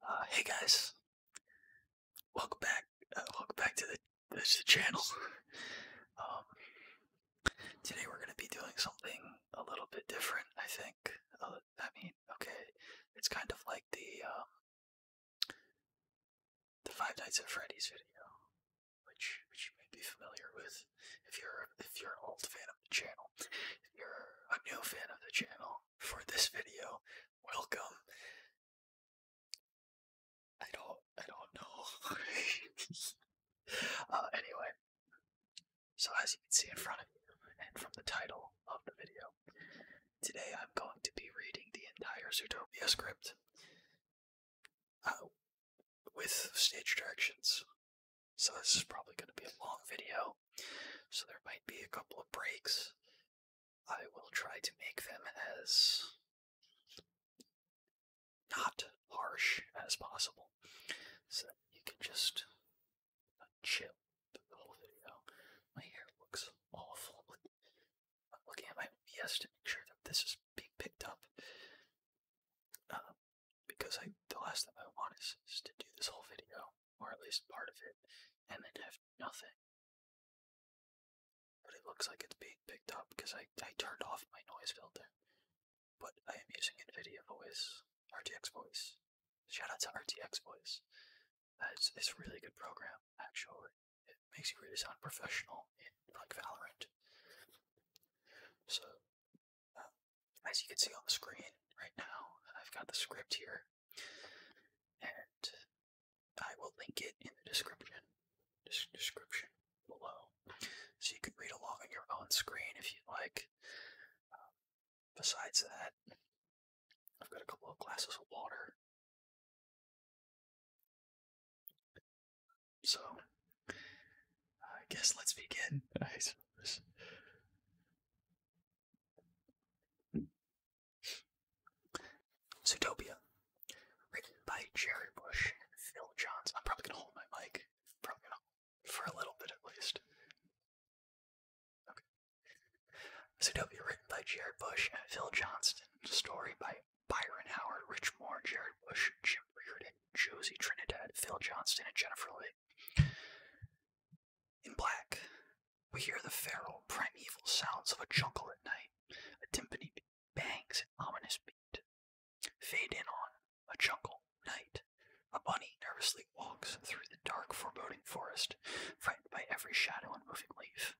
Uh, hey guys, welcome back. Uh, welcome back to the, the channel. Um, today we're going to be doing something a little bit different, I think. Uh, I mean, okay, it's kind of like the um, the Five Nights at Freddy's video, which which you may be familiar with if you're if you're an old fan of the channel. If you're a new fan of the channel, for this video. Welcome. I don't I don't know. uh, anyway, so as you can see in front of you and from the title of the video, today I'm going to be reading the entire Zootopia script uh, with stage directions. So this is probably going to be a long video. So there might be a couple of breaks. I will try to make them as not harsh as possible so you can just chill the whole video. My hair looks awful. I'm looking at my OBS to make sure that this is being picked up. Um, because I, the last thing I want is to do this whole video or at least part of it, and then have nothing. But it looks like it's being picked up because I, I turned off my noise filter. But I am using NVIDIA Voice, RTX Voice. Shout out to RTX Voice. Uh, it's, a really good program, actually. It makes you really sound professional in like Valorant. So, uh, as you can see on the screen right now, I've got the script here and I will link it in the description description below, so you can read along on your own screen if you like. Um, besides that, I've got a couple glasses of water. So, I guess let's begin. Zootopia, written by Jerry Bush and Phil Johns. I'm probably gonna hold my mic, for a little bit at least. Okay. written by Jared Bush and Phil Johnston. Story by Byron Howard, Rich Moore, Jared Bush, Jim Reardon, Josie Trinidad, Phil Johnston, and Jennifer Lee. In black, we hear the feral, primeval sounds of a jungle at night, a timpani bangs an ominous beat. Fade in on a jungle night. A bunny nervously walks through the dark, foreboding forest, frightened by every shadow and moving leaf.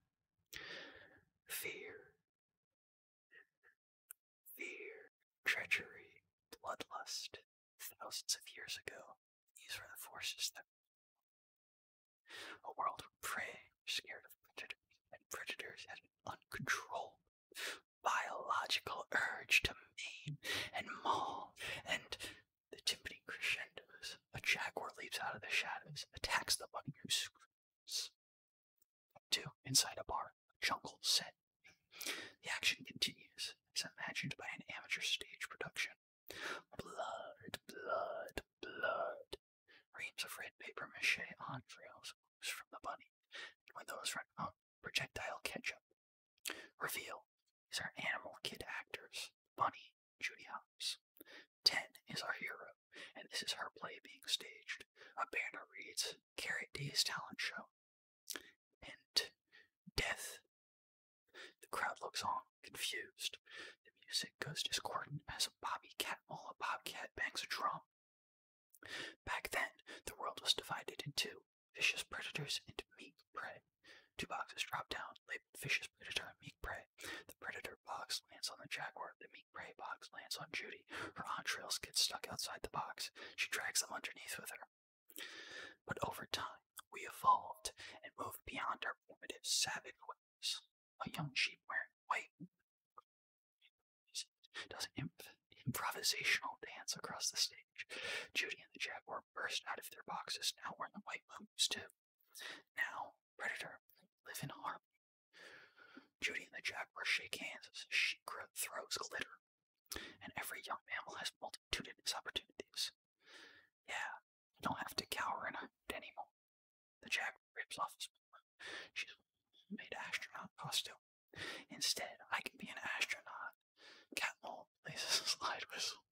Fear. Fear, treachery, bloodlust. Thousands of years ago, these were the forces that a world of prey, scared of predators, and predators had an uncontrolled biological urge to maim and maul, and the timpani crescendos. A jaguar leaps out of the shadows, attacks the bunny who screams. Two, inside a bar, a jungle set. The action continues, as imagined by an amateur stage production. Blood, blood, blood. Reams of red paper mache entrails oozed from the bunny, and when those run out, projectile ketchup. Reveal. These are animal kid actors. Bunny, Judy Hopps. Ten is our hero, and this is her play being staged. A banner reads Carrot Day's Talent Show. and Death the crowd looks on, confused. The music goes discordant as a bobby catmull, a bobcat bangs a drum. Back then, the world was divided into vicious predators and meek prey. Two boxes drop down, like vicious predator and meek prey. The predator box lands on the jaguar. The meek prey box lands on Judy. Her entrails get stuck outside the box. She drags them underneath with her. But over time, we evolved and moved beyond our primitive savage ways. A young sheep wearing white does an improvisational dance across the stage. Judy and the jaguar burst out of their boxes. Now we're in the white moons too. Now predator live in harmony. Judy and the jaguar shake hands as she throws glitter, and every young mammal has multitudinous opportunities. Yeah, I don't have to cower in a hood anymore. The jacket rips off his armor. She's made astronaut costume. Oh, Instead, I can be an astronaut. Catmull places a slide whistle.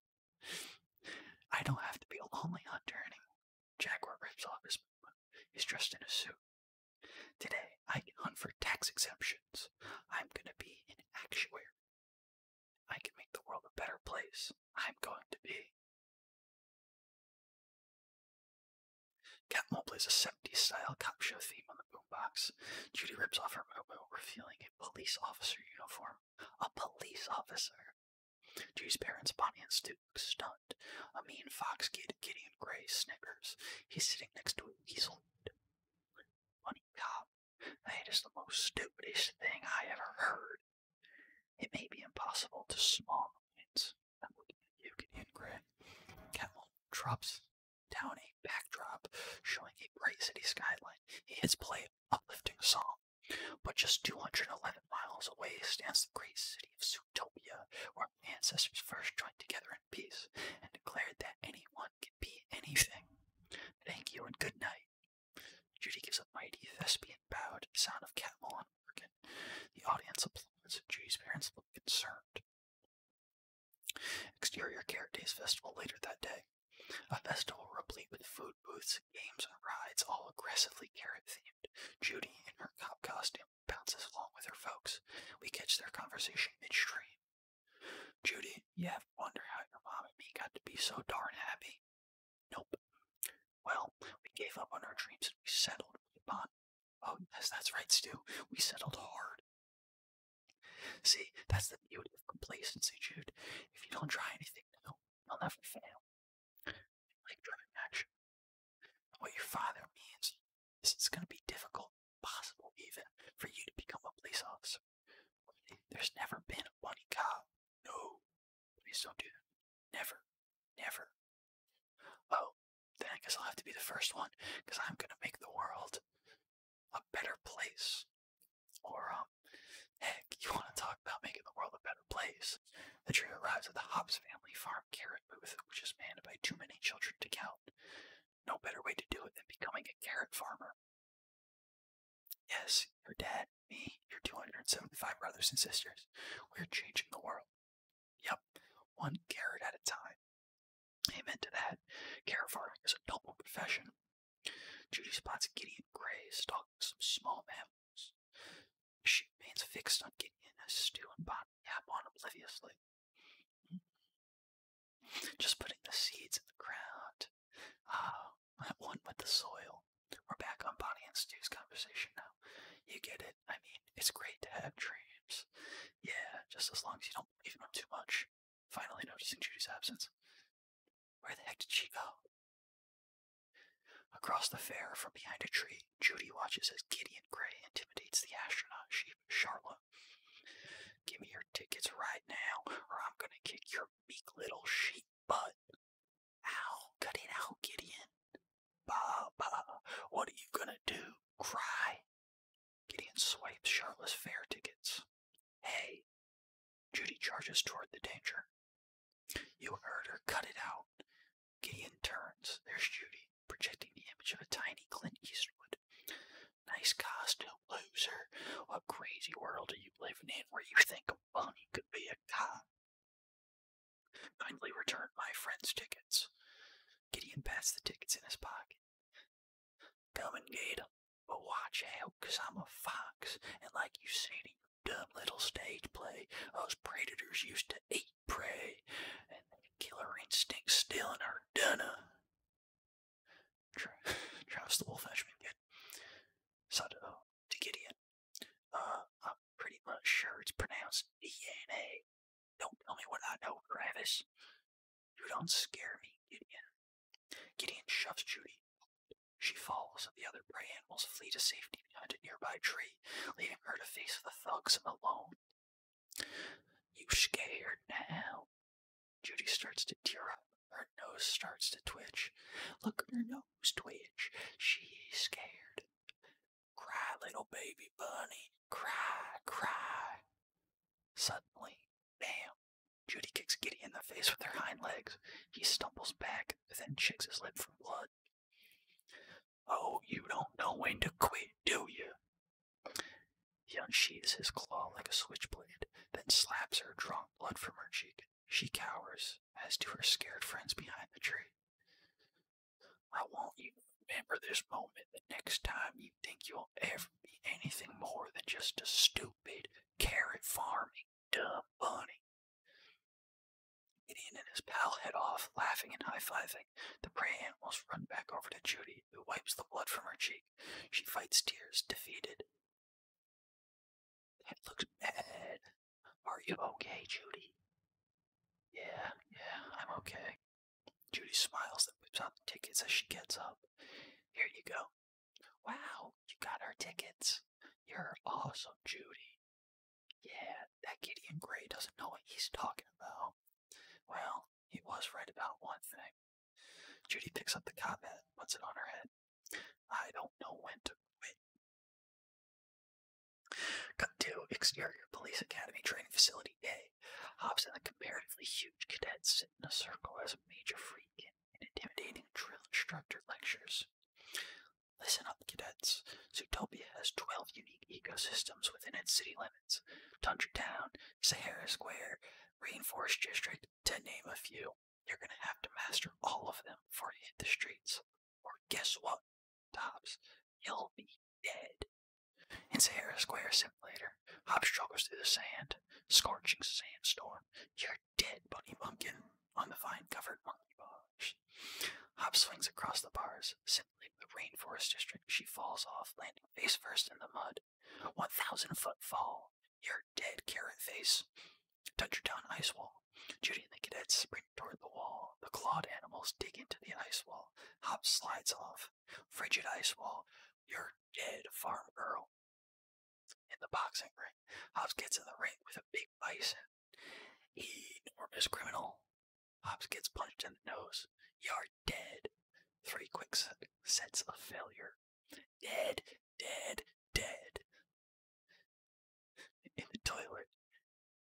I don't have to be a lonely hunter anymore. Jaguar rips off his movement. He's dressed in a suit. Today, I can hunt for tax exemptions. I'm gonna be an actuary. I can make the world a better place. I'm going to be. Catmull plays a 70s style cop show theme on the boombox. Judy rips off her momo, revealing a police officer uniform. A police officer! Judy's parents, Bonnie and Stu, stunt. A mean fox kid, Gideon Gray, snickers. He's sitting next to a weasel. Funny cop. That is the most stupidest thing I ever heard. It may be impossible to small moments. I'm looking at you, Gideon drops down a backdrop showing a bright city skyline. He has played an uplifting song. But just 211 miles away stands the great city of Zootopia, where ancestors first joined together in peace and declared that anyone can be anything. Thank you and good night. Judy gives a mighty thespian bow to the sound of Catmull on organ. The audience applauds, and Judy's parents look concerned. Exterior Carrot Days Festival later that day. A festival replete with food booths, games, and rides, all aggressively carrot themed. Judy, in her cop costume, bounces along with her folks. We catch their conversation midstream. Judy, you ever wonder how your mom and me got to be so darn happy? Nope. Well, we gave up on our dreams and we settled upon. Oh, yes, that's right, Stu. We settled hard. See, that's the beauty of complacency, Jude. If you don't try anything new, you'll never fail. Like driving action. What your father means is it's going to be difficult, possible even, for you to become a police officer. There's never been a money cop. No, Please don't do that. Never. Never. Oh, then I guess I'll have to be the first one, because I'm going to make the world a better place. Or, um, heck, you want to talk about making the world a better place? The trio arrives at the Hobbs family farm carrot booth, which is manned by too many children to count. No better way to do it than becoming a carrot farmer. Yes, your dad, me, your 275 brothers and sisters. We're changing the world. Yep, one carrot at a time. Amen to that. Carrot farming is a noble profession. Judy spots Gideon Gray stalking some small mammals. She remains fixed on Gideon as Stu and Bonnie yap obliviously. Hmm. Just putting the seeds in the ground Ah, that one with the soil. We're back on Bonnie and Stu's conversation now. You get it. I mean, it's great to have dreams. Yeah, just as long as you don't believe in them too much. Finally noticing Judy's absence. Where the heck did she go? Across the fair, from behind a tree, Judy watches as Gideon Gray intimidates the astronaut sheep, Charlotte. Give me your tickets right now, or I'm gonna kick your meek little sheep but ow, cut it out, Gideon. Bah, bah, what are you gonna do? Cry? Gideon swipes Charlotte's fare tickets. Hey, Judy charges toward the danger. You heard her, cut it out. Gideon turns. There's Judy, projecting the image of a tiny Clint Eastwood. Nice costume, loser. What crazy world are you living in where you think a bunny could be a cop? Kindly return my friend's tickets. Gideon passed the tickets in his pocket. Come and get 'em, but watch out, cause I'm a fox, and like you said in your dumb little stage play, us predators used to eat prey, and the killer instinct still in our DNA. Travis the wolf actually did to Gideon. Uh, I'm pretty much sure it's pronounced Iene. Don't tell me what I know, Travis. You don't scare me, Gideon. Gideon shoves Judy. She falls, and the other prey animals flee to safety behind a nearby tree, leaving her to face the thugs alone. You scared now? Judy starts to tear up. Her nose starts to twitch. Look at her nose nose twitch. She's scared. Cry, little baby bunny. Cry, cry. Suddenly, bam, Judy kicks Giddy in the face with her hind legs. He stumbles back, then checks his lip for blood. Oh, you don't know when to quit, do you? He unsheathes his claw like a switchblade, then slaps her, drawing blood from her cheek. She cowers, as do her scared friends behind the tree. I want you to remember this moment the next time you think you'll ever be anything more than just a stupid, carrot farming, dumb bunny. Gideon and his pal head off, laughing and high fiving. The prey animals run back over to Judy, who wipes the blood from her cheek. She fights tears, defeated. That looks bad. Are you okay, Judy? Yeah, yeah, I'm okay. Judy smiles and whips out the tickets as she gets up. Here you go. Wow, you got our tickets. You're awesome, Judy. Yeah, that Gideon Gray doesn't know what he's talking about. Well, he was right about one thing. Judy picks up the cop and puts it on her head. Cut to Exterior Police Academy Training Facility A. Hops and the comparatively huge cadets sit in a circle as a major freak and intimidating drill instructor lectures. Listen up, cadets. Zootopia has 12 unique ecosystems within its city limits Tundra Town, Sahara Square, Rainforest District, to name a few. You're going to have to master all of them before you hit the streets. Or guess what, Tops? You'll be dead. In Sahara Square Simulator, Hop struggles through the sand, scorching sandstorm. You're dead, Bunny Bumpkin, on the vine-covered monkey bars. Hop swings across the bars, simulating the rainforest district. She falls off, landing face first in the mud. 1,000-foot fall. You're dead, Carrot Face. Dungeon ice wall. Judy and the cadets sprint toward the wall. The clawed animals dig into the ice wall. Hop slides off. Frigid ice wall. You're dead, farm girl. In the boxing ring, Hobbs gets in the ring with a big bison. Enormous criminal. Hobbs gets punched in the nose. You're dead. Three quick sets of failure. Dead, dead, dead. In the toilet,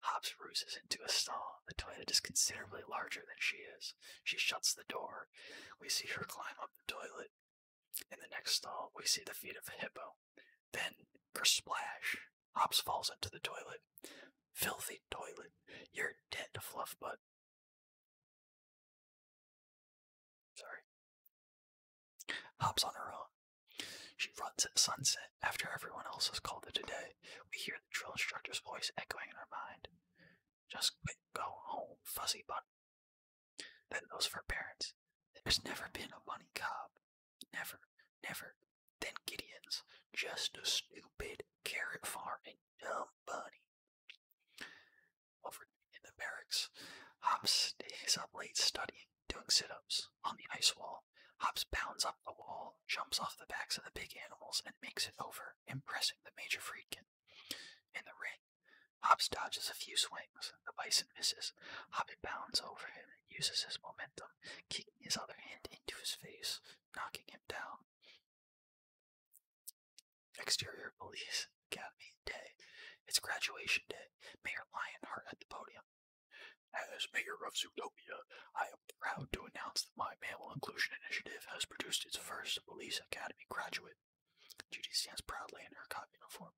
Hobbs ruses into a stall. The toilet is considerably larger than she is. She shuts the door. We see her climb up the toilet. In the next stall, we see the feet of a hippo. Then, for splash, Hobbs falls into the toilet. Filthy toilet. You're dead, Fluffbutt. Sorry. Hops on her own. She runs at sunset after everyone else has called it a day. We hear the drill instructor's voice echoing in her mind. Just quit, go home, fuzzy bunny. Then those for parents. There's never been a money cob. Never, never. Then Gideon's. Just a stupid carrot farming dumb bunny. Over in the barracks, Hops stays up late studying, doing sit ups on the ice wall. Hops bounds up the wall, jumps off the backs of the big animals, and makes it over, impressing the Major Friedkin. In the ring, Hops dodges a few swings. The bison misses. Hops bounds over him and uses his momentum, kicking his other hand into his face, knocking him down. Exterior Police Academy Day. It's graduation day. Mayor Lionheart at the podium as mayor of Zootopia, I am proud to announce that my mammal inclusion initiative has produced its first police academy graduate. Judy stands proudly in her cop uniform,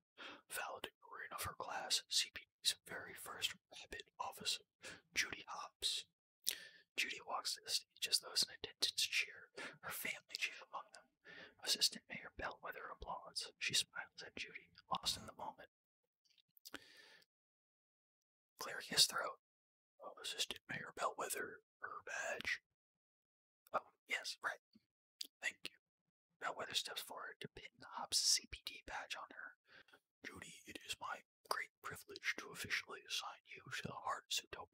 valedictorian of her class, CPD's very first rabbit officer, Judy Hobbs. Judy walks to the stage as those in attendance cheer, her family chief among them. Assistant Mayor Bellwether applauds. She smiles at Judy, lost in the moment. Clearing his throat. Oh, Assistant Mayor Bellwether, her badge. Oh, yes, right. Thank you. Bellwether steps forward to pin the Hops CPT badge on her. Judy, it is my great privilege to officially assign you to the Heart of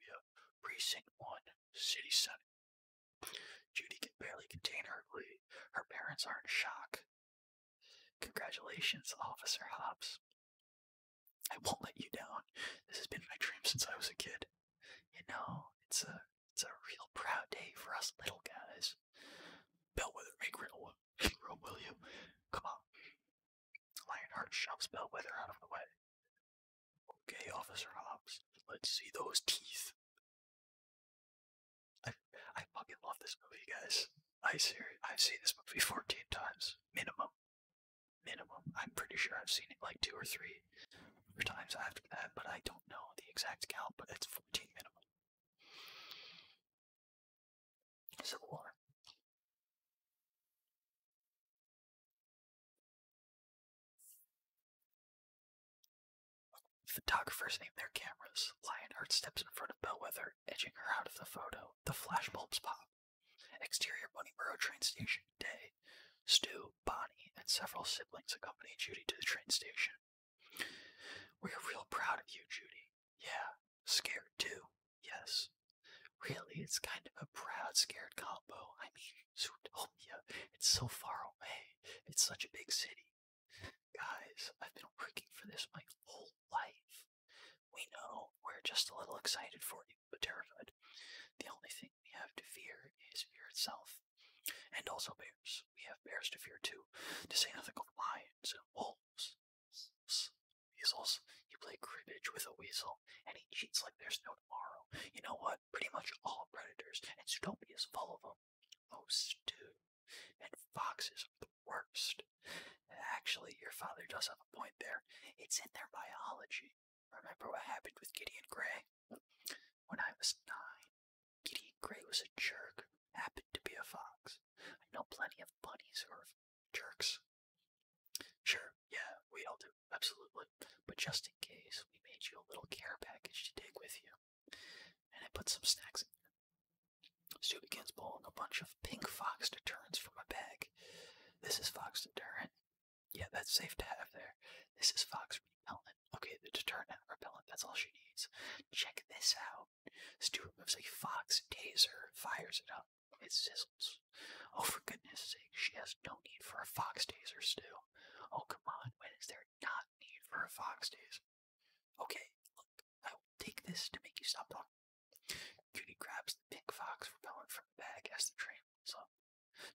Precinct 1, City Senate. Judy can barely contain her glee. Her parents are in shock. Congratulations, Officer Hobbs. I won't let you down. This has been my dream since I was a kid. You know, it's a it's a real proud day for us little guys. Bellwether, make room, make will you? Come on. Lionheart shoves Bellwether out of the way. Okay, Officer Hobbs, let's see those teeth. I fucking love this movie, guys. I ser- I've seen this movie 14 times minimum. Minimum. I'm pretty sure I've seen it like two or three or times after that, but I don't know the exact count, but it's 14 minimum. Civil War. Uh Photographers name their cameras. Lionheart steps in front of Bellwether, edging her out of the photo. The flashbulbs pop. Exterior Bunnyboro train station, day. Stu, Bonnie, and several siblings accompany Judy to the train station. We're real proud of you, Judy. Yeah. Scared too. Yes. Really, it's kind of a proud, scared combo. I mean, Zootopia, it's so far away. It's such a big city. Guys, I've been working for this my whole life. We know we're just a little excited for you, but terrified. The only thing we have to fear is fear itself. And also bears. We have bears to fear too, to say nothing of lions and wolves. Weasels. You play cribbage with a weasel, and he cheats like there's no tomorrow. You know what? Pretty much all predators, and is full of them. Oh, Stu, and foxes are the worst. Actually, your father does have a point there. It's in their biology. Remember what happened with Gideon Gray? When I was nine, Gideon Gray was a jerk, happened to be a fox. I know plenty of bunnies who are jerks. Sure, yeah, we all do, absolutely. But just in case, we made you a little care package to take with you. And I put some snacks in there. Stu begins pulling a bunch of pink fox deterrents from a bag. This is fox deterrent. Yeah, that's safe to have there. This is fox repellent. Okay, the deterrent and repellent, that's all she needs. Check this out. Stu removes a fox taser, fires it up. It sizzles. Oh, for goodness sake, she has no need for a fox taser, Stu. Oh, come on, when is there not need for a fox taser? Okay, look, I will take this to make you stop talking. Judy grabs the pink fox repellent from the bag as the train moves up.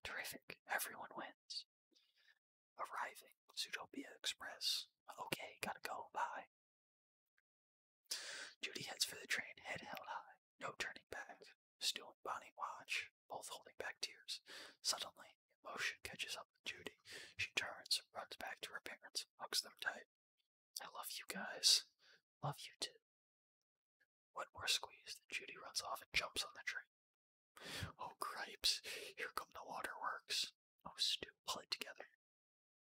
Terrific, everyone wins. Arriving, Zootopia Express. Okay, gotta go, bye. Judy heads for the train, head held high, no turning back. Stu and Bonnie watch, both holding back tears. Suddenly, emotion catches up with Judy. She turns and runs back to her parents hugs them tight. I love you guys. Love you too. One more squeeze, then Judy runs off and jumps on the train. Oh, cripes. Here come the waterworks. Oh, Stu, pull it together.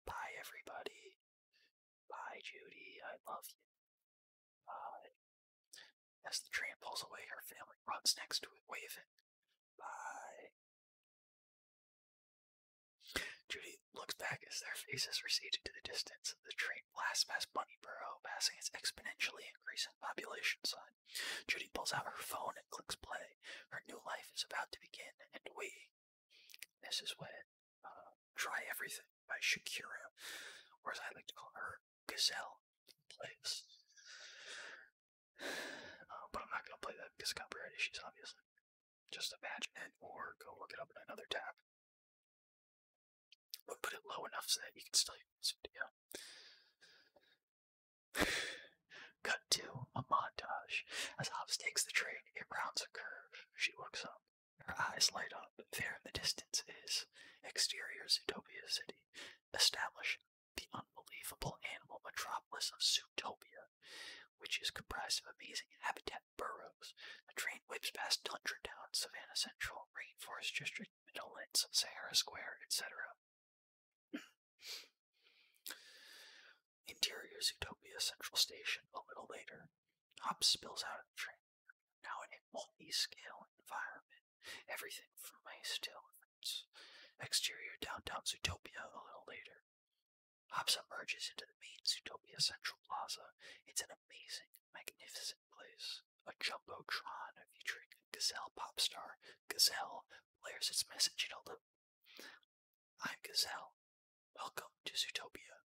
Bye, everybody. Bye, Judy. I love you. Bye. As the train pulls away, her family runs next to it, waving. Judy looks back as their faces recede into the distance. The train blasts past Bunnyborough, passing its exponentially increasing population sign. Judy pulls out her phone and clicks play. Her new life is about to begin, and we. This is when uh, Try Everything by Shakira, or as I like to call her, Gazelle, plays. Uh, but I'm not going to play that because of copyright issues, obviously. Just imagine it or go look it up in another tab. But put it low enough so that you can still use it, you Cut to a montage. As Hobbs takes the train, it rounds a curve. She looks up. Her eyes light up. There in the distance is exterior Zootopia City. Establish the un unbelievable animal metropolis of Zootopia, which is comprised of amazing habitat burrows. The train whips past Tundra Town, Savannah Central, Rainforest District, Meadowlands, Sahara Square, etc. Interior Zootopia Central Station a little later. Hops spills out of the train, now in a multi-scale environment. Everything from my stills. Exterior downtown Zootopia a little later. Hop submerges into the main Zootopia Central Plaza. It's an amazing, magnificent place. A jumbotron featuring Gazelle pop star Gazelle blares its message at Elda. I'm Gazelle. Welcome to Zootopia.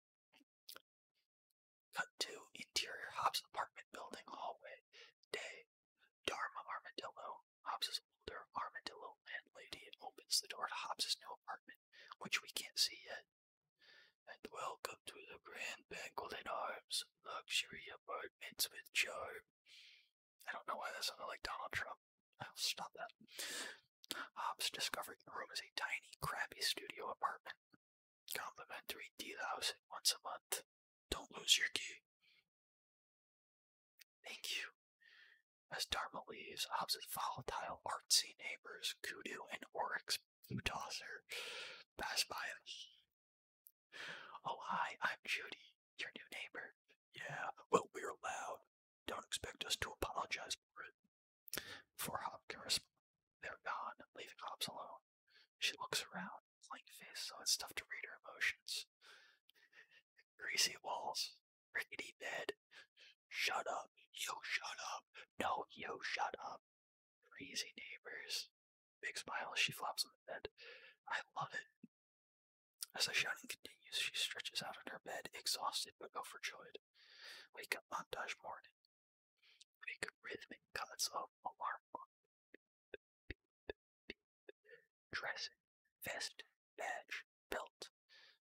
Cut to interior Hobbs apartment building hallway. Day. Dharma Armadillo Hobbs's older armadillo landlady opens the door to Hobbs's new apartment, which we can't see yet. And welcome to the Grand Banquet in Arms, luxury apartments with charm. I don't know why that sounded like Donald Trump. I'll stop that. Hobbs discovered the room is a tiny, crappy studio apartment. Complimentary deal house once a month. Don't lose your key. Thank you. As Dharma leaves, Hobbs' volatile, artsy neighbors, Kudu and Oryx blue pass by him. Oh, hi, I'm Judy, your new neighbor. Yeah, well, we're loud. Don't expect us to apologize for it. Before Hobbs can respond, they're gone, leaving Hobbs alone. She looks around, blank face, so it's tough to read her emotions. Greasy walls, rickety bed. Shut up, you shut up, no, you shut up. Crazy neighbors. Big smile as she flops on the bed. I love it. As the shouting continues, she stretches out on her bed, exhausted but overjoyed. Wake up montage morning. Quick rhythmic cuts of alarm clock dress, vest, badge, belt.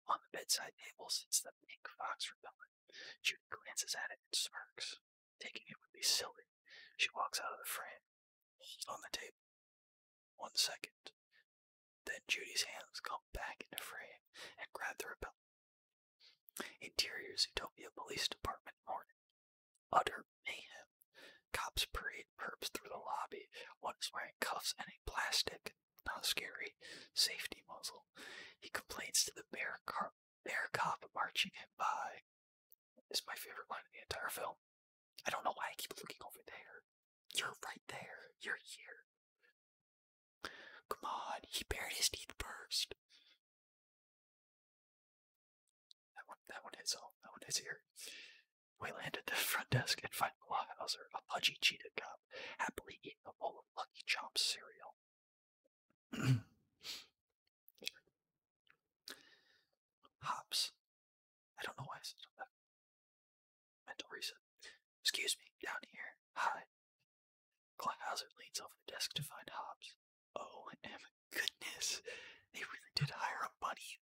On the bedside table sits the pink fox repellent. Judy glances at it and smirks. Taking it would be silly. She walks out of the frame, holds on the table. One second. Then Judy's hands come back into frame and grab the repellent. Interior Utopia Police Department morning. Utter mayhem. Cops parade perps through the lobby. One is wearing cuffs and a plastic not scary, safety muzzle. He complains to the bear, bear cop marching him by. This is my favorite line in the entire film. I don't know why I keep looking over there. You're right there. You're here. Come on, he bared his teeth first. That one, that one hits home. That one is here. We land at the front desk and find Blauhauser, a pudgy cheetah cop, happily eating a bowl of Lucky Chomp cereal. Hops. I don't know why I said that. Mental reset. Excuse me, down here. Hi. Glahauser leans over the desk to find Hobbs. Oh, my goodness. They really did hire a bunny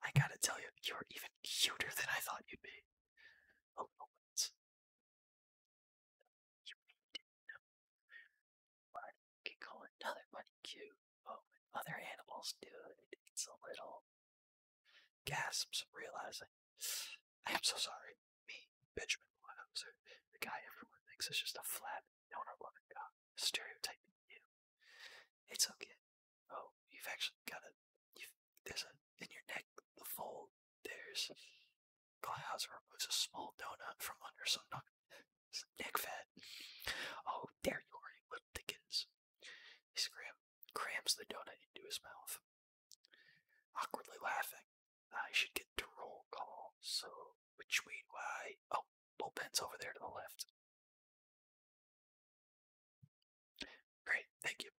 I gotta tell you, you're even cuter than I thought you'd be. Oh, no, oh, You didn't know. But you call another bunny oh, cute, other animals do it, it's a little. Gasps, realizing. I am so sorry. Me, Benjamin Wildhauser, the guy everyone thinks is just a flat, donor loving guy stereotyping you. It's okay. Oh, you've actually got a. You've, there's a in your neck. The fold. There's. Glyhauser removes a small donut from under some neck fat. Oh, there you are, you little dickens. He scrams the donut into his mouth. Awkwardly laughing, I should get to roll call. So which way do I? Oh, Bullpen's over there to the left. Great, thank you.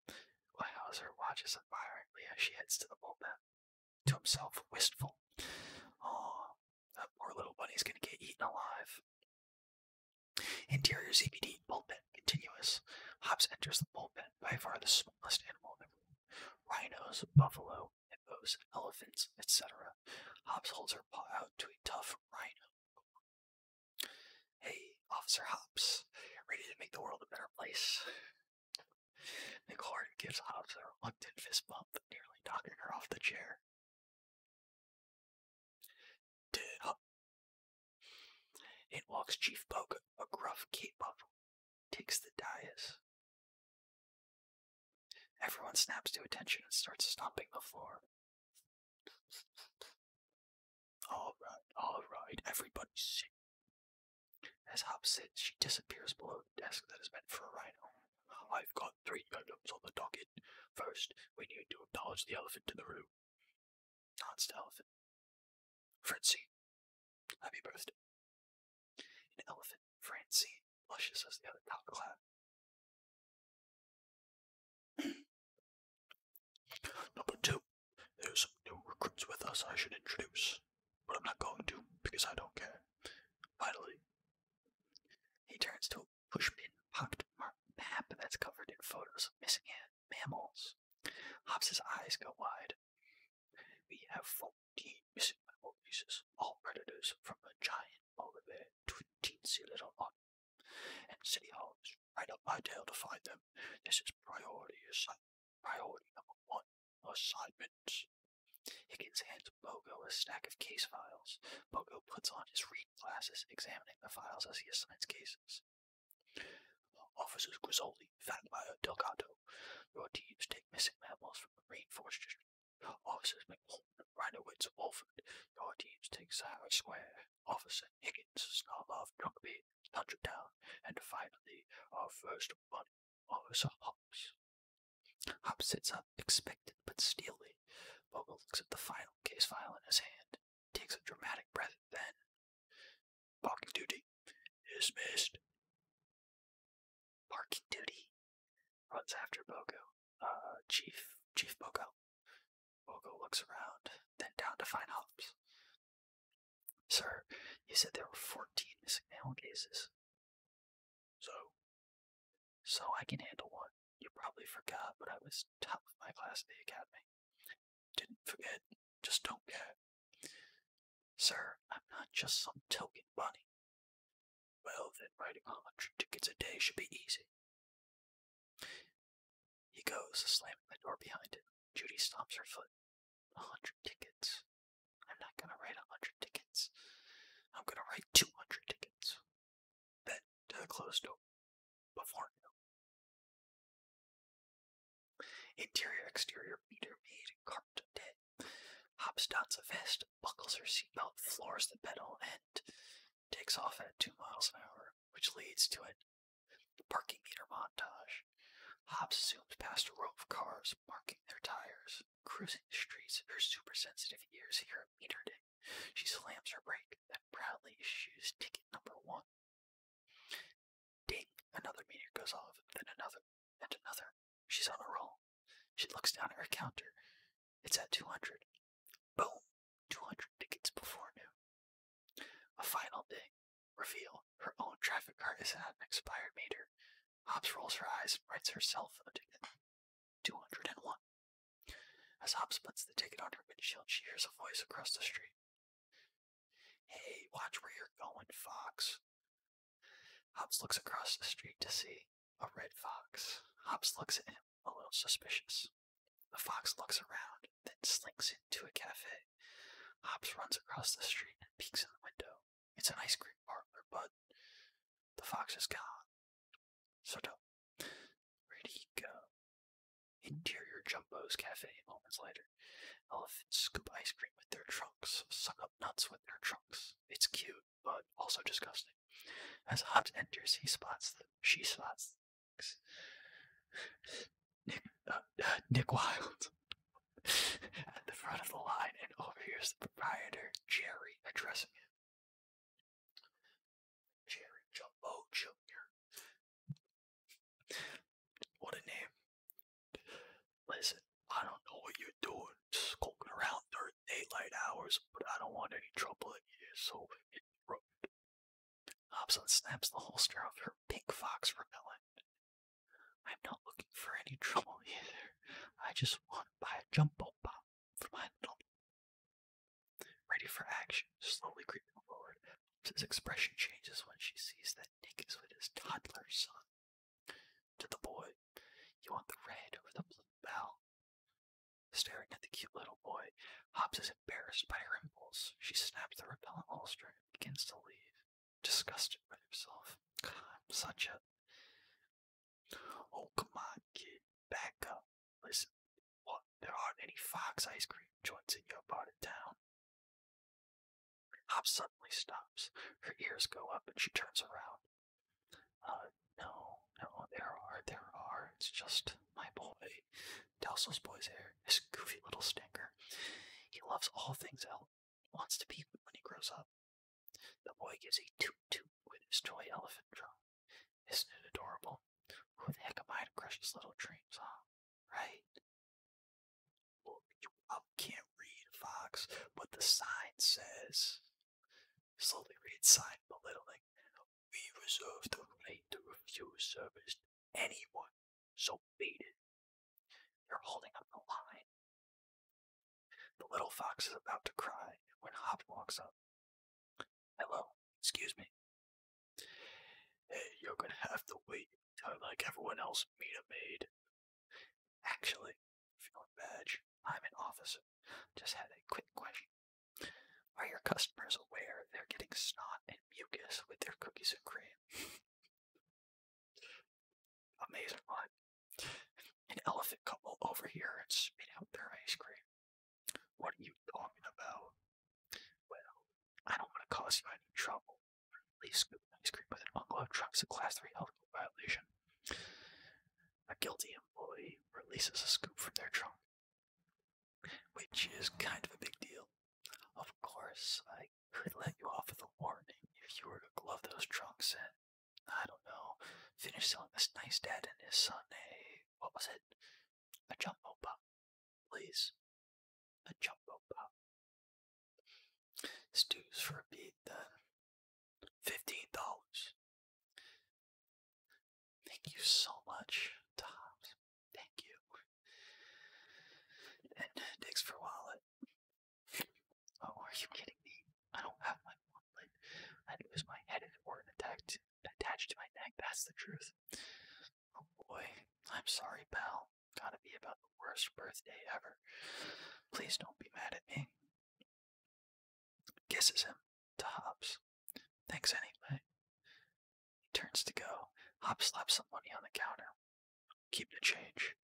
Well, watches admiringly as she heads to the bullpen. To himself, wistful. Oh, that poor little bunny's gonna get eaten alive. Interior CBD bullpen continuous. Hobbs enters the bullpen, by far the smallest animal in Rhinos, buffalo, hippos, elephants, etc. Hobbs holds her paw out to a tough rhino, Hey, Officer Hops, ready to make the world a better place. Nicole gives Hobbs a reluctant fist bump, nearly knocking her off the chair. It walks Chief Boga, a gruff cape bundle, takes the dais. Everyone snaps to attention and starts stomping the floor. All right, all right, everybody see. As Hop sits, she disappears below the desk that is meant for a rhino. I've got three items on the docket. First, we need to acknowledge the elephant in the room. Not the elephant. Francine. Happy birthday. An elephant, Francine, luscious as the other top clad, Number two, there's some new recruits with us I should introduce, but I'm not going to because I don't care. Finally, he turns to a pushpin pocket map that's covered in photos of missing mammals. Hobbs's eyes go wide. We have 14 missing mammal cases, all predators from a giant over there to a teensy little hut. And City Hall is right up my tail to find them. This is priority assignment. Priority number one, assignments. Higgins hands Bogo a stack of case files. Bogo puts on his reading glasses, examining the files as he assigns cases. Officers Grisoldi, Fatmire, Delgado, your teams take missing mammals from the rainforest district. Officers McMullen and Wolford, Your teams take Sahara Square. Officer Higgins, Snarlov, Jugby, Tundra and finally our first one, Officer Hobbs. Hobbs sits up, expectant but steely. Bogle looks at the final case file in his hand, takes a dramatic breath, then. Parking duty. is missed. Parking duty? Runs after Bogo. Uh, Chief Chief Bogo. Bogo looks around, then down to find Holmes. Sir, you said there were fourteen missing mail cases. So? So I can handle one. You probably forgot, but I was top of my class at the academy. Didn't forget, just don't care. Sir, I'm not just some token bunny. Well, then writing a hundred tickets a day should be easy. He goes, slamming the door behind him. Judy stomps her foot. A hundred tickets. I'm not gonna write a hundred tickets. I'm gonna write two hundred tickets. Then to the closed door. Before noon. Interior exterior meter maid carped dead. Hops dots a vest, buckles her seatbelt, floors the pedal, and takes off at two miles an hour which leads to it. The parking meter montage. Hobbs zooms past a row of cars marking their tires. Cruising the streets, her super sensitive ears hear a meter ding. She slams her brake, then proudly issues ticket number one. Ding! Another meter goes off, then another, and another. She's on a roll. She looks down at her counter. It's at 200. Boom! 200 tickets before noon. A final day. Reveal. Her own traffic card is at an expired meter. Hobbs rolls her eyes and writes herself a ticket. 201. As Hobbs puts the ticket on her windshield, she hears a voice across the street. Hey, watch where you're going, Fox. Hobbs looks across the street to see a red fox. Hobbs looks at him a little suspicious. The fox looks around, then slinks into a cafe. Hops runs across the street and peeks in the window. It's an ice cream parlor, but the fox is gone. So don't. where go? Interior Jumbo's Cafe moments later. Elephants scoop ice cream with their trunks, suck up nuts with their trunks. It's cute, but also disgusting. As Hobbs enters, he spots them. She spots Nick, uh, uh, Nick Wild at the front of the line and overhears the proprietor, Jerry, addressing him. Jerry Jumbo Jr. What a name. Listen, I don't know what you're doing, skulking around during daylight hours, but I don't want any trouble here, so rope. Hobson snaps the holster of her pink fox repellent. I'm not looking for any trouble either. I just want to buy a jumbo pop for my little. Ready for action, slowly creeping forward. His expression changes when she sees that Nick is with his toddler son. To the boy, you want the red or the blue bell? Staring at the cute little boy, Hobbs is embarrassed by her impulse. She snaps the repellent holster and begins to leave, disgusted with herself. God, I'm such a. Oh, come on, kid. Back up. Listen, what? There aren't any Fox ice cream joints in your part of town. Hobbs suddenly stops. Her ears go up and she turns around. Uh, no, no, there are, there are. It's just my boy. Jake, boy's hair, his goofy little stinker. He loves all things elf. wants to be when he grows up. The boy gives a toot-toot with his toy elephant drum. Isn't it adorable? Who the heck am I to crush his little dreams, huh? Right? Look, can't read, Fox, but the sign says. Slowly read sign, belittling. We reserve the right to refuse service to anyone, so be it. You're holding up the line. The little fox is about to cry when Hop walks up. Hello, excuse me. Hey, you're gonna have to wait I'd like everyone else meet a maid. Actually, if you are not badge, I'm an officer. Just had a quick question. Are your customers aware they're getting snot and mucus with their cookies and cream? Amazing one. An elephant couple over here and spit out their ice cream. What are you talking about? Well, I don't want to cause you any trouble. At scoop scooping ice cream with an ungloved truck is a class 3 health violation. A guilty employee releases a scoop from their trunk which is kind of a big deal. Of course, I could let you off with a warning if you were to glove those trunks and, I don't know, finish selling this nice dad and his son a, what was it? A jumbo pop, please. A jumbo pop. Stews for then. Fifteen dollars. Thank you so much, Tops. Thank you. And Dix uh, for wallet. Oh, are you kidding me? I don't have my wallet. I lose my head if it weren't attacked, attached to my neck. That's the truth. Oh boy, I'm sorry, pal. Gotta be about the worst birthday ever. Please don't be mad at me. Kisses him. Tops. Thanks anyway. He turns to go, hop slaps some money on the counter. Keep the change.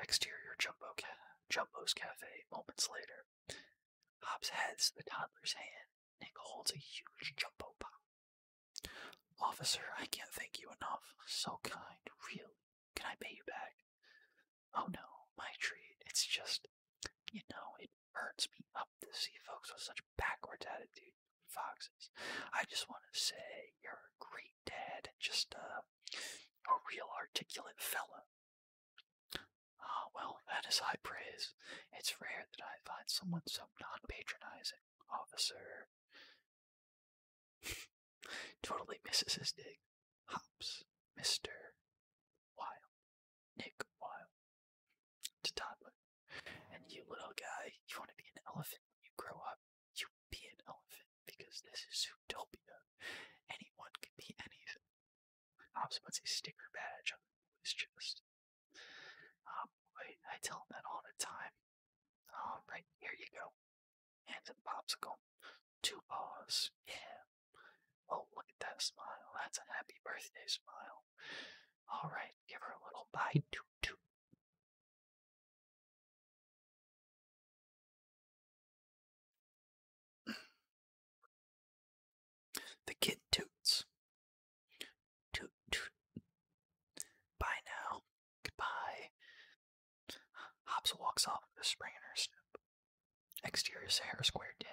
Exterior Jumbo's Cafe moments later. Hobbs heads the toddler's hand. Nick holds a huge jumbo pop. Officer, I can't thank you enough. So kind, really. Can I pay you back? Oh no, my treat. It's just, you know, it Hurts me up to see folks with such backwards attitude. Foxes, I just want to say you're a great dad, just uh, a real articulate fellow. Ah, well, that is high praise. It's rare that I find someone so non-patronizing, officer. totally misses his dig. Hops, Mister Wild. Nick Wilde. To toddler. And you little guy, you want to be an elephant when you grow up. You be an elephant because this is Zootopia. Anyone can be anything. Hobbs puts a sticker badge on his chest. Oh boy, I tell him that all the time. oh, right, here you go. Hands and popsicle. Two balls. Yeah. Oh, look at that smile. That's a happy birthday smile. All right, give her a little bye, Toot, toot. The kid toots. Toot, toot. Bye now. Goodbye. Hops walks off with a spring in her step. Exterior Sahara Square Day.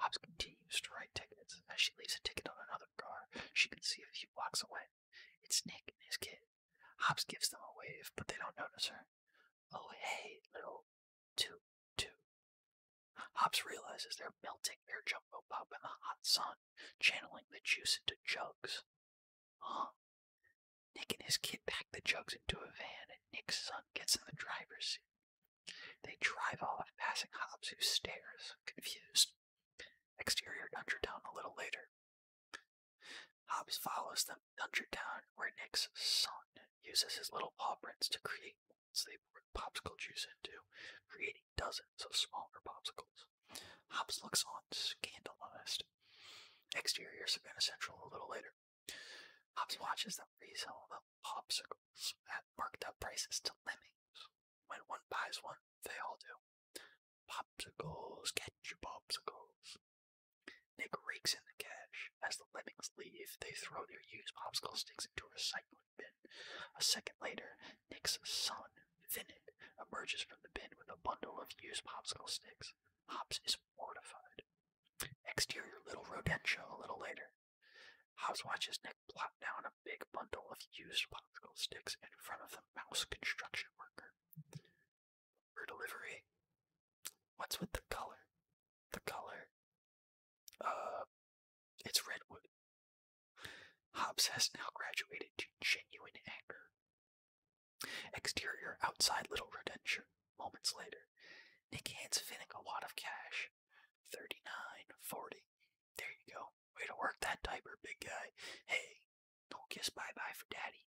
Hops continues to write tickets. As she leaves a ticket on another car, she can see a few blocks away. It's Nick and his kid. Hops gives them a wave, but they don't notice her. Oh, hey, little two two. Hops realizes they're melting their jumbo pop in the hot sun, channeling the juice into jugs. Huh? Nick and his kid pack the jugs into a van, and Nick's son gets in the driver's seat. They drive off, passing Hops, who stares, confused. Exterior Dungertown a little later. Hobbes follows them to Dungertown, where Nick's son uses his little paw to create molds they pour popsicle juice into, creating dozens of smaller popsicles. Hobbes looks on, scandalized. Exterior Savannah Central a little later. Hobbes watches them resell the popsicles at marked up prices to lemmings. When one buys one, they all do. Popsicles, catch your popsicles. Nick rakes in the cash. As the lemmings leave, they throw their used popsicle sticks into a recycling bin. A second later, Nick's son, Vinny emerges from the bin with a bundle of used popsicle sticks. Hobbs is mortified. Exterior little rodentia a little later. Hobbs watches Nick plow now in a big bundle of used popsicle sticks in front of the mouse construction worker. For delivery. What's with the color? The color? Uh, it's redwood. Hobbs has now graduated to genuine anger. Exterior outside little redemption. Moments later, Nick hands Finning a lot of cash. Thirty-nine, forty. There you go. Oh, way to work that diaper, big guy. Hey, don't kiss bye bye for daddy.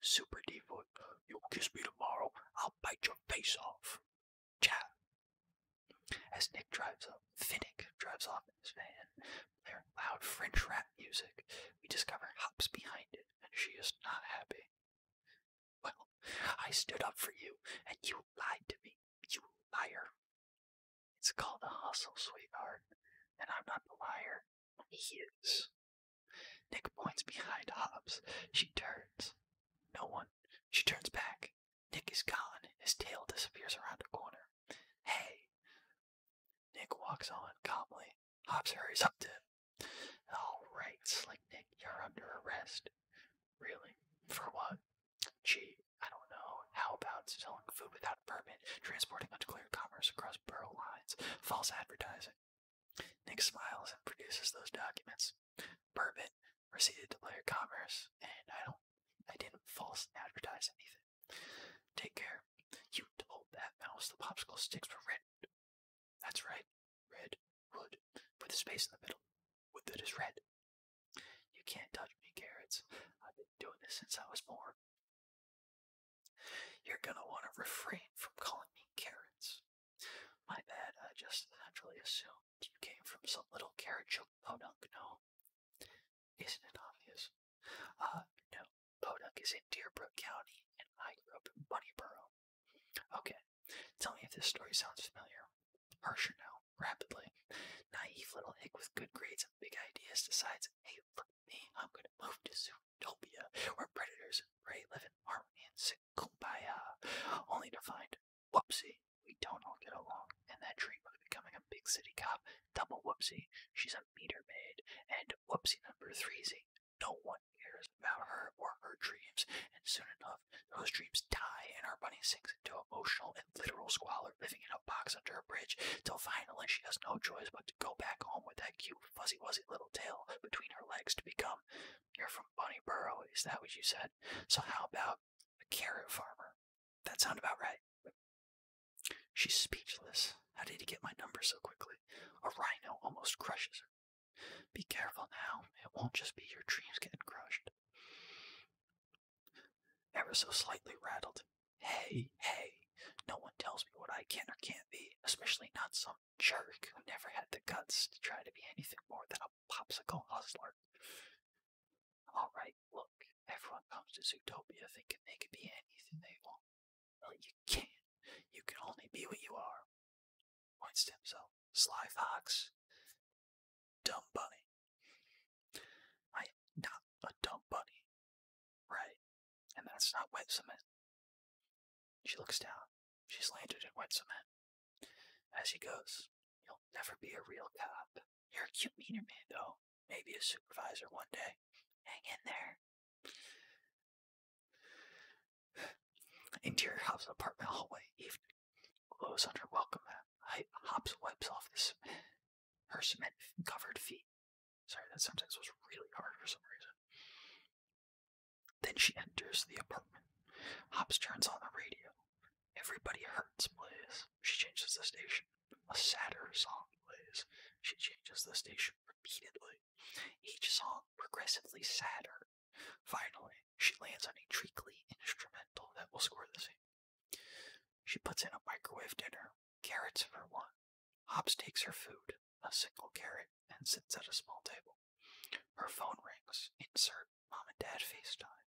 Super Devo, you'll kiss me tomorrow. I'll bite your face off. Chat. As Nick drives up, Finnick drives off in his van. Their loud French rap music. We discover Hops behind it, and she is not happy. Well, I stood up for you, and you lied to me. You liar. It's called a hustle, sweetheart. And I'm not the liar. He is. Nick points behind Hobbs. She turns. No one. She turns back. Nick is gone. His tail disappears around a corner. Hey! Nick walks on calmly. Hobbs hurries up to him. All right, Slick Nick, you're under arrest. Really? For what? Gee, I don't know. How about selling food without permit, transporting undeclared commerce across borough lines, false advertising? Nick smiles and produces those documents. Permit, receipt of declared commerce, and I don't, I didn't false advertise anything. Take care. You told that mouse the popsicle sticks were red. That's right, red wood, with the space in the middle. What good red? You can't touch me, carrots. I've been doing this since I was born. You're gonna want to refrain from calling me carrots. My bad, I just naturally assumed you came from some little carrot choke podunk, no? Isn't it obvious? Uh, no. Podunk is in Deerbrook County, and I grew up in Bunnyboro. Okay, tell me if this story sounds familiar. Harsher now rapidly. Naive little hick with good grades and big ideas decides, hey, look at me, I'm gonna move to Zootopia, where predators and prey live in harmony and sing only to find, whoopsie, we don't all get along, and that dream of becoming a big city cop, double whoopsie, she's a meter maid, and whoopsie number threezy, no one cares about her or her dreams, and soon enough, those dreams die, and our bunny sinks into emotional and literal squalor, living in a box under a bridge, till finally she has no choice but to go back home with that cute, fuzzy wuzzy little tail between her legs to become. You're from Bunny Burrow, is that what you said? So how about a carrot farmer? That sound about right. She's speechless. How did he get my number so quickly? A rhino almost crushes her. Be careful now. It won't just be your dreams getting crushed ever so slightly rattled. Hey, hey, no one tells me what I can or can't be, especially not some jerk who never had the guts to try to be anything more than a popsicle hustler. Alright, look, everyone comes to Zootopia thinking they can be anything they want. Well, you can't. You can only be what you are. Points to himself. Sly Fox, dumb bunny. I am not a dumb bunny, right? And that's not wet cement. She looks down. She's landed in wet cement. As he goes, you'll never be a real cop. You're a cute meter man, though. Maybe a supervisor one day. Hang in there. Interior Hobbs apartment hallway, evening. Glows under welcome mat. Hops wipes off this her cement covered feet. Sorry, that sentence was really hard for some reason. Then she enters the apartment. Hobbs turns on the radio. Everybody Hurts plays. She changes the station. A sadder song plays. She changes the station repeatedly. Each song progressively sadder. Finally, she lands on a treacly instrumental that will score the scene. She puts in a microwave dinner, carrots for one. Hobbs takes her food, a single carrot, and sits at a small table. Her phone rings. Insert mom and dad FaceTime.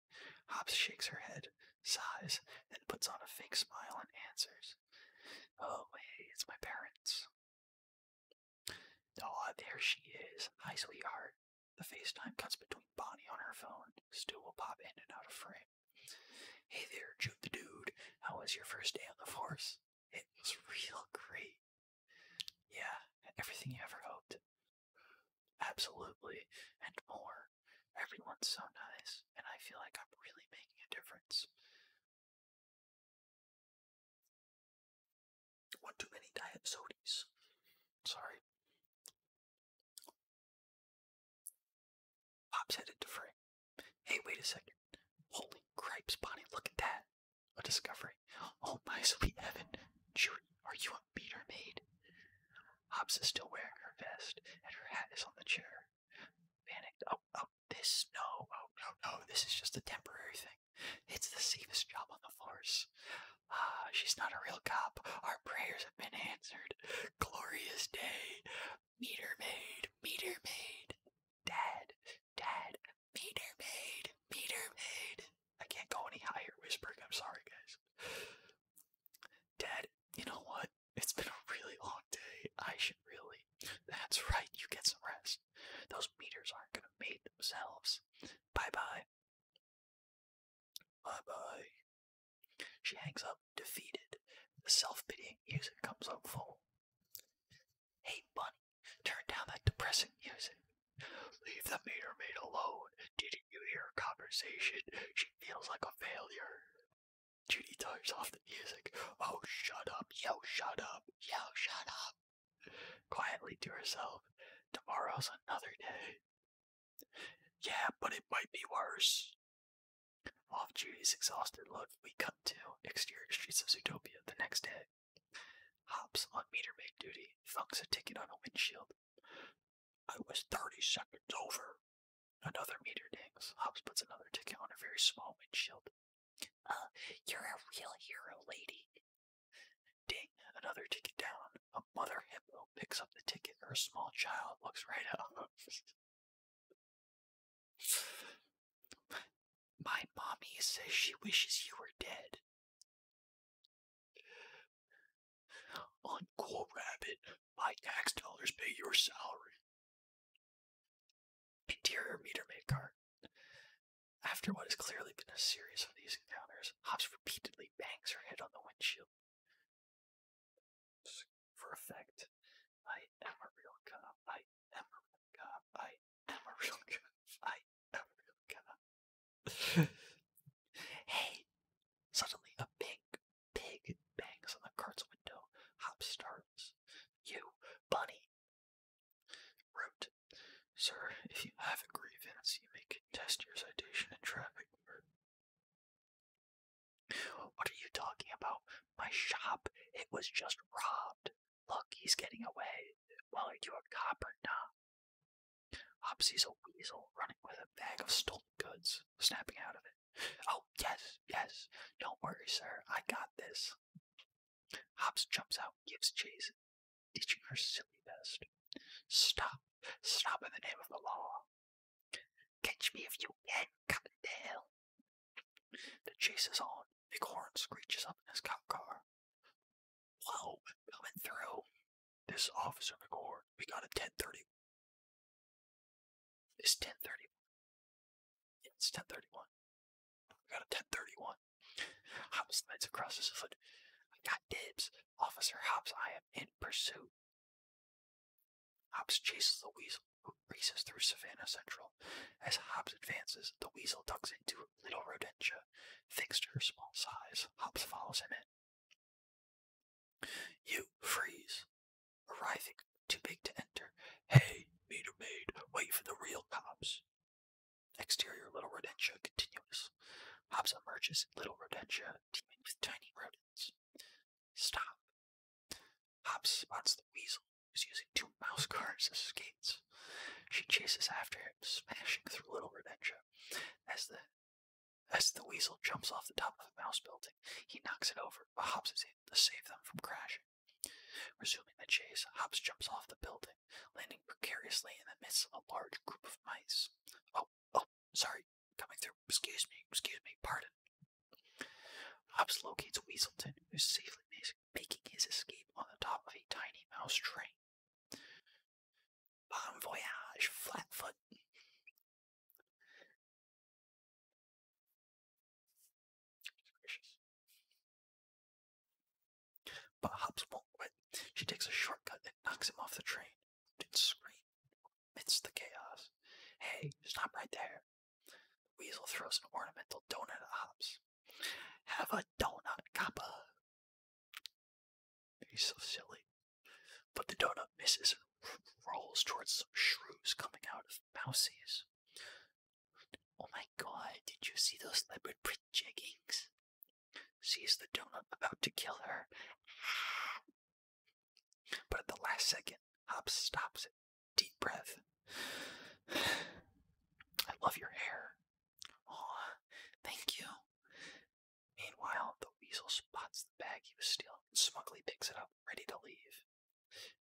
Hobbs shakes her head, sighs, then puts on a fake smile and answers. Oh, hey, it's my parents. Aw, there she is. Hi, sweetheart. The FaceTime cuts between Bonnie on her phone. Stu will pop in and out of frame. Hey there, Jude the Dude. How was your first day on the force? It was real great. Yeah, everything you ever hoped. Absolutely, and more. Everyone's so nice, and I feel like I'm really making a difference. One too many diet sodies. Sorry. Hop's headed to Frey. Hey, wait a second. Holy cripes, Bonnie, look at that. A discovery. Oh my sweet Evan, Judy, are you a meter maid? Hop's is still wearing her vest, and her hat is on the chair. Panicked. Oh, oh, this, no, oh, no, no, this is just a temporary thing. It's the safest job on the force. Ah, she's not a real cop. Our prayers have been answered glorious day. Meter maid, meter maid, dead, dead, meter maid, meter maid. I can't go any higher whispering, I'm sorry guys. Dad, you know what? It's been a really long day. I should really. That's right, you get some rest. Those meters aren't gonna make themselves. Bye bye. Bye bye. She hangs up, defeated. The self pitying music comes on full. Hey, Bunny, turn down that depressing music. Leave the meter maid alone. Didn't you hear her conversation? She feels like a failure. Judy turns off the music. Oh, shut up. Yo, shut up. Yo, shut up. Quietly to herself. Tomorrow's another day. Yeah, but it might be worse. Off oh, Judy's exhausted look, we cut to exterior streets of Zootopia the next day. Hops on meter maid duty thunks a ticket on a windshield. I was 30 seconds over. Another meter dings. Hops puts another ticket on a very small windshield. Uh, you're a real hero, lady. Ding, another ticket down. A mother hippo picks up the ticket or a small child looks right up. My mommy says she wishes you were dead. Uncle Rabbit, my tax dollars pay your salary. Interior meter maid card. After what has clearly been a series of these encounters, Hobbs repeatedly bangs her head on the windshield for effect. I am a real cop. I am a real cop. I am a real cop. I am a real cop. hey! Suddenly, a big pig bangs on the cart's window. Hop starts. You, bunny. Root. Sir, if you have a grievance, you may contest your citation in traffic court. What are you talking about? My shop, it was just robbed. Look, he's getting away. Well, are you a cop or not? Hopsy's a weasel running with a bag of stolen goods, snapping out of it. Oh, yes, yes. Don't worry, sir. I got this. Hops jumps out, gives chase, teaching her silly best. Stop. Stop in the name of the law. Catch me if you can, Cotton Dale. The chase is on. Bighorn screeches up in his cop car. Whoa, coming through. This Officer McGord. We got a 1030. It's 1031. it's 1031. We got a 1031. Hobbs slides across his foot. I got dibs. Officer Hobbs, I am in pursuit. Hobbs chases the weasel, who races through Savannah Central. As Hobbs advances, the weasel ducks into Little Rodentia. Thanks to her small size, Hobbs follows him in. You freeze, arriving too big to enter. Hey, meter maid, wait for the real cops. Exterior Little Rodentia continuous. Hobbs emerges in Little Rodentia, teaming with Tiny Rodent. Stop. Hop spots the weasel, who's using two mouse cars as skates. She chases after him, smashing through Little red Redentia. As the as the weasel jumps off the top of a mouse building, he knocks it over, but Hops is in to save them from crashing. Resuming the chase, Hops jumps off the building, landing precariously in the midst of a large group of mice. Oh, Oh, sorry, coming through. Excuse me, excuse me, pardon. Hobbs locates Weaselton, who's safely making his escape on the top of a tiny mouse train. Bon voyage, Flatfoot. But Hobbs won't quit. She takes a shortcut and knocks him off the train and amidst the chaos. Hey, stop right there. weasel throws an ornamental donut at Hops. Have a donut, Kappa. He's so silly. But the donut misses and rolls towards some shrews coming out of mousies. Oh my god, did you see those leopard print jeggings? Sees the donut about to kill her. But at the last second, Hobbs stops it. Deep breath. I love your hair. Aw, thank you. Meanwhile, the weasel spots the bag he was stealing and smugly picks it up, ready to leave.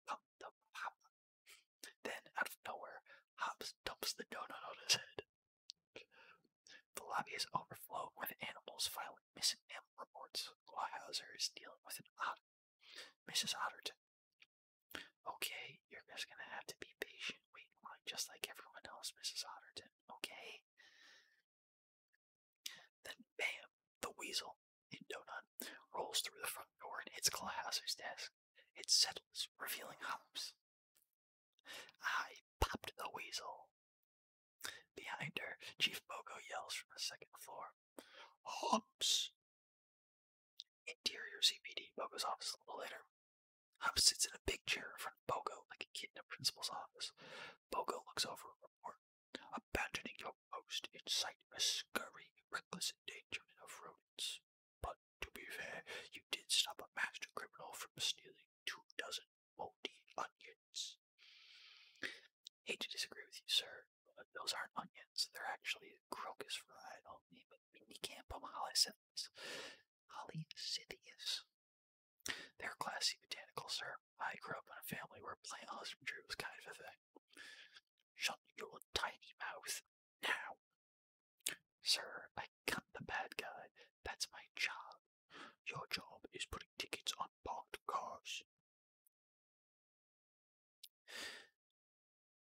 Pop, pop, pop. Then, out of nowhere, Hobbs dumps the donut on his head. The lobby is overflowed with animals filing Miss M reports Weyhauser is dealing with an odd Mrs. Otterton. Okay, you're just gonna have to be patient, wait just like everyone else, Mrs. Otterton, okay? Then bam, the weasel in Donut rolls through the front door and hits Clawhauser's desk. It settles, revealing Humps. I popped the weasel, Behind her, Chief Bogo yells from the second floor. Hops! Interior CPD, Bogo's office a little later. Hops sits in a big chair in front of Bogo, like a kid in a principal's office. Bogo looks over a report. Abandoning your post incite a scurry, reckless endangerment of rodents. But to be fair, you did stop a master criminal from stealing two dozen moldy onions onions. Hate to disagree with you, sir, but those aren't onions. They're actually crocus variety of Minicampum holysyntheus. Holysyntheus. They're classy botanicals, sir. I grew up in a family where plant husbandry was kind of a thing. Shut your tiny mouth now. Sir, I cut the bad guy. That's my job. Your job is putting tickets on parked cars.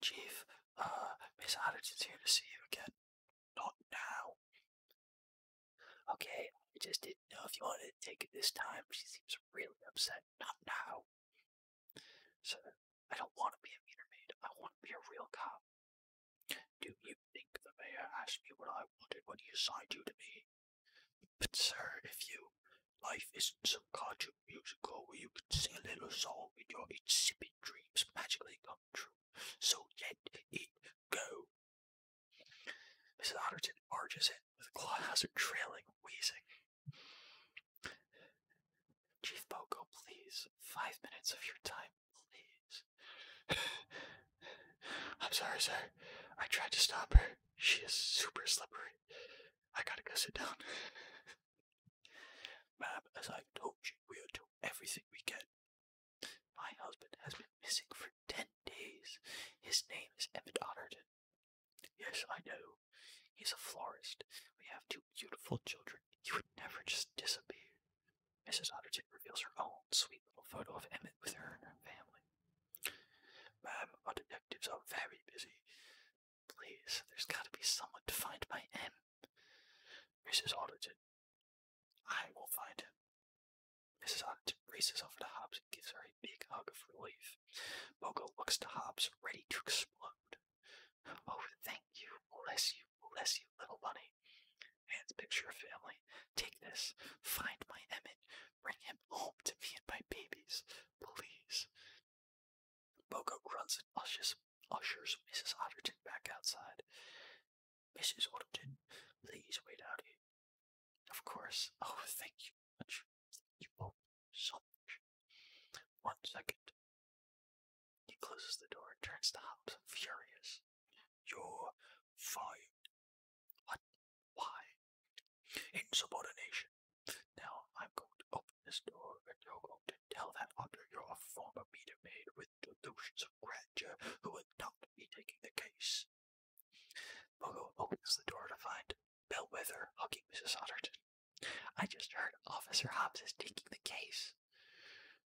Chief, uh, Miss Addison's here to see you again. Not now. Okay, I just didn't know if you wanted to take it this time. She seems really upset. Not now. So, I don't want to be a meter maid. I want to be a real cop. Do you think the mayor asked me what I wanted when he assigned you to me? But sir, if you life isn't some cartoon musical where you can sing a little song and your insipid dreams magically come true, so let it go. Mrs. Otterton barges in with a Clawhauser trailing, wheezing. Chief Boko, please. Five minutes of your time, please. I'm sorry, sir. I tried to stop her. She is super slippery. I gotta go sit down. Ma'am, as I told you, we will do everything we can. My husband has been missing for ten days. His name is Emmett Otterton. Yes, I know. He's a florist. We have two beautiful children. He would never just disappear. Mrs. Otterton reveals her own sweet little photo of Emmett with her and her family. Ma'am, um, our detectives are very busy. Please, there's got to be someone to find my M. Mrs. Auditon. I will find him. Mrs. Auditon races over to Hobbs and gives her a big hug of relief. Bogo looks to Hobbs, ready to explode. Oh, thank you. Bless you. Bless you, little bunny. Man's picture family. Take this. Find my Emmett. Bring him home to me and my babies, please. Bogo grunts and ushers, ushers Mrs. Otterton back outside. Mrs. Otterton, please wait out here. Of course. Oh, thank you much. You both so much. One second. He closes the door and turns to Hobbs, furious. You're fired, what? Why? Insubordination. Now I'm going to open this door and you're going to tell that otter you're a former meter maid with delusions of grandeur who would not be taking the case. Bogo opens the door to find Bellwether hugging Mrs. Otterton. I just heard Officer Hobbs is taking the case.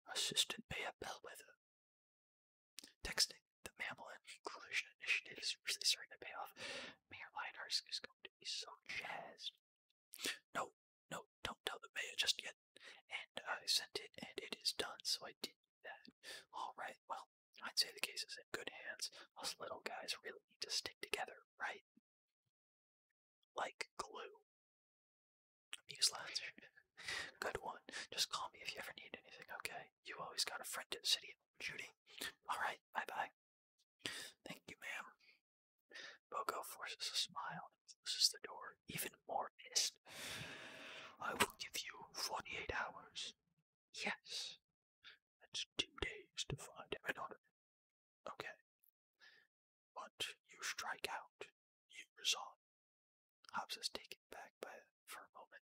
Assistant Mayor Bellwether. Texting the mammal inclusion initiative is really starting to pay off. Mayor Linehurst is going to be so jazzed. No, no, don't tell the mayor just yet. And I sent it, and it is done, so I did that. Alright, well, I'd say the case is in good hands. Us little guys really need to stick together, right? Like glue. Muse Good one. Just call me if you ever need anything, okay? You always got a friend at City Judy. Alright, bye bye. Thank you, ma'am. Pogo forces a smile and closes the door, even more pissed. I will give you 48 hours. Yes. That's two days to find Eminodon. Okay. But you strike out. You resign. Hobbs is taken back by for a moment.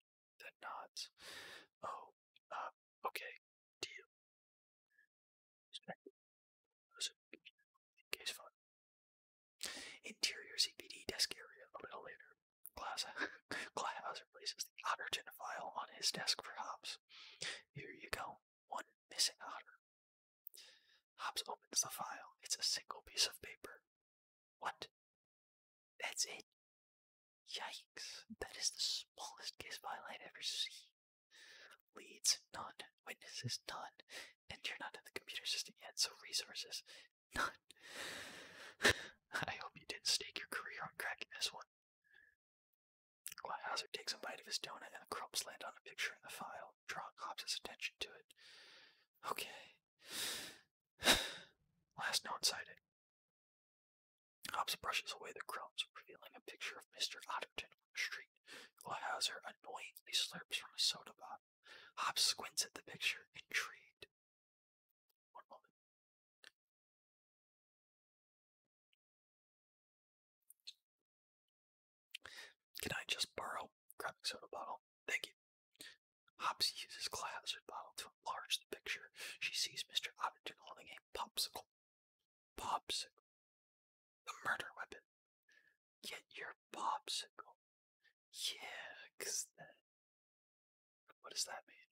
Then nods. Oh, uh, okay, deal. Interior CPD desk area a little later. Glashauser replaces the otter tin file on his desk for Hobbs. Here you go, one missing otter. Hobbs opens the file. It's a single piece of paper. What? That's it. Yikes. That is the smallest case file I've ever seen. Leads, none. Witnesses, none. And you're not in the computer system yet, so resources, none. I hope you didn't stake your career on cracking this one. Hauser takes a bite of his donut and the crumbs land on a picture in the file, drawing Hobbs' attention to it. Okay. Last note it. Hobbs brushes away the crumbs, revealing a picture of Mr. Otterton on the street, while Hauser annoyingly slurps from a soda bottle. Hobbs squints at the picture, intrigued. One moment. Can I just borrow? Grabbing soda bottle. Thank you. Hobbs uses Cloud's bottle to enlarge the picture. She sees Mr. Otterton holding a popsicle Popsicle. The murder weapon. Get your popsicle. Yeah, cause What does that mean?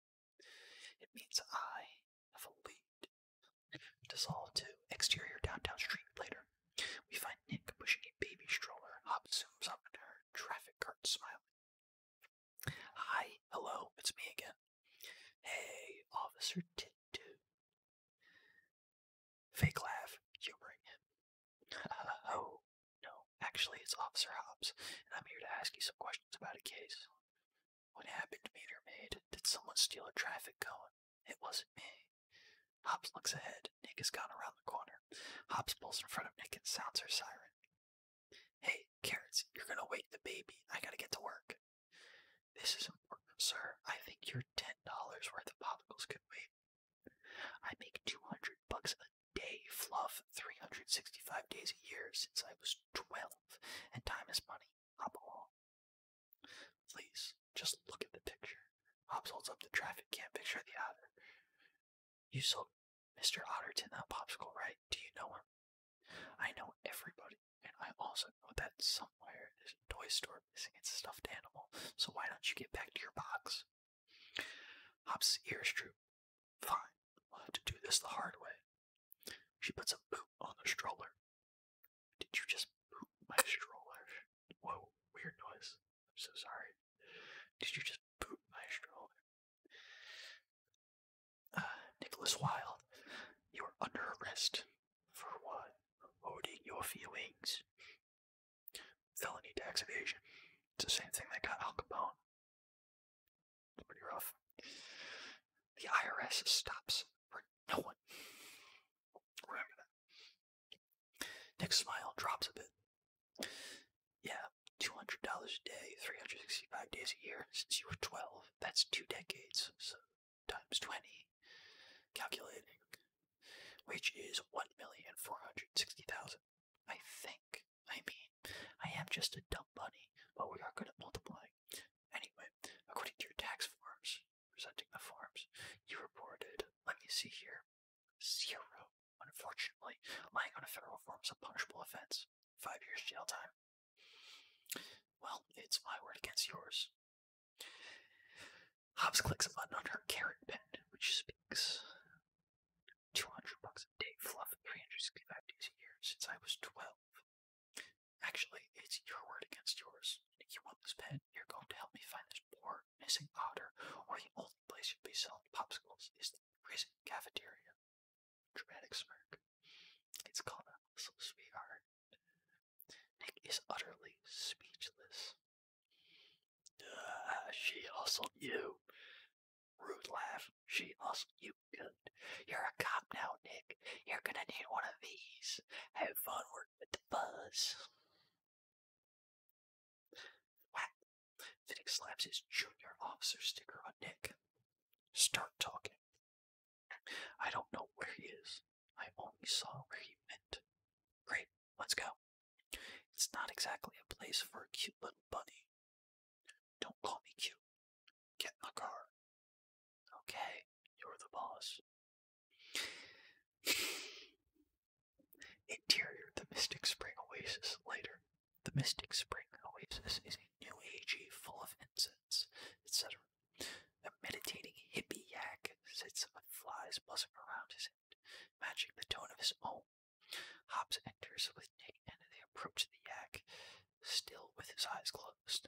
It means I have a lead. Dissolve to exterior downtown street later. We find Nick pushing a baby stroller. Hop zooms up at her. Traffic cart smiling. Hi, hello, it's me again. Hey, Officer Tintu. Fake laugh, humoring him. oh, no, actually, it's Officer Hobbs, and I'm here to ask you some questions about a case. What happened, meter maid? Did someone steal a traffic cone? It wasn't me. Hobbs looks ahead. Nick has gone around the corner. Hobbs pulls in front of Nick and sounds her siren. Hey, Carrots, you're gonna wake the baby. I gotta get to work. This is important, sir. I think your ten dollars worth of popsicles could wait. I make two hundred bucks a day, fluff, three hundred sixty-five days a year since I was twelve, and time is money. Hop along. Please, just look at the picture. Hobbs holds up the traffic cam picture of the otter. You sold Mr. Otterton that popsicle, right? I do you know her? I know everybody, and I also know that somewhere there's a toy store missing its stuffed animal, so why don't you get back to your box? Hop's ears droop. Fine, we'll have to do this the hard way. She puts a boot on the stroller. Did you just boot my stroller? Whoa, weird noise. I'm so sorry. Did you just boot my stroller? Uh, Nicholas Wilde, you are under arrest for what? Holding your feelings. Felony tax evasion. It's the same thing they got Al Capone. pretty rough. The IRS stops for no one. Remember that. Nick's smile drops a bit. Yeah, $200 a day, 365 days a year since you were 12 that's two decades, times 20, calculating, which is 1,460,000. I think. I mean, I am just a dumb bunny, but we are going to multiply. Anyway, according to your tax forms, presenting the forms, you reported, let me see here, zero, unfortunately, lying on a federal form is a punishable offense. Five years jail time. Well, it's my word against yours. Hobbs clicks a button on her carrot pen, which speaks. 200 bucks a day, fluff, 365 days a year since I was 12. Actually, it's your word against yours. If you want this pen, you're going to help me find this poor, missing powder. or the only place you'll be selling popsicles is the prison cafeteria dramatic smirk. It's called a sweetheart. Nick is utterly speechless. Ah, she hustled you. Rude laugh. She hustled you good. You're a cop now, Nick. You're gonna need one of these. Have fun working with the buzz. Whack. Finnick slaps his junior officer sticker on Nick. Start talking. I don't know where he is. I only saw where he went. Great, let's go. It's not exactly a place for a cute little bunny. Don't call me cute. Get in the car. Okay, you're the boss. Interior, the Mystic Spring Oasis later. The Mystic Spring Oasis is a new agey full of incense etc. A meditating hippie yak sits with flies buzzing around his head, matching the tone of his own. Hobbs enters with Nate and they approach the yak, still with his eyes closed.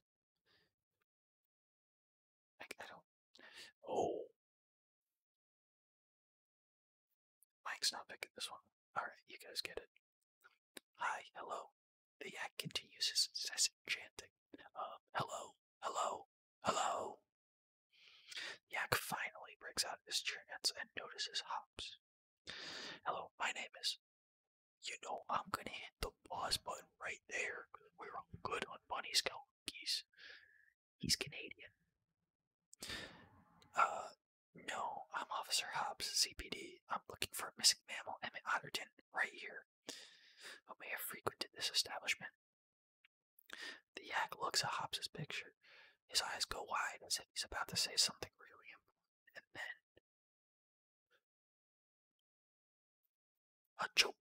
I don't. Oh! Mike's not picking this one. Alright, you guys get it. Hi, hello. The yak continues his incessant chanting. Um, hello, hello, hello. Yak finally breaks out his trance and notices Hobbs. Hello, my name is. You know, I'm gonna hit the pause button right there. We're all good on Bunny Scout Geese. He's Canadian. Uh, no, I'm Officer Hobbs, CPD. I'm looking for a missing mammal, Emmett Otterton right here, who may have frequented this establishment. The yak looks at Hops's picture. His eyes go wide as if he's about to say something really important, and then a jolt.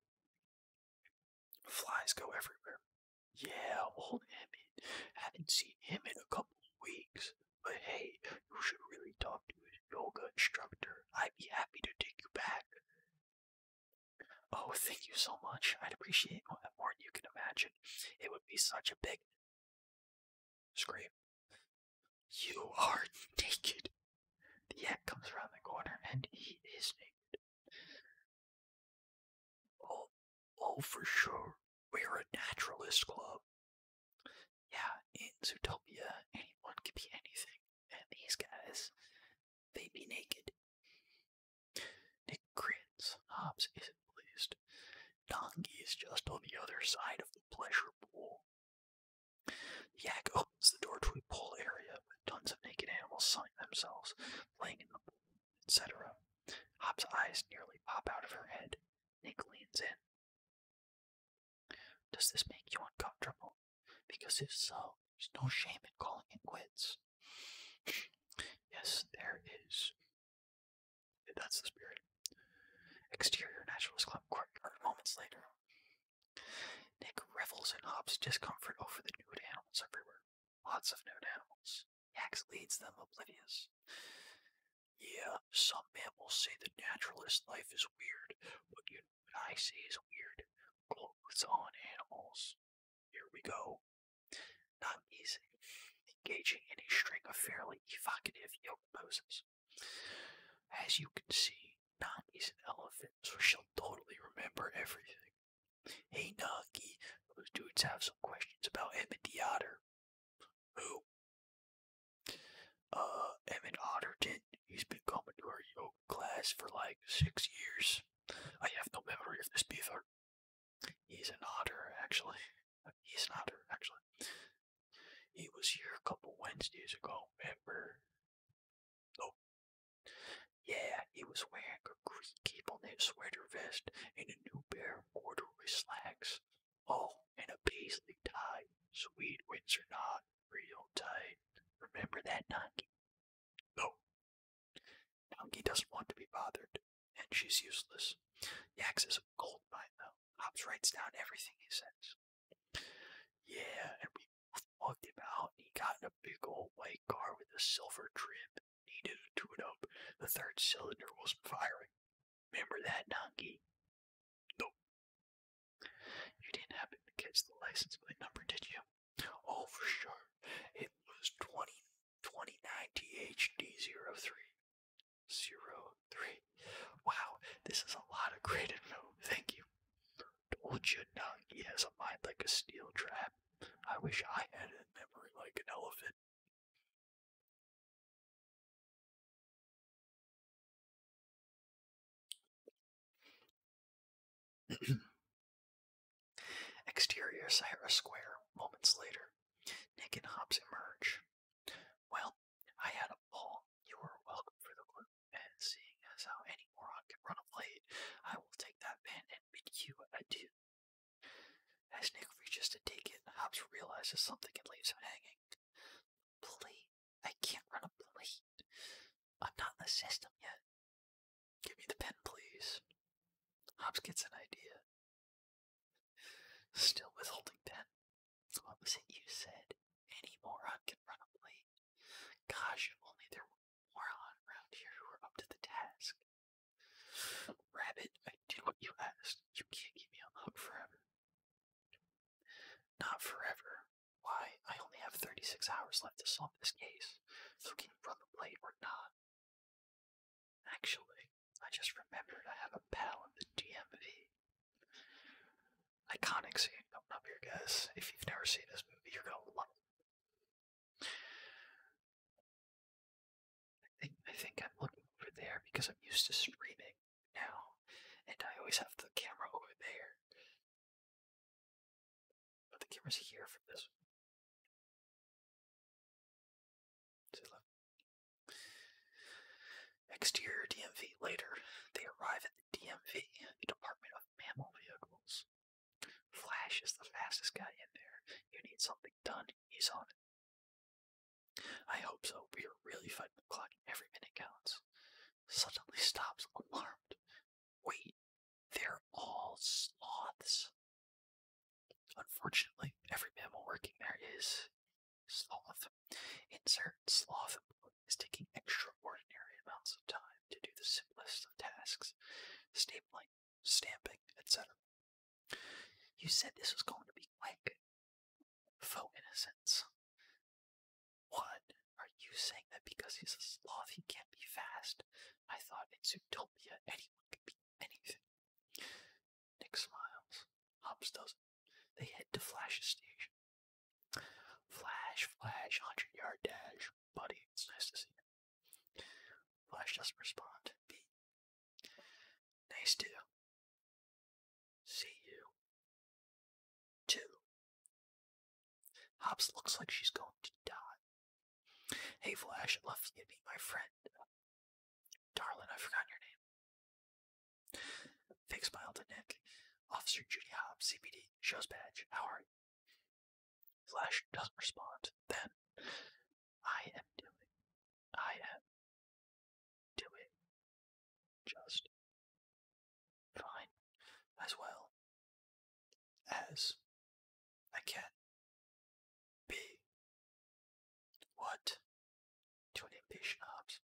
Flies go everywhere. Yeah, old Emmett. Haven't seen him in a couple weeks. But hey, you should really talk to a yoga instructor. I'd be happy to take you back. Oh, thank you so much. I'd appreciate that more than you can imagine. It would be such a big scream. You are naked. The yak comes around the corner and he is naked. Oh, oh, for sure. We're a naturalist club. Yeah, in Zootopia, anyone can be anything, and these guys, they be naked. Nick grins. Hobbs isn't pleased. Donkey is just on the other side of the pleasure pool. The yak opens the door to a pool area with tons of naked animals sunning themselves, playing in the pool, etc. Hobbs' eyes nearly pop out of her head. Nick leans in, does this make you uncomfortable? Because if so, there's no shame in calling it quits. yes, there is. That's the spirit. Exterior Naturalist Club courtyard moments later. Nick revels in Hobbs' discomfort over the nude animals everywhere. Lots of nude animals. Yax leads them oblivious. Yeah, some will say the naturalist life is weird, but you what I see is weird clothes on animals. Here we go. Not easy. Engaging in a string of fairly evocative yoga poses. As you can see, Nog is an elephant, so she'll totally remember everything. Hey, Nagi, those dudes have some questions about Emmett Otter. Who? Uh, Emmett Otterton, he's been coming to our yoga class for like six years. I have no memory of this beaver. He's an otter, actually. He's an otter, actually. He was here a couple Wednesdays ago, remember? Oh. Yeah, he was wearing a green cable-knit sweater vest and a new pair of corduroy slacks. Oh, and a paisley tie. Sweet winds knot. Real tight. Remember that, Donkey? No. Donkey doesn't want to be bothered, and she's useless. Yax is a gold though. Hobbs writes down everything he says. Yeah, and we mugged him out, and he got in a big old white car with a silver trim. Needed to tune up. The third cylinder wasn't firing. Remember that, Donkey? No. You didn't happen to catch the license plate number, did you? Oh, for sure. It was 20, 2090HD03. Wow, this is a lot of great info. Thank you. Told you, Doug, he has a mind like a steel trap. I wish I had a memory like an elephant. Exterior Sahara Square, moments later. Nick and Hobbs emerge. Well, I had a ball. You were welcome for the group, and seeing as how any moron can run a blade, I will take that pen and bid you adieu. As Nick reaches to take it, Hobbs realizes something and leaves him hanging. Bully. I can't run a blade. I'm not in the system yet. Give me the pen, please. Hobbs gets an idea. Still withholding pen. What was it you said? Any moron can run a blade. Gosh, if only there were moron around here who were up to the task. Rabbit, I did what you asked. You can't keep me a the forever. Not forever. Why, I only have 36 hours left to solve this case, so can you run the plate or not? Actually, I just remembered I have a pal in the DMV. Iconic scene coming up here, guys. If you've never seen this movie, you're gonna love it. I think, I am looking over there because I'm used to streaming now, and I always have the camera over there. But the camera's here for this. Exterior DMV. Later, they arrive at the DMV, the Department of Mammal Vehicles. Flash is the fastest guy in there. You need something done. He's on it. I hope so. We are really fighting the clock. Every minute counts suddenly stops, alarmed. Wait, they're all sloths. Unfortunately, every animal working there is sloth. Insert sloth is taking extraordinary amounts of time to do the simplest of tasks, stapling, stamping, etc. You said this was going to be quick. Faux what? Are you saying that because he's a sloth he can't be fast? I thought in Zootopia anyone can be anything. Nick smiles. Hobbs doesn't. They head to Flash's station. Flash, Flash, 100 yard dash. Buddy, it's nice to see you. Flash does respond. B. Nice to. See you. Two. Hops looks like she's going to die. Hey, Flash, love you to my friend. Darling, I've your name. Fig smiled to Nick. Officer Judy Hobbs, CPD, shows badge. How are you? Flash doesn't respond. Then, I am doing. I am doing just fine, as well as I can be. What? To an impatient Hobbs.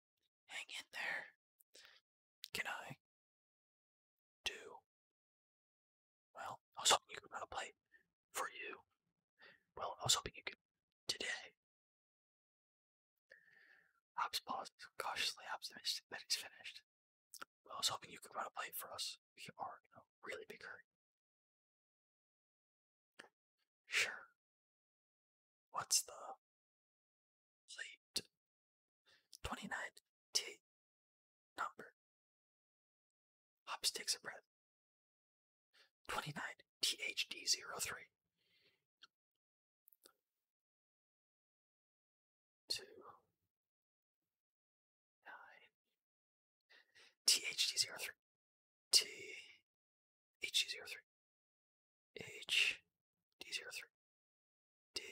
Hang in there. Can I do? Well, I was hoping you could run a play for you. Well, I was hoping you could today. Hops paused, cautiously optimistic that he's finished. I was hoping you could run a plate for us. We are really big hurry. Sure. What's the plate? 29 T number. Hops takes a breath. 29 thd zero three two, nine, THD zero three, T, HD zero three, H, D zero three, D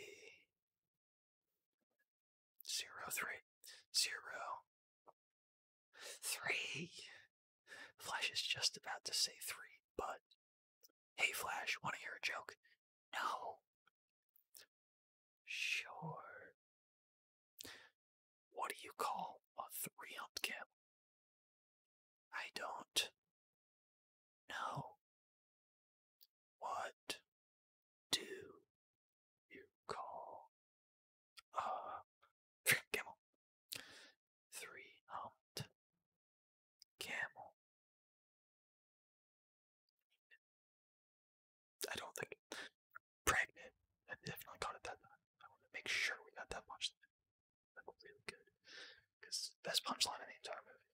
zero three, zero, three. Flash is just about to say three, but Hey, Flash, want to hear a joke? No. Sure. What do you call a three humped camel? I don't. know. What do you call a camel? Three humped Camel. I don't think pregnant. I definitely caught it that time. I want to make sure we got that punchline. That was really good. best punchline in the entire movie.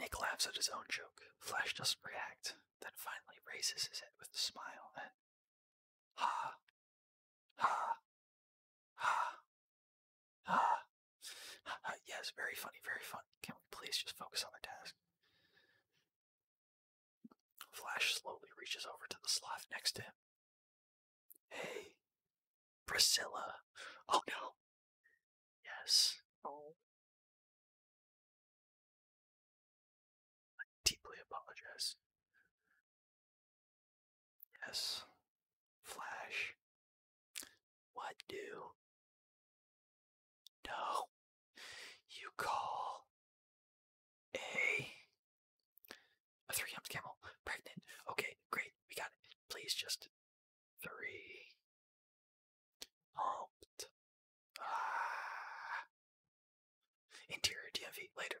Nick laughs at his own joke. Flash doesn't react, then finally raises his head with a smile yes, very funny, very funny. Can we please just focus on the task? Flash slowly reaches over to the sloth next to him. Hey, Priscilla. Oh no. Yes. Oh. I deeply apologize. Yes. Flash. What do? No. You call a a three humps camel pregnant. Okay, great. We got it. Please just three humped. Ah. Interior DMV later.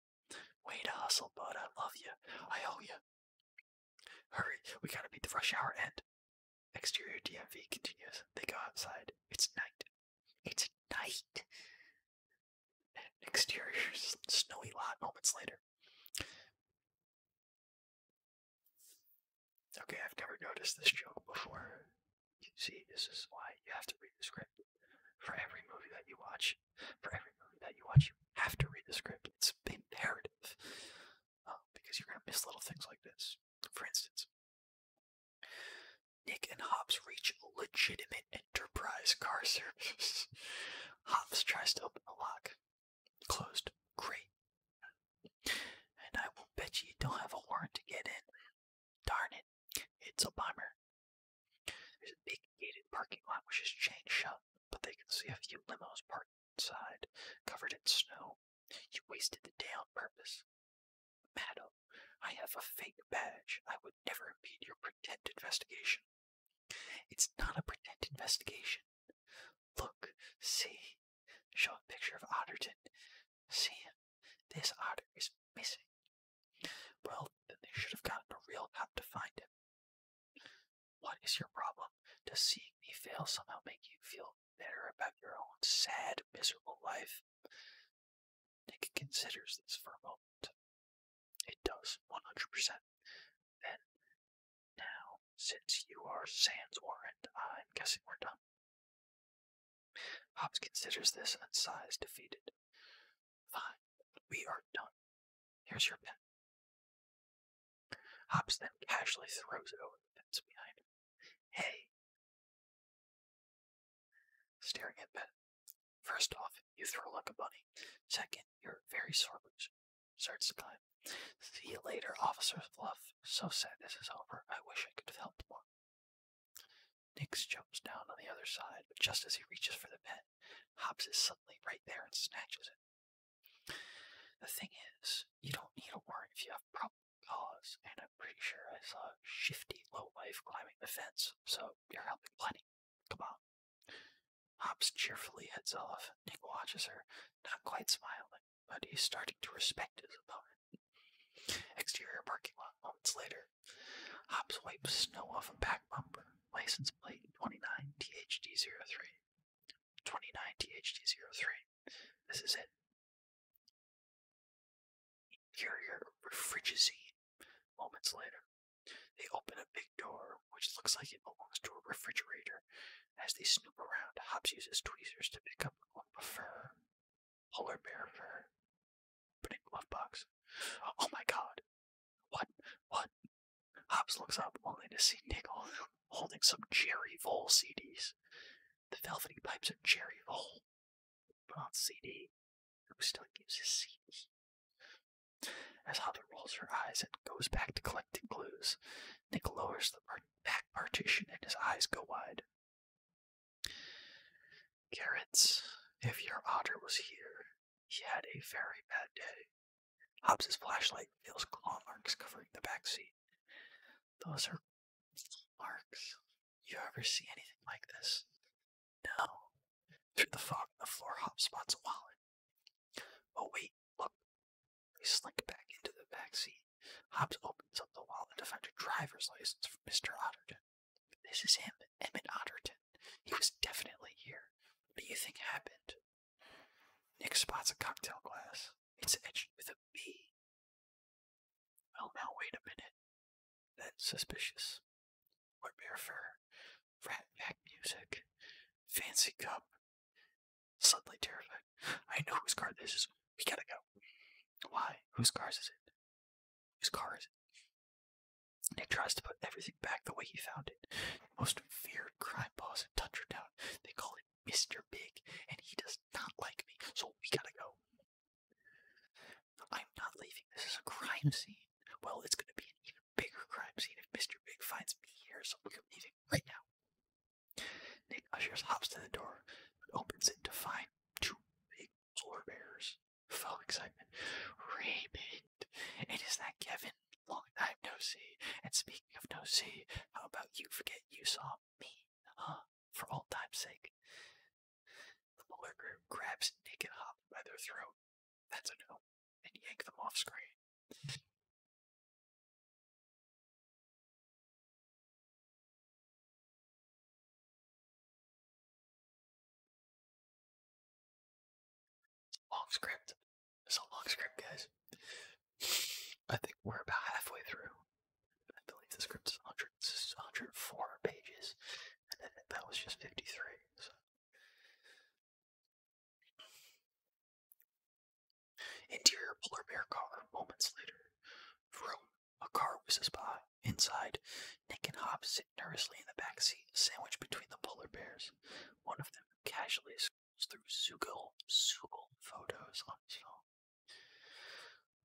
Way to hustle, bud. I love you. I owe you. Hurry, we gotta beat the rush hour end. Exterior DMV continues. They go outside. It's night. It's night. Exterior snowy lot moments later. Okay, I've never noticed this joke before. You see, this is why you have to read the script for every movie that you watch, for every movie that you watch, you have to read the script. It's imperative uh, um, because you're going to miss little things like this. For instance, Nick and Hobbs reach legitimate enterprise car service. Hobbs tries to open the lock. Closed. Great. And I will bet you, you don't have a warrant to get in. Darn it. It's a bummer. There's a big gated parking lot which is chain shut, but they can see a few limos parked inside, covered in snow. You wasted the day on purpose. Madam, I have a fake badge. I would never impede your pretend investigation. It's not a pretend investigation. Look, see. Show a picture of Otterton. See, this otter is missing. Well, then they should have gotten a real cop to find him. What is your problem? Does seeing me fail somehow make you feel better about your own sad, miserable life? Nick considers this for a moment. It does, 100%. Then, now, since you are Sans Warrant, I'm guessing we're done. Hobbs considers this and sighs defeated. Fine, we are done. Here's your pen. Hobbs then casually throws it over the fence behind Hey! Staring at Ben. First off, you throw like a bunny. Second, you're very sore loser. Starts to See you later, Officer Fluff. So sad this is over. I wish I could have helped more. Nix jumps down on the other side, but just as he reaches for the pen, Hobbs is suddenly right there and snatches it. The thing is, you don't need to worry if you have probable cause, and I'm pretty sure I saw a shifty lowlife climbing the fence, so you're helping plenty. Come on. Hobbs cheerfully heads off. Nick watches her, not quite smiling, but he's starting to respect his opponent. Exterior parking lot moments later. Hobbs wipes snow off a back bumper License plate 29THD03. 29THD03. This is it. Interior refrigeracy. Moments later, they open a big door which looks like it belongs to a refrigerator. As they snoop around, Hobbs uses tweezers to pick up a fur, polar bear fur, put in glove box. Oh my god, what? What? Hobbs looks up only to see Nick holding some Cherry Vole CDs. The Velvety Pipes are Cherry Vole, but on CD. Who still uses CDs? As Hobbs rolls her eyes and goes back to collecting clues, Nick lowers the back partition and his eyes go wide. Carrots, if your otter was here, he had a very bad day. Hobbs's flashlight reveals claw marks covering the back seat. Those are marks. You ever see anything like this? No. Through the fog the floor, Hobbs spots a wallet. Oh wait, look. He slinks back into the back seat. Hobbs opens up the wallet to find a driver's license for Mr. Otterton. This is him, Emmett Otterton. He was definitely here. What do you think happened? Nick spots a cocktail glass. It's etched with a B. Well, oh, now wait a minute. That's suspicious. Or bear fur, rat pack music, fancy cup. Suddenly terrified. I know whose car this is. We gotta go. Why? Whose car is it? Whose car is it? Nick tries to put everything back the way he found it. most feared crime boss in Tundra They call him Mr. Big, and he does not like me, so we gotta go. I'm not leaving. This is a crime scene. Well, it's gonna be an even bigger crime scene if Mr. Big finds me here, so we're leaving right now. Nick ushers hops to the door, but opens it to find two big floor bears. Full excitement. Raymond! And is that Kevin? long time no see. And speaking of no see, how about you forget you saw me, huh? For all time's sake. The Muller group grabs Nick and Hop by their throat. That's a no. And yank them off screen. It's a Long script. It's a long script, guys. I think we're about halfway through. I believe the script is 100, 104 pages, and that was just 53. So. Interior polar bear car. Moments later, vroom. A car whizzes by. Inside, Nick and Hobbs sit nervously in the back seat, sandwiched between the polar bears. One of them casually scrolls through Sugal Sugal photos on his phone.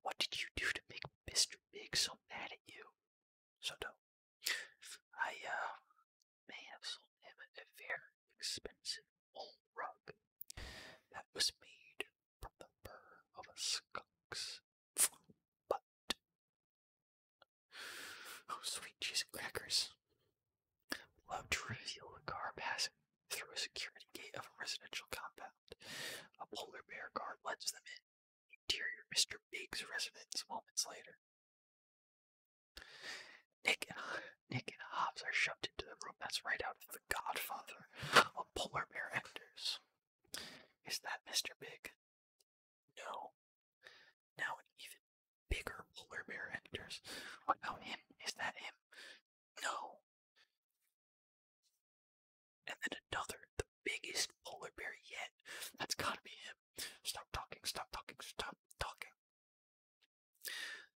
What did you do to make Mr. Big so mad at you? So dope. I uh may have sold him a very expensive old rug that was made from the fur of a skunk's. butt. Oh, sweet cheese and crackers. Love to reveal a car passing through a security gate of a residential compound. A polar bear guard lets them in. Interior Mr. Big's residence moments later. Nick and, Hobbs are shoved into the room that's right out of The Godfather. A polar bear enters. Is that Mr. Big? No. Now even bigger polar bear enters. What about him? Is that him? No. And then another, the biggest polar bear yet. That's gotta be him. Stop talking, stop talking, stop talking.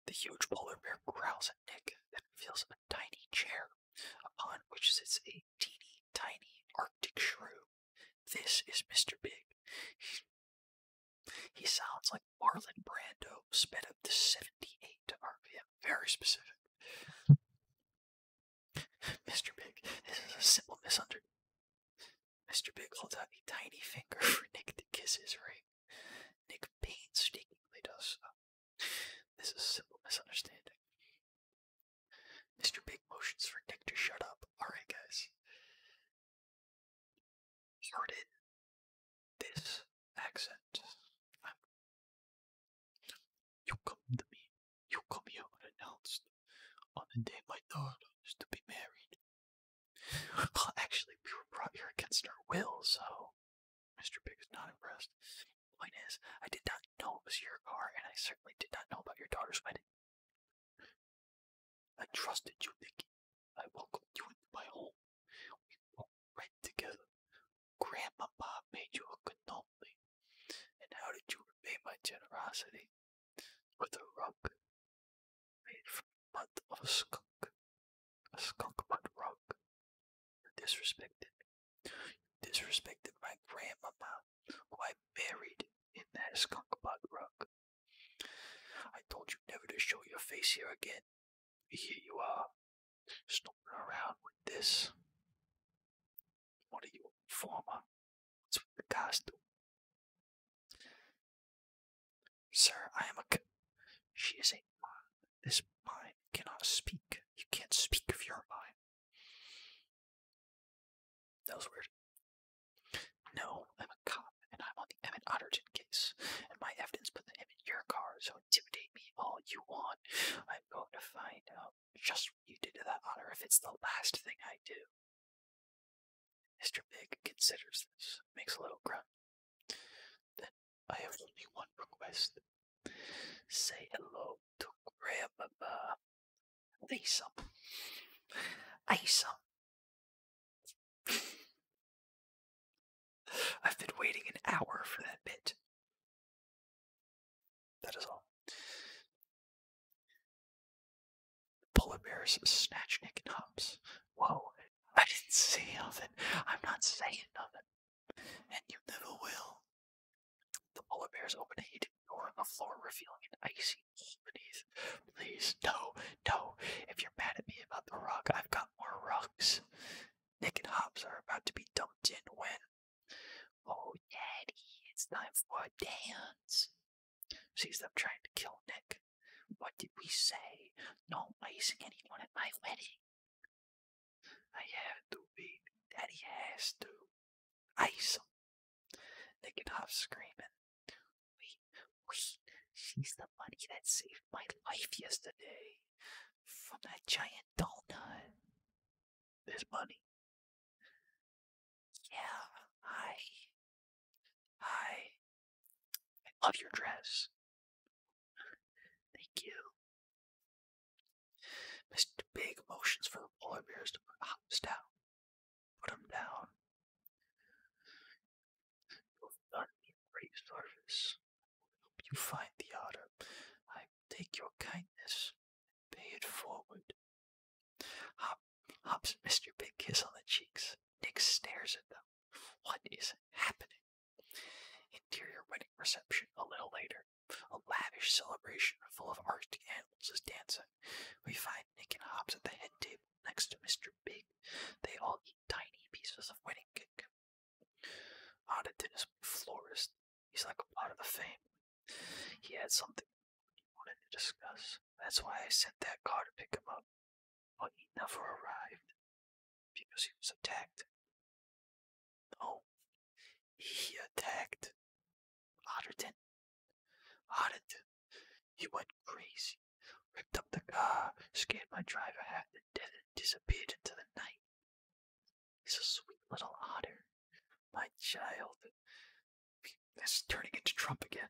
The huge polar bear growls at Nick and reveals a tiny chair, upon which sits a teeny tiny Arctic shrew. This is Mr. Big. He, sounds like Marlon Brando sped up to 78 RPM. Very specific. Mr. Big, this is a simple misunderstanding. Mr. Big holds out a tiny finger for Nick to kiss his ring. Nick painstakingly does so. This is a simple misunderstanding. Mr. Big motions for Nick to shut up. Alright, guys started this accent. you come to me. You come here unannounced on the day my daughter is to be married. actually, we were brought here against our will, so Mr. Big is not impressed. Point is, I did not know it was your car, and I certainly did not know about your daughter's wedding. I trusted you, Nicky. I welcomed you into my home. We walked right together. Grandpapa made you a cannoli. And how did you repay my generosity? With a rug made from the of a skunk. A skunk mud rug. You disrespected me. You disrespected my grandmama, who I buried in that skunk butt rug. I told you never to show your face here again. Here you are, snooping around with this. What are you, a former? What's with the guys Sir, I am a. she is a mind. This mind cannot speak. You can't speak of your mind. That was weird. No, I'm a cop, and I'm on the Emmett Otterton case, and my evidence put him in your car, so intimidate me all you want. I'm going to find out just what you did to that otter if it's the last thing I do. Mr. Big considers this, makes a little grunt. Then I have only one request. Say hello to Grandmama. Lisa. Asa I've been waiting an hour for that bit. That is all. Polar bears snatch Nick and Hops. Whoa, I didn't say nothing. I'm not saying nothing. And you never will. The polar bears open a hidden door on the floor, revealing an icy please, please, no, no. If you're mad at me about the rug, I've got more rugs. Nick and Hobbs are about to be dumped in when. Oh, Daddy, it's time for a dance. Sees them trying to kill Nick. What did we say? No icing anyone at my wedding. I have to be. Daddy has to. Ice him. Nick and Hobbs screaming. Wait, wait, she's the money that saved my life yesterday from that giant donut. This bunny? Yeah, hi. Hi. I love your dress. Thank you. Mr. Big motions for the polar bears to hops Put him down. You've done me great service. Help you find the otter. I take your kindness pay it forward. hops Mr. Big kiss on the cheeks. Nick stares at them. What is happening? Interior wedding reception a little later. A lavish celebration full of arctic animals is dancing. We find Nick and Hobbs at the head table next to Mr. Big. They all eat tiny pieces of wedding cake. Otta is my florist. He's like a pot of the fame. He had something he wanted to discuss. That's why I sent that car to pick him up. But he never arrived because he was attacked. No, he attacked Otterton. Otterton he went crazy, ripped up the car, scared my driver half to death, and disappeared into the night. He's a sweet little otter, my child. That's turning into Trump again.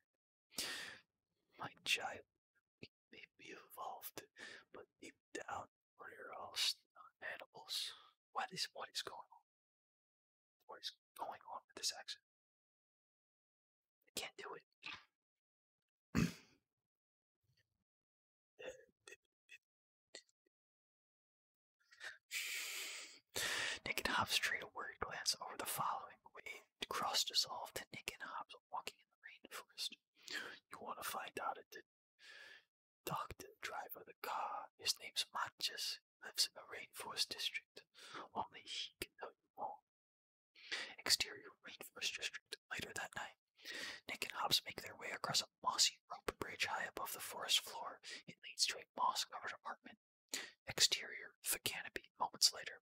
My child, we evolved, but deep down, we're all animals. What is what is going on? What is going on with this accident? I can't do it. Nick and Hobbs trade a word glance over the following way, cross dissolved to Nick and Hobbs walking in the rainforest. You want to find out did. the driver of the car. His name's Manches. Lives in the rainforest district. Only he can tell you more. Exterior Rainforest District. Later that night, Nick and Hobbs make their way across a mossy rope bridge high above the forest floor. It leads to a moss covered apartment. Exterior, the canopy, moments later.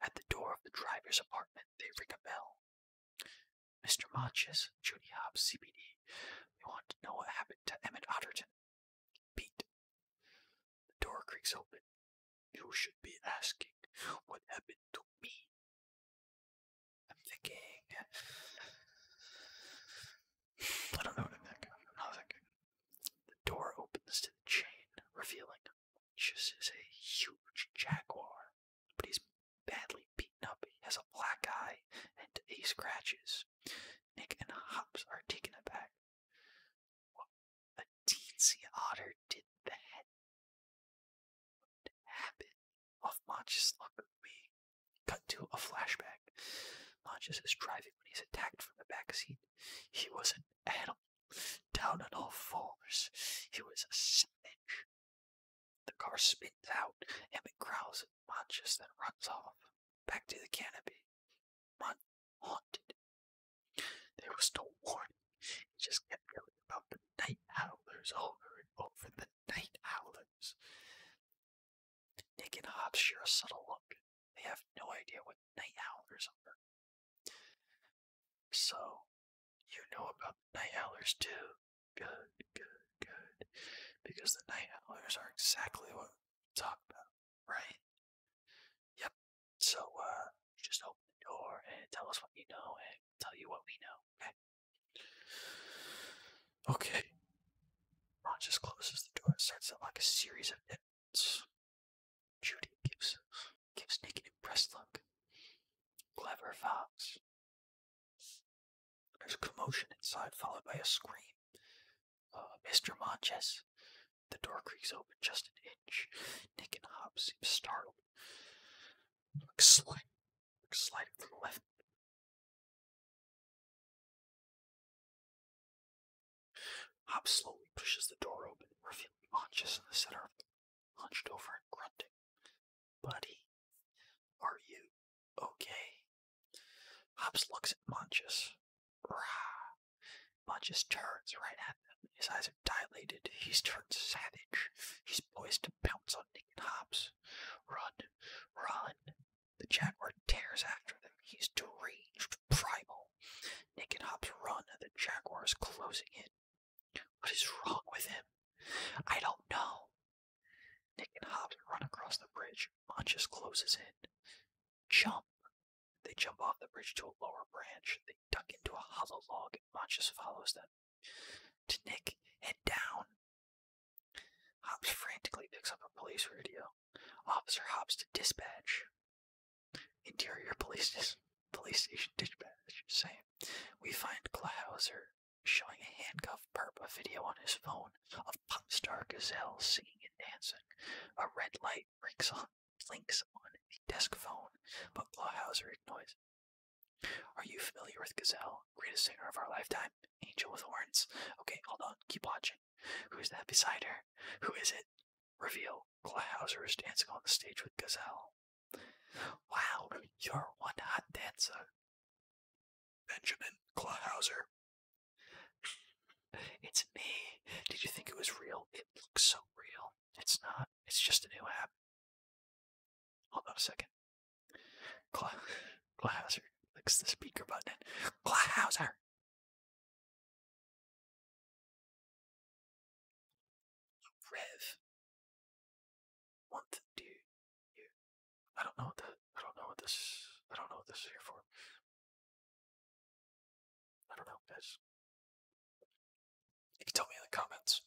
At the door of the driver's apartment, they ring a bell. Mr. Monches, Judy Hobbs, CBD. We want to know what happened to Emmett Otterton. Pete. The door creaks open. You should be asking what happened to me. I'm thinking. I don't know what I'm thinking. i The door opens to the chain, revealing Lucius is a huge jaguar, but he's badly beaten up. He has a black eye and he scratches. Nick and Hops are taken aback. Well, a teensy otter did that. What happened? Off Monch's luck me. Cut to a flashback. Monchus is driving when he's attacked from the back seat. He was an animal, down on all fours. He was a savage. The car spins out. and it growls at Monchus, then runs off. Back to the canopy. Mon haunted. There was no warning. He just kept yelling about the night howlers over and over. The night howlers. Nick and Hobbs share a subtle look. They have no idea what night howlers are. So, you know about the night howlers too. Good, good, good. Because the night howlers are exactly what we talk about, right? Yep. So uh, just open the door and tell us what you know and tell you what we know, okay? Okay. Ron closes the door and out like a series of knits. Judy gives gives Nick an impressed look. Clever fox. There's commotion inside, followed by a scream. Uh, Mr. Monches, the door creaks open just an inch. Nick and Hobbs seem startled. Looks slid, looks sliding from the left. Hobbs slowly pushes the door open, revealing Pontius in the center hunched over and grunting. Buddy, are you okay? Hobbs looks at Montjes. Rah! Bunches turns right at them. His eyes are dilated. He's turned savage. He's poised to pounce on Nick and Hobbs. Run, run. The jaguar tears after them. He's deranged, primal. Nick and Hobbs run, and the jaguar is closing in. What is wrong with him? I don't know. Nick and Hobbs run across the bridge. Monchus closes in. Jump, they jump off the bridge to a lower branch. They duck into a hollow log, and Monchus follows them. To Nick, head down. Hobbs frantically picks up a police radio. Officer Hobbs to dispatch. Interior police, station dispatch. Same. We find Klauser showing a handcuffed perp a video on his phone of pop star Gazelle singing and dancing. A red light rings on. Links on the desk phone, but Clawhauser ignores. Are you familiar with Gazelle, greatest singer of our lifetime? Angel with horns. Okay, hold on, keep watching. Who is that beside her? Who is it? Reveal. Clawhauser is dancing on the stage with Gazelle. Wow, you're one hot dancer. Benjamin Clawhauser. It's me. Did you think it was real? It looks so real. It's not. It's just a new app. Hold on a second. Cla Klauser clicks the speaker button. Klauser. Rev. One do you? I don't know what I don't know what this. I don't know what this is here for. I don't know, guys. You can tell me in the comments.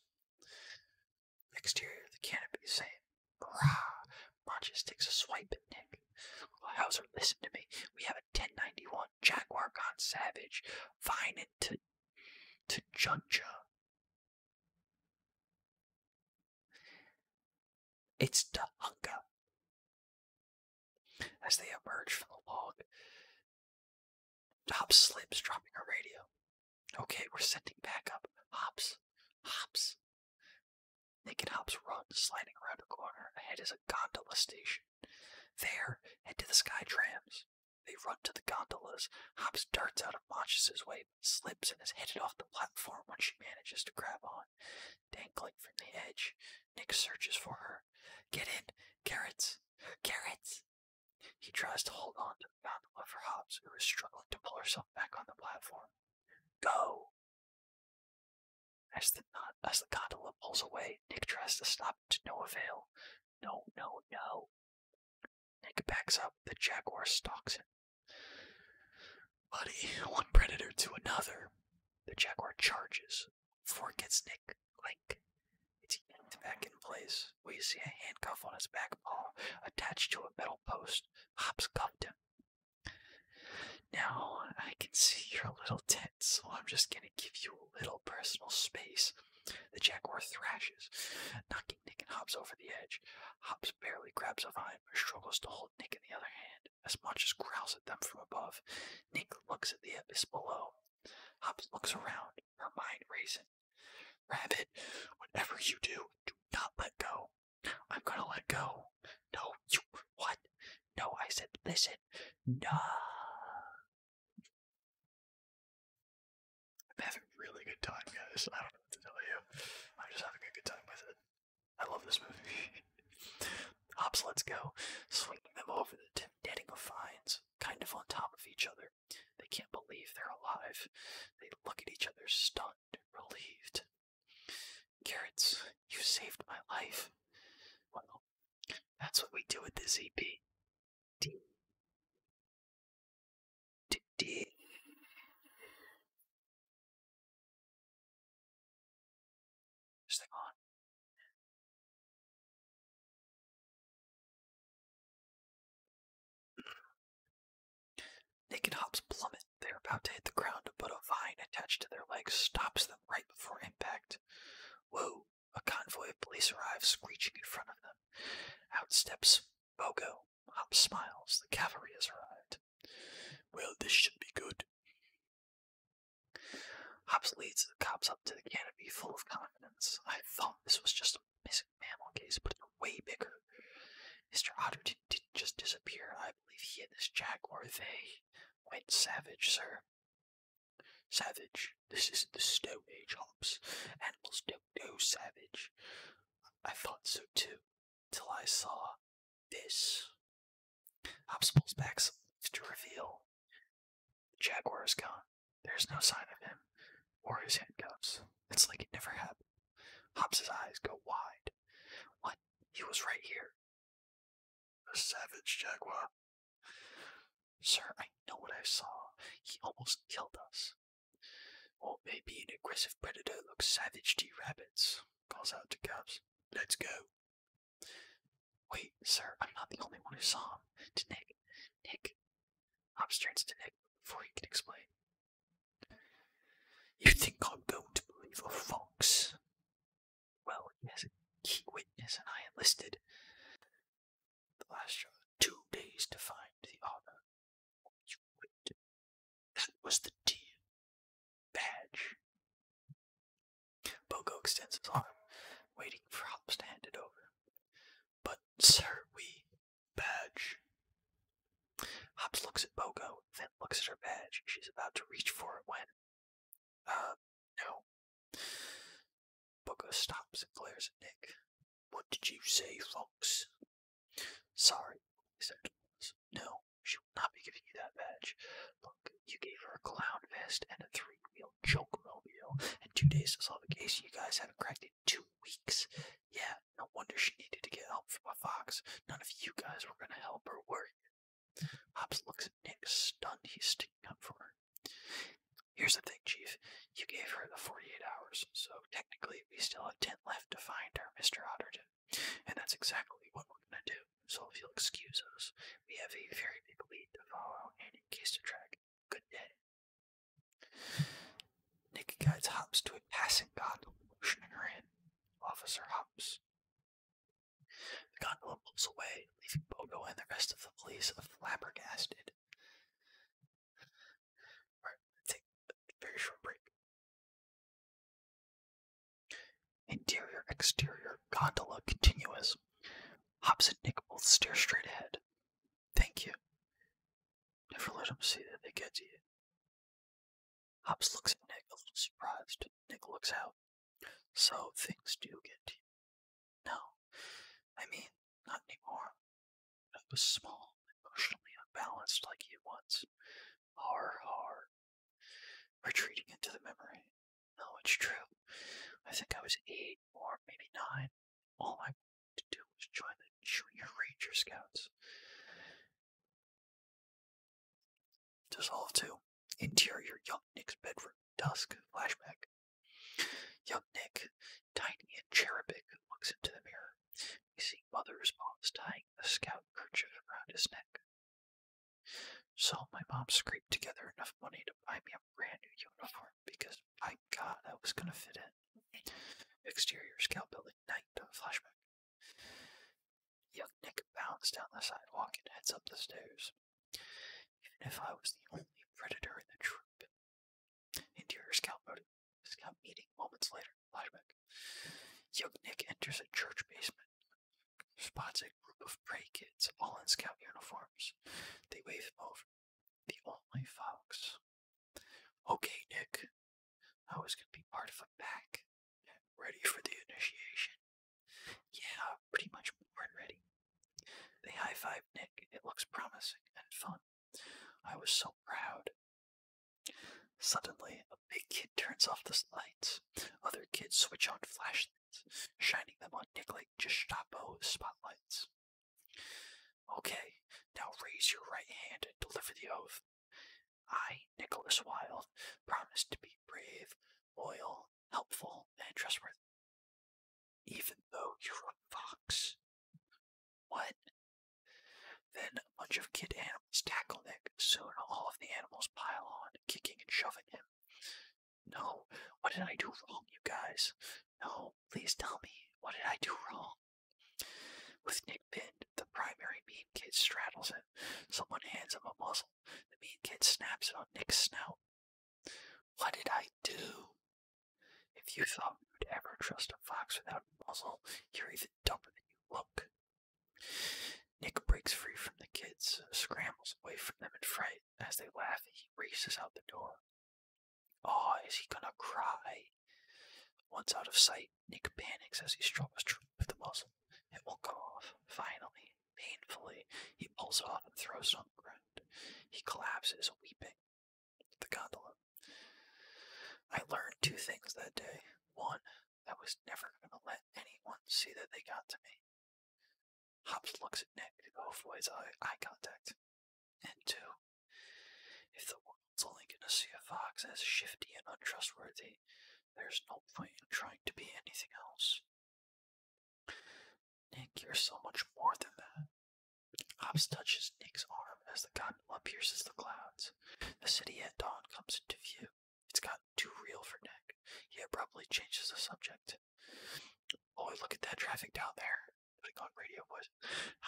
Exterior of the canopy, same. Hurrah! Pontius takes a swipe at Nick. Hauser, listen to me. We have a 1091 Jaguar gone savage. Fine to, to Junja. It's Tahunga. As they emerge from the log, Hops slips, dropping her radio. Okay, we're sending back up. Hops. Hops. Naked Hops runs, sliding around a corner. Ahead is a gondola station. There, head to the sky trams. They run to the gondolas. Hops darts out of Monchus's way, slips and is headed off the platform when she manages to grab on. Dangling from the edge, Nick searches for her. Get in! Carrots! Carrots! He tries to hold on to the gondola for Hobbs, who is struggling to pull herself back on the platform. Go! As the, as the gondola pulls away, Nick tries to stop to no avail. No, no, no. Nick backs up, the jaguar stalks him. Buddy, one predator to another. The jaguar charges. it gets Nick, clink. It's back in place, where you see a handcuff on his back paw attached to a metal post. Hops cuffed him. Now, I can see you're a little tense, so I'm just gonna give you a little personal space. The jaguar thrashes, knocking Nick and Hobbs over the edge. Hobbs barely grabs a vine, but struggles to hold Nick in the other hand, as much as growls at them from above. Nick looks at the abyss below. Hobbs looks around, mind racing. Rabbit, whatever you do, do not let go. I'm gonna let go. No, you. What? No, I said listen. No. I'm having a really good time, guys. I don't know what to tell you. I'm just having a good time with it. I love this movie. Hops, let's go. Swinging them over the detonating of vines, kind of on top of each other. They can't believe they're alive. They look at each other stunned, relieved. Carrots, you saved my life. Well, that's what we do with the ZP. D. on? Nick and plummet. They are about to hit the ground, but a vine attached to their legs stops them right before impact. Whoa! A convoy of police arrives, screeching in front of them. Out steps Bogo. Hobbs smiles. The cavalry has arrived. Well, this should be good. Hop's leads the cops up to the canopy full of con I thought this was just a missing mammal case, but it's way bigger. Mr. Otter didn't, just disappear. I believe he and this jaguar, they went savage, sir. Savage. This isn't the Stone Age, Hops. Animals don't know savage. I thought so too, till I saw this. Hops pulls back to reveal the Jaguar is gone. There's no sign of him or his handcuffs. It's like it never happened. Hobbs's eyes go wide. What? He was right here. A savage jaguar. Sir, I know what I saw. He almost killed us. Or maybe an aggressive predator looks savage to rabbits, calls out to Cubs. Let's go. Wait, sir, I'm not the only one who saw him. To Nick. Nick. Hobbs to Nick before he can explain. You think I'm going to believe a fox? Well, he has a key witness, and I enlisted the last Two days to find the other. You quit. That was the deal. Badge. Bogo extends his arm, waiting for Hobbs to hand it over. But, sir, we badge. Hobbs looks at Bogo, then looks at her badge. She's about to reach for it when. Uh, no. Bogo stops and glares at Nick. What did you say, Fox? Sorry, he said. No, she will not be giving you that badge. Look, you gave her a clown vest and a three-wheel joke rodeo, and two days to solve a case you guys haven't cracked two weeks. Yeah, no wonder she needed to get help from a fox. None of you guys were gonna help her, work. you? Hops looks at Nick, stunned he's sticking up for her. Here's the thing, Chief. You gave her the 48 hours, so technically we still have 10 left to find our Mr. Otterton. And that's exactly what we're gonna do. So if you'll excuse us, we have a very big lead to follow, and in case to track, good day. Nick guides Hops to a passing gondola motioning her in. Officer Hops. The gondola pulls away, leaving Bogo and the rest of the police flabbergasted. Alright, take a Interior, exterior, gondola, continuous. Hops and Nick both stare straight ahead. Thank you. Never let them see that they get to you. Hops looks at Nick a little surprised. Nick looks out. So things do get to No, I mean, not anymore. I was small, emotionally unbalanced like you once. Har, har. Retreating into the memory. No, it's true. I think I was eight or maybe nine. All I wanted to do is join the Junior Ranger Scouts. Dissolve to Interior Young Nick's bedroom. Dusk. Flashback. Young Nick, tiny and cherubic, looks into the mirror. We see Mother's mom's tying a scout kerchief around his neck. So my mom scraped together enough money to buy me a a brand new uniform because, my god, I was gonna fit in. Exterior scout building night flashback. Young Nick bounced down the sidewalk and heads up the stairs. Even if I was the only predator in the troop. Interior scout mode. Scout meeting moments later. Flashback. Young Nick enters a church basement. Spots a group of prey kids, all in scout uniforms. They wave him over. The only fox. Okay, Nick. I was gonna be part of a pack. Ready for the initiation? Yeah, pretty much more than ready. They high five Nick. It looks promising and fun. I was so proud. Suddenly, a big kid turns off the lights. Other kids switch on flashlights, shining them on Nick like Gestapo spotlights. Okay, now raise your right hand and deliver the oath. I, Nicholas Wilde, promise to be brave, loyal, helpful, and trustworthy. Even though you're a fox. What? Then a bunch of kid animals tackle Nick. Soon all of the animals pile on, kicking and shoving him. No, what did I do wrong, you guys? No, please tell me, what did I do wrong? With Nick pinned, the primary mean kid straddles him. Someone hands him a muzzle. The mean kid snaps it on Nick's snout. What did I do? If you thought you would ever trust a fox without a muzzle, you're even dumber than you look. Nick breaks free from the kids, scrambles away from them in fright. As they laugh, he races out the door. Oh, is he gonna cry? Once out of sight, Nick panics as he struggles with the muzzle. It will go off. Finally, painfully, he pulls it off and throws it on the ground. He collapses, weeping. The gondola. I learned two things that day. One, that was never gonna let anyone see that they got to me. Hobbs looks at Nick to avoid eye, eye contact. And two, if the world's only going to see a fox as shifty and untrustworthy, there's no point in trying to be anything else. Nick, you're so much more than that. Hobbs touches Nick's arm as the gondola pierces the clouds. The city at dawn comes into view. It's got too real for Nick. He abruptly changes the subject. Oh, look at that traffic down there like on radio was,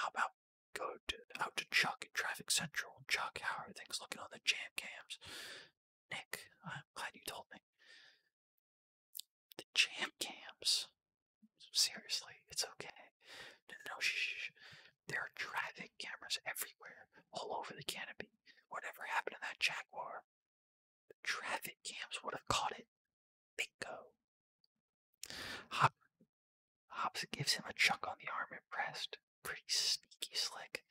how about go out to Chuck at Traffic Central? Chuck, how are things looking on the jam cams? Nick, I'm glad you told me. The jam cams? Seriously, it's okay. No, shh. There are traffic cameras everywhere, all over the canopy. Whatever happened to that Jaguar? The traffic cams would have caught it. Bingo. Hop, Hobbs gives him a chuck on the arm and breast. Pretty sneaky slick.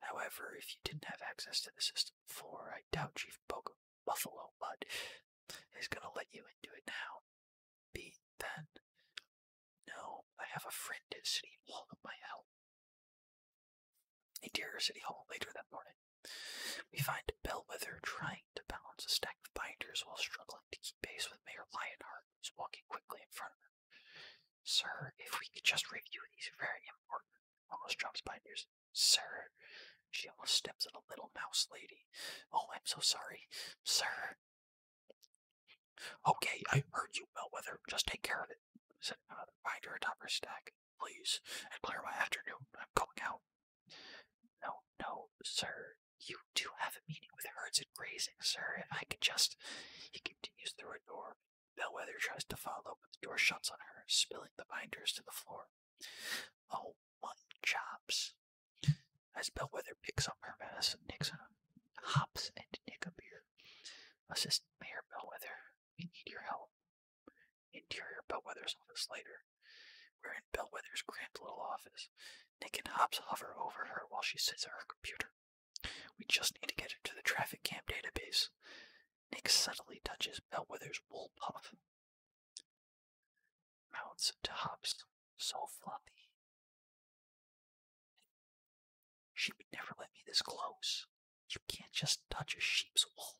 However, if you didn't have access to the system before, I doubt Chief Boca Buffalo Bud is going to let you into it now. Be then. No, I have a friend at City Hall that might help. They dear City Hall later that morning. We find Bellwether trying to balance a stack of binders while struggling to keep pace with Mayor Lionheart, who's walking quickly in front of her. Sir, if we could just review these very important, almost drops by news. Sir, she almost steps on a little mouse lady. Oh, I'm so sorry. Sir. Okay, I heard you, Melweather. Just take care of it, said another binder atop her stack. Please, and clear afternoon. I'm going out. No, no, sir, you do have a meeting with herds and grazing, sir. If I could just. He continues through a door. Bellwether tries to follow, but the door shuts on her, spilling the binders to the floor. Oh, my chops. As Bellwether picks up her mess and medicine, Nixon hops and Nick beer. Assistant Mayor Bellwether, we need your help. Interior Bellwether's office later. We're in Bellwether's cramped little office. Nick and Hobbs hover over her while she sits at her computer. We just need to get her to the traffic cam database. Nick subtly touches Bellwether's wool puff. Mounts to Hobbs. So fluffy. She would never let me this close. You can't just touch a sheep's wool.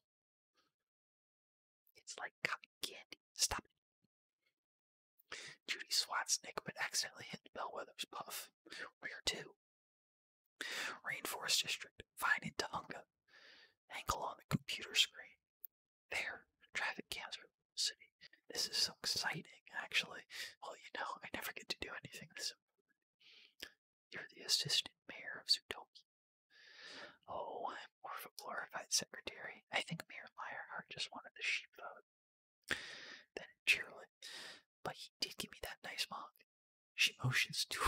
It's like cotton candy. Stop it. Judy swats Nick but accidentally hit Bellwether's puff. Where to? Rainforest District. Fine in Unga. Angle on the computer screen. There. Traffic cams are the city. This is so exciting, actually. Well, you know, I never get to do anything this important. You're the assistant mayor of Zutoki. Oh, I'm more of a glorified secretary. I think Mayor Lionheart just wanted the sheep vote. Then cheerily, but he did give me that nice mug. She motions to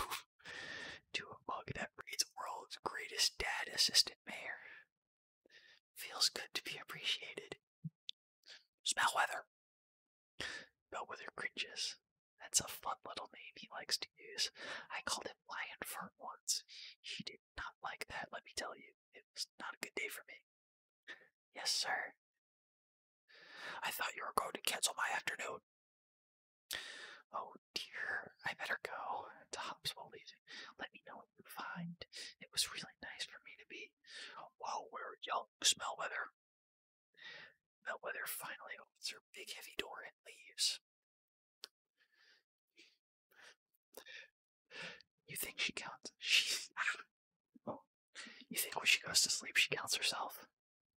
to a mug that reads "World's Greatest Dad Assistant Mayor." Feels good to be appreciated. Weather. Smellweather. Bellwether cringes. That's a fun little name he likes to use. I called him Lion Fern once. He did not like that, let me tell you it was not a good day for me. Yes, sir. I thought you were going to cancel my afternoon. Oh dear, I better go. Tops will Let me know what you find. It was really nice for me to be while we're young. Smell Melweather finally opens her big heavy door and leaves. You think she counts? She's. Oh, you think when she goes to sleep, she counts herself?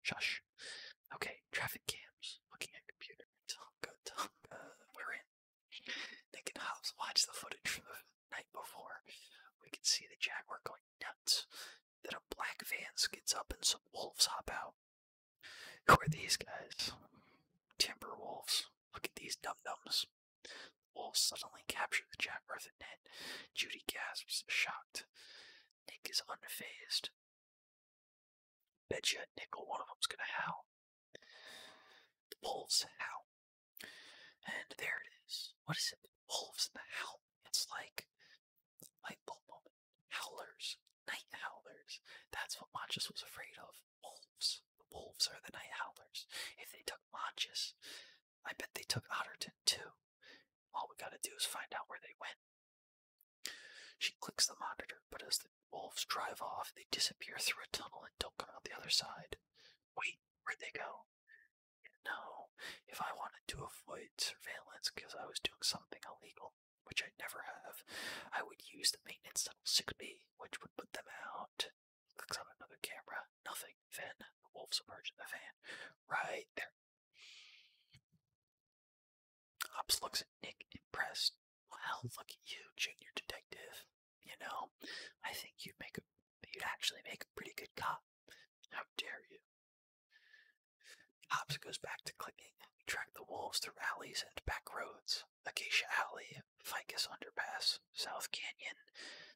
Shush. Okay, traffic cams. Looking at computer. Tonka, Tonka. We're in. Nick can Hobbs watched the footage from the night before. We can see the Jaguar going nuts. Then a black van skids up and some wolves hop out. Who are these guys? Timber wolves. Look at these dum dums. Wolves suddenly capture the Jack Earth net. Judy gasps, shocked. Nick is unfazed. Betcha nickel one of them's gonna howl. The wolves howl. And there it is. What is it? The wolves and the howl. It's like light moment. Howlers. Night howlers. That's what Machus was afraid of wolves. The wolves are the night howlers. If they took Monchus, I bet they took Otterton too. All we gotta do is find out where they went. She clicks the monitor, but as the wolves drive off, they disappear through a tunnel and don't come out the other side. Wait, where'd they go? No, if I wanted to avoid surveillance because I was doing something illegal, which I never have, I would use the maintenance tunnel 6B, which would put them out. Clicks on another camera. Nothing. Then the wolves emerge in the van. Right there. Hops looks at Nick, impressed. Well, look at you, junior detective. You know, I think you'd make a, you'd actually make a pretty good cop. How dare you? Hops goes back to clicking. We track the wolves through alleys and back roads. Acacia Alley, Ficus Underpass, South Canyon.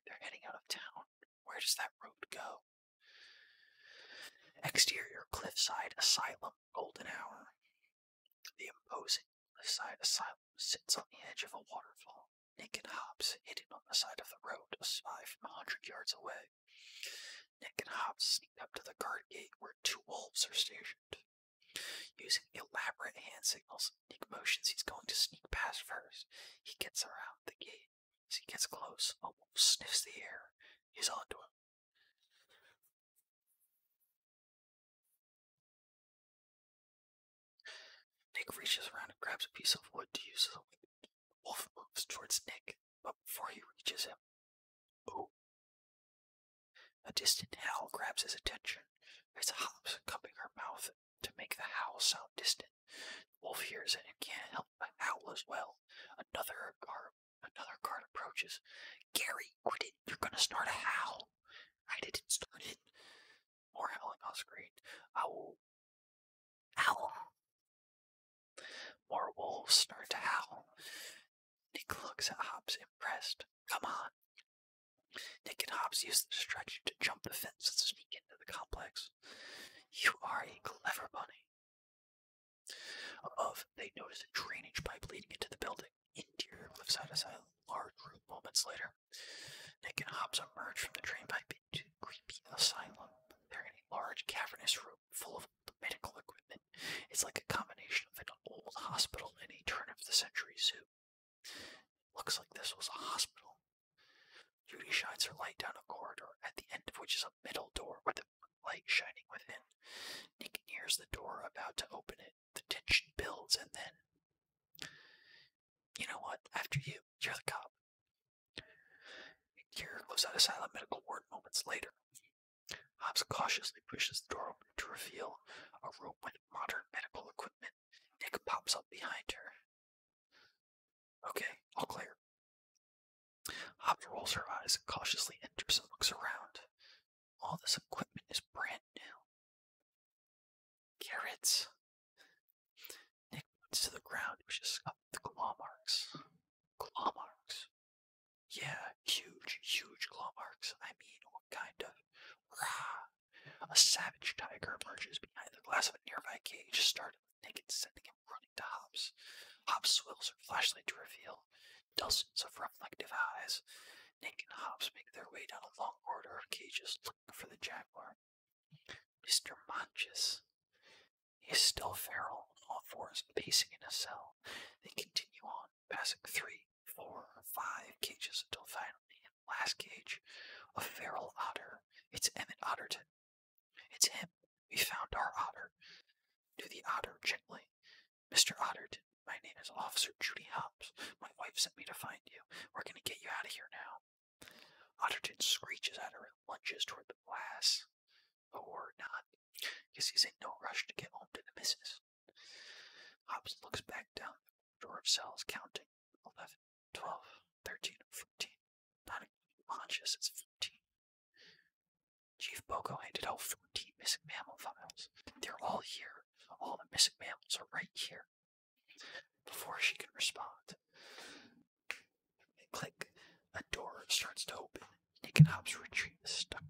They're heading out of town. Where does that road go? Exterior Cliffside Asylum, Golden Hour. The imposing Cliffside Asylum sits on the edge of a waterfall. Nick and Hobbs, hidden on the side of the road, a spy from a hundred yards away. Nick and Hobbs sneak up to the guard gate where two wolves are stationed. Using elaborate hand signals, Nick motions he's going to sneak past first. He gets around the gate. As he gets close, a wolf sniffs the air. He's onto him. Nick reaches around and grabs a piece of wood to use as a weapon. The wolf moves towards Nick, but before he reaches him, oh! A distant howl grabs his attention. There's a Hops cupping her mouth to make the howl sound distant. The wolf hears it and can't help but howl as well. Another guard, another guard approaches. Gary, quit it! You're gonna start a howl. I didn't start it. More howling on screen. Ow! Ow! More wolves start to howl. Nick looks at Hops, impressed. Come on. Nick and Hobbs use the distraction to jump the fence and sneak into the complex. You are a clever bunny. Above, they noticed a drainage pipe leading into the building. Interior cliffside is large room moments later. Nick and Hobbs emerge from the drain into creepy asylum. They're in a large cavernous room full of medical equipment. It's like a combination of an old hospital and a turn of the century zoo. Looks like this was a hospital. Judy shines her light down a corridor, at the end of which is a middle door with a light shining within. Nick nears the door, about to open it. The tension builds, and then. You know what? After you, you're the cop. Here goes out a silent medical ward moments later. Hobbs cautiously pushes the door open to reveal a room with modern medical equipment. Nick pops up behind her. Okay, all clear. Hobbs rolls her eyes and cautiously enters and looks around. All this equipment is brand new. Carrots. Nick points to the ground, which is up the claw marks. Claw marks. Yeah, huge, huge claw marks. I mean, what kind of? A savage tiger emerges behind the glass of a nearby cage, starting naked, sending him running to Hobbs. Hobbs swills her flashlight to reveal dozens of reflective eyes. Nick and Hobbs make their way down a long corridor of cages, looking for the jaguar. Mr. Manches. He is still feral on all fours, pacing in a cell. They continue on, passing three, four, five cages until finally, in the last cage, a feral otter. It's Emmett Otterton. It's him. We found our otter. Do the otter gently. Mr. Otterton, my name is Officer Judy Hobbs. My wife sent me to find you. We're going to get you out of here now. Otterton screeches at her and lunges toward the glass. Or not, because he's in no rush to get home to the missus. Hobbs looks back down the corridor of cells, counting 11, 12, 13, 14. Not including conscious. it's 14. Chief Boko handed out 14 missing mammal files. They're all here. All the missing mammals are right here. Before she can respond, click. A door starts to open. Nick and Hobbs retrieve the stuck,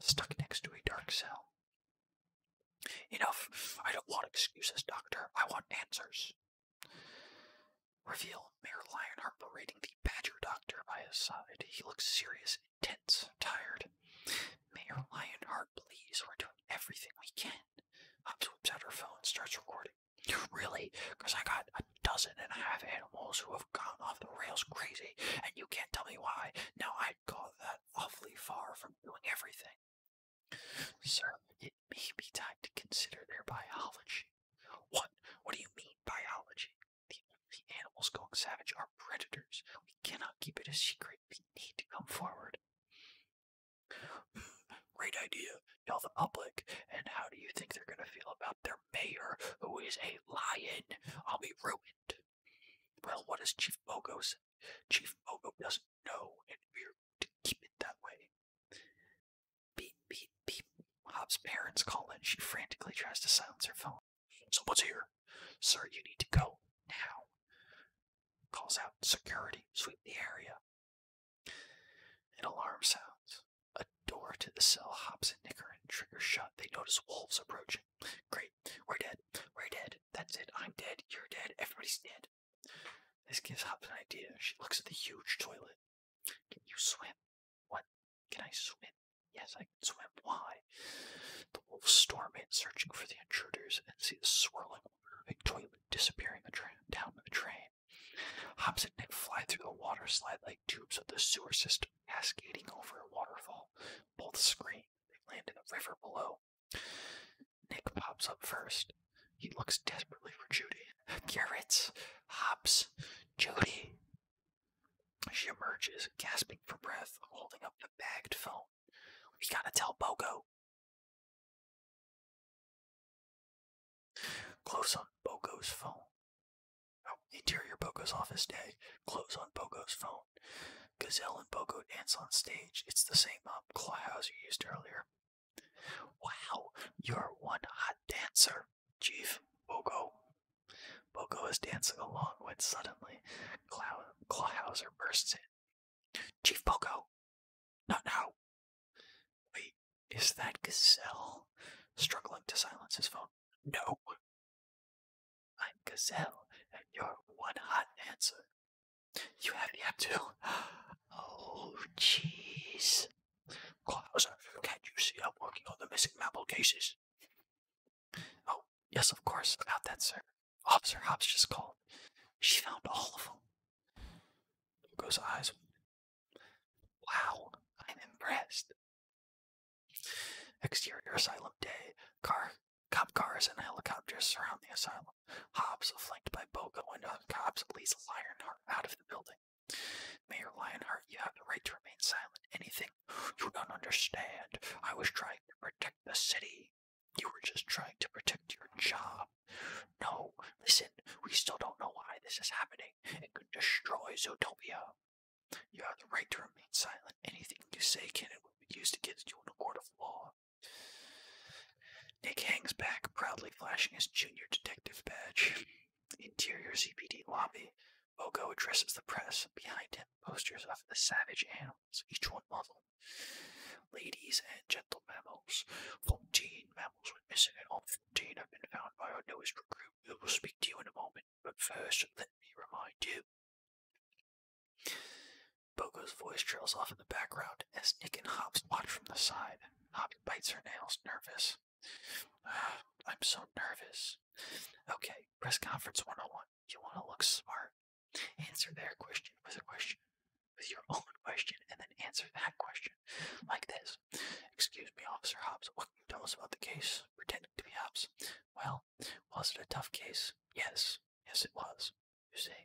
stuck next to a dark cell. Enough. I don't want excuses, Doctor. I want answers. Reveal Mayor Lionheart berating the Badger Doctor by his side. He looks serious, intense, tired. Mayor Lionheart, please, we're doing everything we can. Hobbs whips out her phone and starts recording. Really? Because I got a dozen and a half animals who have gone off the rails crazy, and you can't tell me why. Now, i have call that awfully far from doing everything. Sir, it may be time to consider their biology. What? What do you mean biology? The, the animals going savage are predators. We cannot keep it a secret. We need to come forward. Great idea. Tell the public. And how do you think they're going to feel about their mayor, who is a lion? I'll be ruined. Well, what does Chief Bogo Chief Mogo doesn't know, and we're to keep it that way. Beep, beep, beep. Hop's parents call in. She frantically tries to silence her phone. Someone's here. Sir, you need to go now. Calls out security. Sweep the area. An alarm sounds. A door to the cell hops and Nicker and Trigger shut. They notice wolves approaching. Great. We're dead. We're dead. That's it. I'm dead. You're dead. Everybody's dead. This gives Hobbs an idea. She looks at the huge toilet. Can you swim? What? Can I swim? Yes, I can swim. Why? The wolves storm in, searching for the intruders, and see the swirling water of a toilet disappearing the down the drain. Hobbs and Nick fly through the water slide like tubes of the sewer system, cascading over a waterfall. Both scream. They land in the river below, Nick pops up first. He looks desperately for Judy. Garrett's hops. Judy. She emerges, gasping for breath, holding up the bagged phone. We gotta tell Bogo. Close on Bogo's phone. Oh, interior Bogo's office day. Close on Bogo's phone. Gazelle and Bogo dance on stage. It's the same um, clubhouse you used earlier. Wow, you're one hot dancer, Chief Bogo. Bogo is dancing along when suddenly Claw Clawhauser bursts in. Chief Bogo! Not now! Wait, is that Gazelle? Struggling to silence his phone. No! I'm Gazelle, and you're one hot dancer. You have the app Oh, jeez. Clouser, can't you see I'm working on the missing mammal cases? Oh, yes, of course. About that, sir. Officer Hobbs just called. She found all of them. Goes eyes. Wow, I'm impressed. Exterior asylum day. Car Cop cars and helicopters surround the asylum. Hobbs, flanked by Boga Windows and cops, leads Lionheart out of the building. Mayor Lionheart, you have the right to remain silent. Anything you don't understand. I was trying to protect the city. You were just trying to protect your job. No, listen, we still don't know why this is happening. It could destroy Zootopia. You have the right to remain silent. Anything you say can and will be used against you in a court of law. Nick hangs back, proudly flashing his junior detective badge. Interior CPD lobby. Ogo addresses the press. Behind him, posters of the savage animals, each one muzzled. Ladies and gentle mammals. Fourteen mammals were missing, and all fourteen have been found by our newest recruit. We will speak to you in a moment, but first, let me remind you. Bogo's voice trails off in the background as Nick and Hops watch from the side. Hops bites her nails, nervous. I'm so nervous. Okay, press conference 101. You want to look smart. Answer their question with a question, with your own question, and then answer that question. Like this Excuse me, Officer Hobbs, what can you tell us about the case? Pretending to be Hobbs. Well, was it a tough case? Yes. Yes, it was. You say,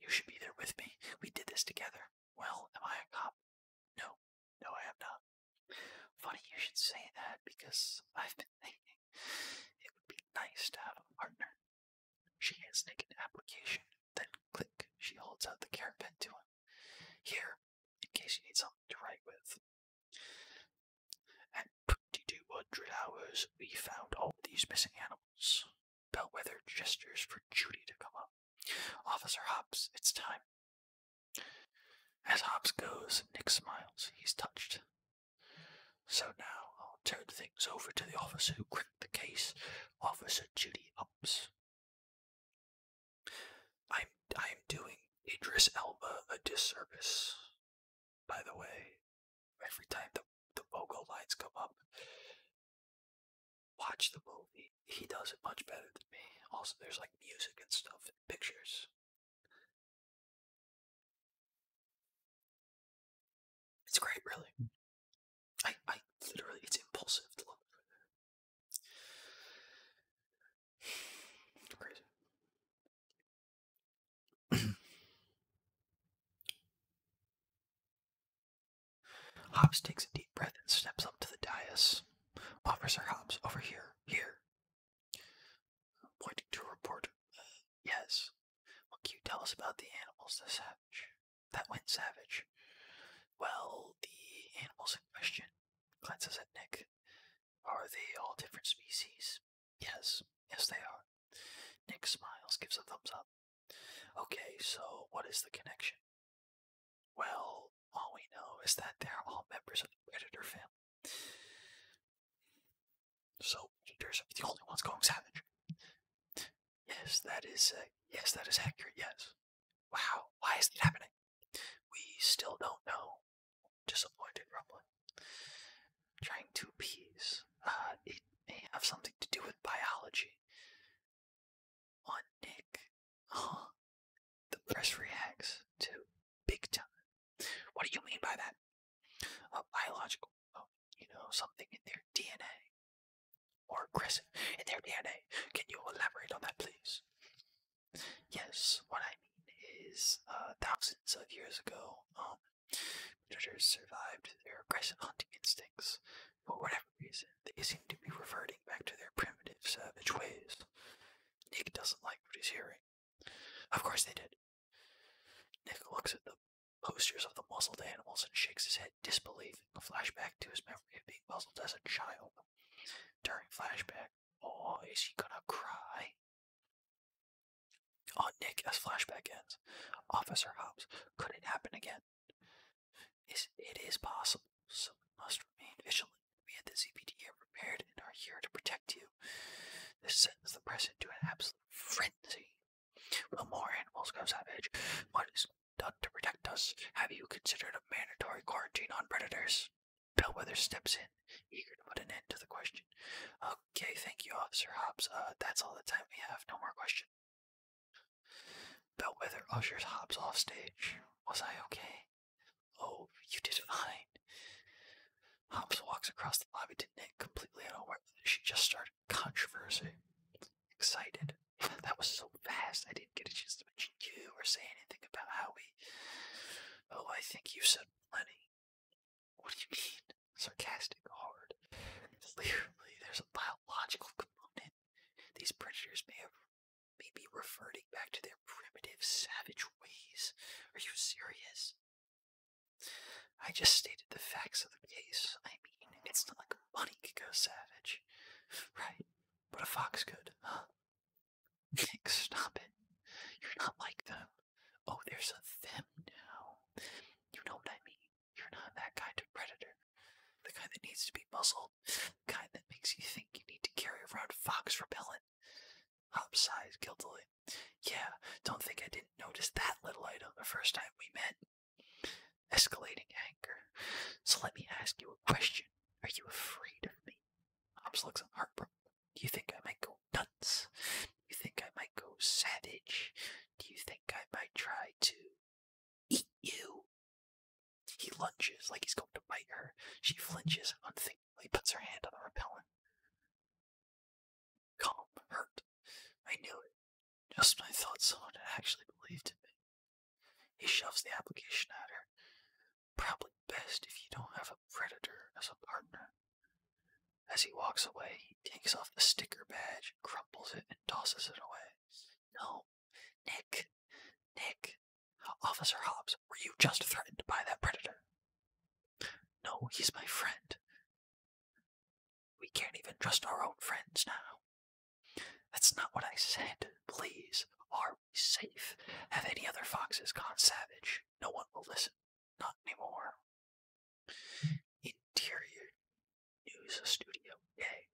You should be there with me. We did this together. Well, am I a cop? No, no, I am not. Funny you should say that because I've been thinking it would be nice to have a partner. She hands Nick an application, then click, she holds out the caravan to him. Here, in case you need something to write with. At 2200 hours, we found all these missing animals. Bellwether gestures for Judy to come up. Officer Hobbs, it's time. As Hobbs goes, Nick smiles. He's touched. So now I'll turn things over to the officer who cracked the case, Officer Judy Hobbs. I'm I'm doing Idris Elba a disservice, by the way every time the the logo lights come up. Watch the movie. He does it much better than me. Also, there's like music and stuff and pictures. It's great, really. Hmm. I, I literally, it's impulsive to love. Crazy. Hobbs takes a deep breath and steps up to the dais. Officer Hobbs, over here, here. Pointing to a report. yes. What can you tell us about the animals that savage? That went savage. Well, the animals in question. Glances at Nick. Are they all different species? Yes, yes they are. Nick smiles, gives a thumbs up. Okay, so what is the connection? Well, all we know is that they're all members of the Predator family. So Predators are the only ones going savage. Yes, that is uh, yes, that is accurate. Yes. Wow, why is that happening? We still don't know. Disappointed, rumbling. Trying to appease uh, the may have something to do with biology. On Nick, huh? The press reacts to big time. What do you mean by that? Uh, biological. Oh, you know, something in their DNA. Or aggressive in their DNA. Can you elaborate on that, please? Yes, what I mean is uh, thousands of years ago, um, Predators survived their aggressive hunting instincts. For whatever reason, they seem to be reverting back to their primitive, savage ways. Nick doesn't like what he's hearing. Of course they did. Nick looks at the posters of the muzzled animals and shakes his head, disbelieving flashback to his memory of being muzzled as a child. During flashback, oh, is he gonna cry? On Nick, as flashback ends, Officer Hobbs could it happen again. It is possible, so we must remain vigilant. We at the ZPD are prepared and are here to protect you. This sends the press into an absolute frenzy. Will more animals go savage? What is done to protect us? Have you considered a mandatory quarantine on predators? Bellwether steps in, eager to put an end to the question. Okay, thank you, Officer Hobbs. Uh, that's all the time we have. No more questions. Bellwether ushers Hobbs off stage. Was I okay? Oh, you did fine. Hobbs walks across the lobby to Nick, completely unaware that she just started controversy. Excited. That was so fast, I didn't get a chance to mention you or say anything about how we. Oh, I think you said plenty. What do you mean? Sarcastic, hard. Clearly, there's a biological component. These predators may have may be reverting back to their primitive, savage ways. Are you serious? I just stated the facts of the case. I mean, it's not like money could go savage. Right, but a fox could, huh? Nick, stop it. You're not like them. Oh, there's a them now. You know what I mean. You're not that kind of predator. The kind that needs to be muzzled. The kind that makes you think you need to carry around fox repellent. Hop sighs guiltily. Yeah, don't think I didn't notice that little item the first time we met. Escalating anger. So let me ask you a question. Are you afraid of me? Hobbs looks heartbroken. Do you think I might go nuts? you think I might go savage? Do you think I might try to Eat you. He lunges like he's going to bite her. She flinches unthinkingly, puts her hand on the repellent. Calm, hurt. I knew it. Just when I thought someone actually believed in me. He shoves the application at her. Probably best if you don't have a predator as a partner. As he walks away, he takes off the sticker badge, crumples it, and tosses it away. No. Nick. Nick. Officer Hobbs, were you just threatened by that predator? No, he's my friend. We can't even trust our own friends now. That's not what I said. Please, are we safe? Have any other foxes gone savage? No one will listen. Not anymore. Interior. News Studio A.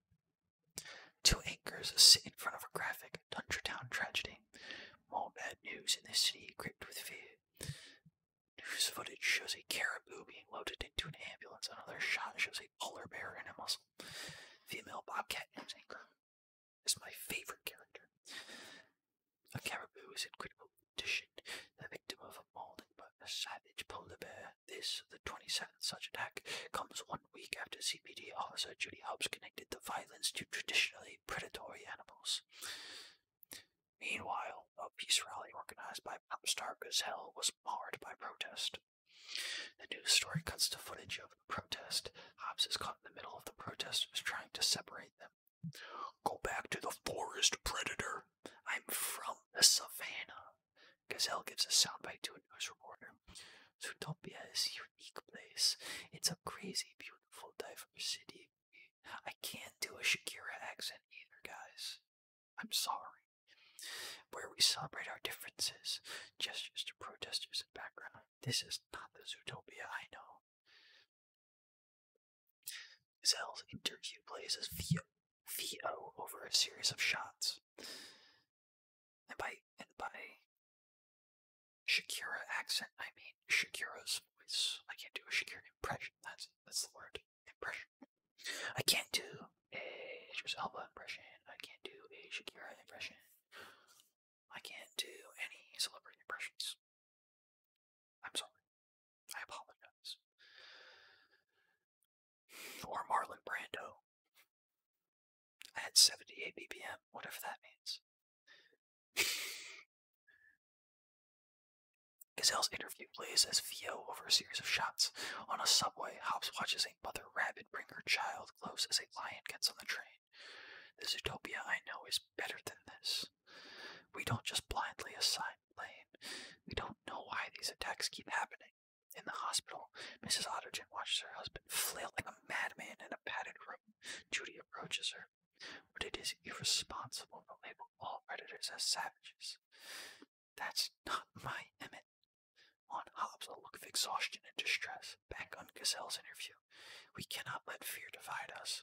Two anchors sit in front of a graphic Town tragedy. More bad news in the city gripped with fear. News footage shows a caribou being loaded into an ambulance. Another shot shows a polar bear in a muzzle. Female bobcat anchor is my favorite character. The caribou is in critical condition, the victim of a mauling by a savage polar bear. This, the 27th such attack, comes one week after CPD officer Judy Hubbs connected the violence to traditionally predatory animals. Meanwhile, a peace rally organized by pop star Gazelle was marred by protest. The news story cuts to footage of the protest. Hobbs is caught in the middle of the protesters trying to separate them. Go back to the forest, predator. I'm from the savannah. Gazelle gives a soundbite to a news reporter. Zootopia is a unique place. It's a crazy, beautiful, diverse city. I can't do a Shakira accent either, guys. I'm sorry. Where we celebrate our differences, gestures to protesters in background. This is not the Zootopia I know. Gazelle's interview plays as Theo, Theo over a series of shots. And by and by Shakira accent, I mean Shakira's voice. I can't do a Shakira impression. That's that's the word impression. I can't do a Idris impression. I can't do a Shakira impression. I can't do any celebrity impressions. I'm sorry. I apologize. Or Marlon Brando. I had 78 BPM, whatever that means. Gazelle's interview plays as Vio over a series of shots. On a subway, Hobbs watches a mother rabbit bring her child close as a lion gets on the train. This utopia I know is better than this. We don't just blindly assign blame. We don't know why these attacks keep happening. In the hospital, Mrs. Otterton watches her husband flail like a madman in a padded room. Judy approaches her. But it is irresponsible to label all predators as savages. That's not my Emmett. On Hobbs, a look of exhaustion and distress, back on Gazelle's interview. We cannot let fear divide us.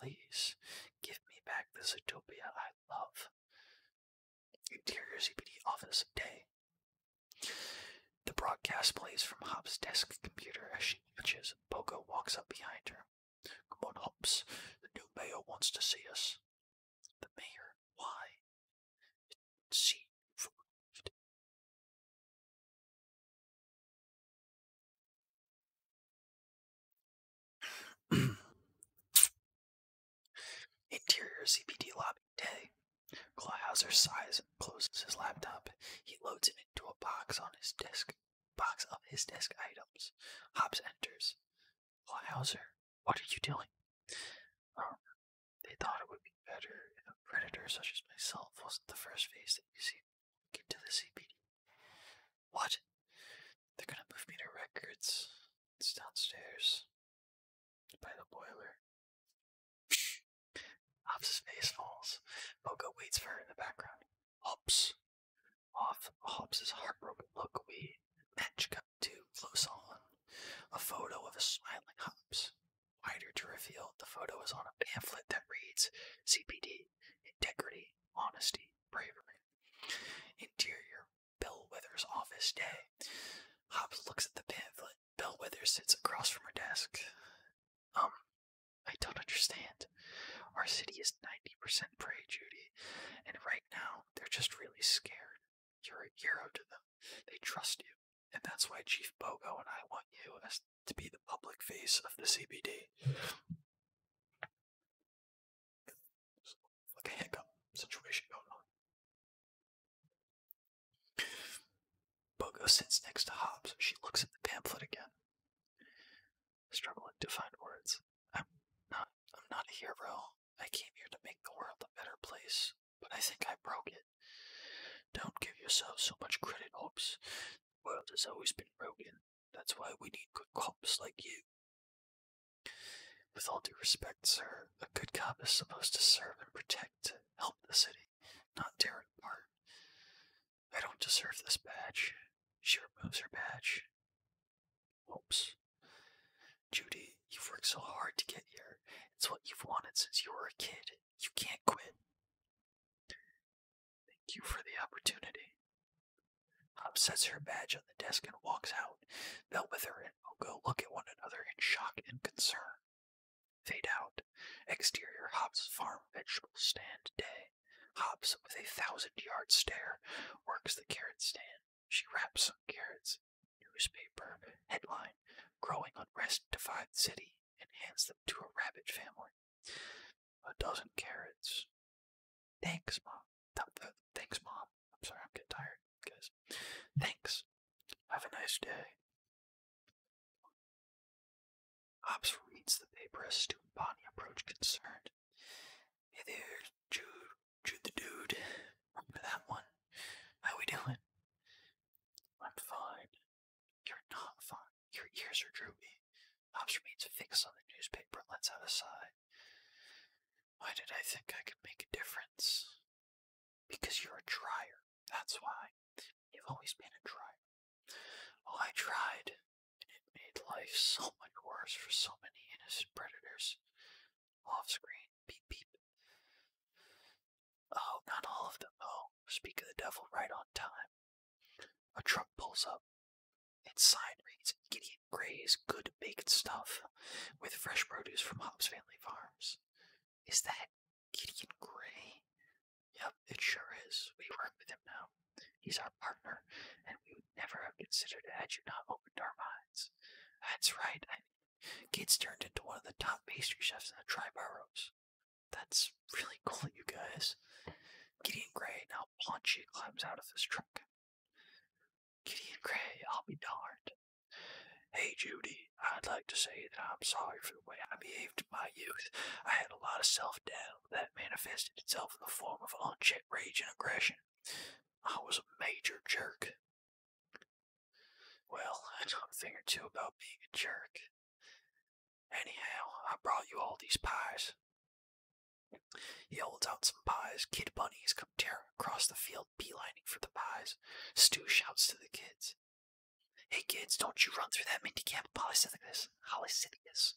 Please, give me back the utopia I love. Interior CPD office day. The broadcast plays from Hobbs' desk computer as she watches. Pogo walks up behind her. Come on, Hobbs. The new mayor wants to see us. The mayor? Why? See removed. Interior CPD lobby day. Klauhauser sighs and closes his laptop. He loads it into a box on his desk. Box of his desk items. Hobbs enters. Klauhauser, what are you doing? Um, they thought it would be better if a predator such as myself wasn't the first face that you see get the CPD. What? They're gonna move me to records. It's downstairs. By the boiler. Hops' face falls. Moka waits for her in the background. Hops. Off Hops heartbroken. Look, we match up too close on. A photo of a smiling Hops. Wider to reveal, the photo is on a pamphlet that reads CPD, integrity, honesty, bravery. Interior Bill Withers' office day. Hobbs looks at the pamphlet. Bill Withers sits across from her desk. Um, I don't understand. Our city is 90% prey, Judy, and right now they're just really scared. You're a hero to them. They trust you, and that's why Chief Bogo and I want you to be the public face of the CBD. Like a hiccup situation going on. Bogo sits next to Hobbs. She looks at the pamphlet again, struggling to find words. I'm not, a hero. I came here to make the world a better place, but I think I broke it. Don't give yourself so much credit, Hobbs. The world has always been broken. That's why we need good cops like you. With all due respect, sir, a good cop is supposed to serve and protect, help the city, not tear it I don't deserve this badge. She removes her badge. Whoops. Judy, you've worked so hard to get here. It's what you've wanted since you were a kid. You can't quit. Thank you for the opportunity. Hop sets her badge on the desk and walks out out. Bellwether and Moko look at one another in shock and concern. Fade out. Exterior Hops farm vegetable stand day. Hops with a thousand yard stare, works the carrot stand. She wraps some carrots. Newspaper. Headline Growing unrest defied city and hands them to a rabbit family. A dozen carrots. Thanks, Mom. Thanks, Mom. I'm sorry, I'm getting tired, guys. Thanks. Have a nice day. Hobbs reads the paper as Stu and Bonnie approach concerned. Hey there, Jude, Jude the dude. Remember that one? How we doing? I'm fine. You're not fine. Your ears are droopy. Hobbs remains fixed on the newspaper and lets out a sigh. Why did I think I could make a difference? Because you're a dryer. That's why. You've always been a dryer. Oh, I tried, and it made life so much worse for so many innocent predators. Off screen, beep beep. Oh, not all of them, though. Speak of the devil right on time. A truck pulls up. Its sign reads Gideon Gray's good baked stuff with fresh produce from Hobbs Family Farms. Is that Gideon Gray? Yep, it sure is. We work with him now. He's our partner, and we would never have considered it had you not opened our minds. That's right. I turned into one of the top pastry chefs in the Tri-Boroughs. That's really cool, you guys. Gideon Gray now paunchy climbs out of his truck. Gideon Gray, I'll be darned. Hey Judy, I'd like to say that I'm sorry for the way I behaved in my youth. I had a lot of self-doubt that manifested itself in the form of unchecked rage and aggression. I was a major jerk. Well, I know a thing or two about being a jerk. Anyhow, I brought you all these pies. He holds out some pies. Kid Bunny has come tearing across the field still for the pies. Stu shouts to the kids. Hey kids, don't you run through that minicamp polycythicus. Polycythicus.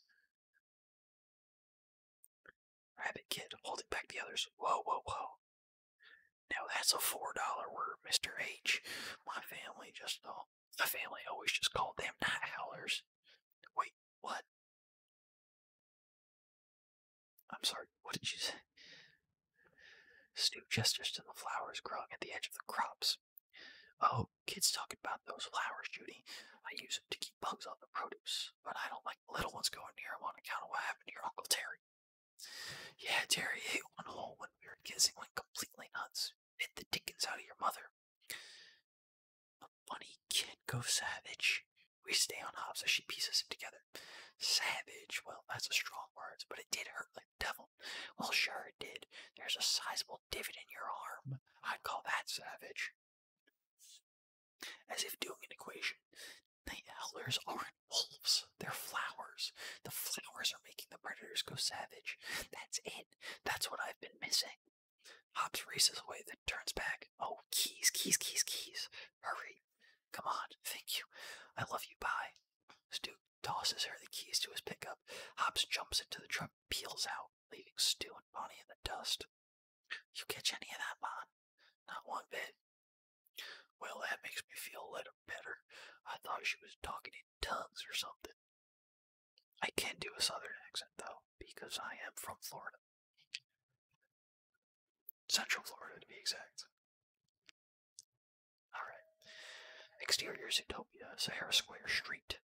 Rabbit Kid, holding back the others. Whoa, whoa, whoa. Now that's a $4 word, Mr. H. My family just, oh, my family always just called them night howlers. Wait, what? I'm sorry, what did you say? Stu gestures to the flowers growing at the edge of the crops. Oh, kids talk about those flowers, Judy. I use them to keep bugs off the produce, but I don't like the little ones going near them on account of what happened to your Uncle Terry. Yeah, Terry ate one whole when we were kissing, and went completely nuts. Bit the dickens out of your mother. A funny kid go savage. We stay on hobs as she pieces him together. Savage, well, that's a strong words, but it did hurt like the devil. Well, sure it did. There's a sizable divot in your arm. I'd call that savage. As if doing an equation. The elders aren't wolves, they're flowers. The flowers are making the predators go savage. That's it. That's what I've been missing. Hops races away, then turns back. Oh, keys, keys, keys, keys. Hurry. Come on. Thank you. I love you. Bye. Stu tosses her the keys to his pickup. Hobbs jumps into the truck, peels out, leaving Stu and Bonnie in the dust. You catch any of that, Bon? Not one bit. Well, that makes me feel a little better. I thought she was talking in tongues or something. I can do a southern accent, though, because I am from Florida. Central Florida, to be exact. Alright. Exterior Zootopia, Sahara Square Street.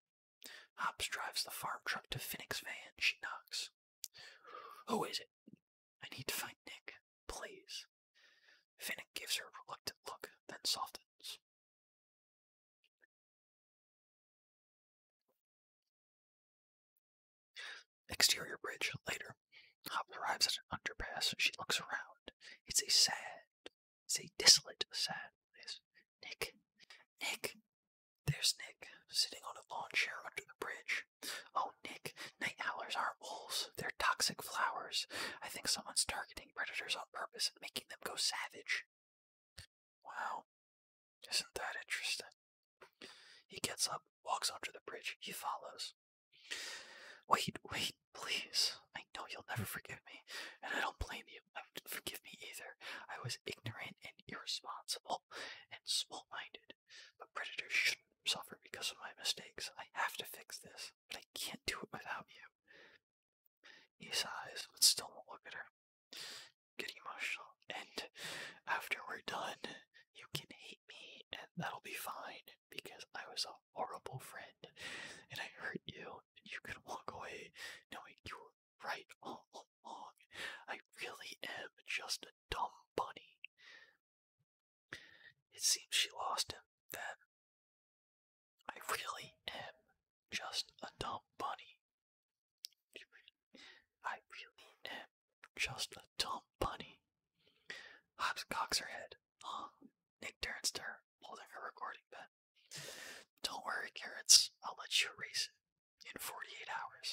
Hops drives the farm truck to Phoenix Van. She knocks. Who is it? I need to find Nick, please. Finnick gives her a reluctant look, then softens. Exterior bridge later later, Hop arrives at an underpass and she looks around. It's a sad, it's a desolate, sad place. Nick, Nick, there's Nick sitting on a lawn chair under the bridge. Oh, Nick, night owlers aren't wolves, they're toxic flowers. I think someone's targeting predators on purpose and making them go savage. Wow, isn't that interesting? He gets up, walks under the bridge, he follows. Wait, wait, please. I know you'll never forgive me, and I don't blame you. Don't Forgive me either. I was ignorant and irresponsible and small minded. But predators shouldn't suffer because of my mistakes. I have to fix this, but I can't do it without you. He sighs, but still won't look at her. Getting emotional. And after we're done, you can hate me, and that'll be fine because I was a horrible friend and I hurt you and you can walk away knowing you were right all along. I really am just a dumb bunny. It seems she lost him then. I really am just a dumb bunny. I really am just a dumb bunny. Hobbs cocks her head. Nick turns to her, holding her recording pen. Don't worry, Carrots. I'll let you erase it. In 48 hours.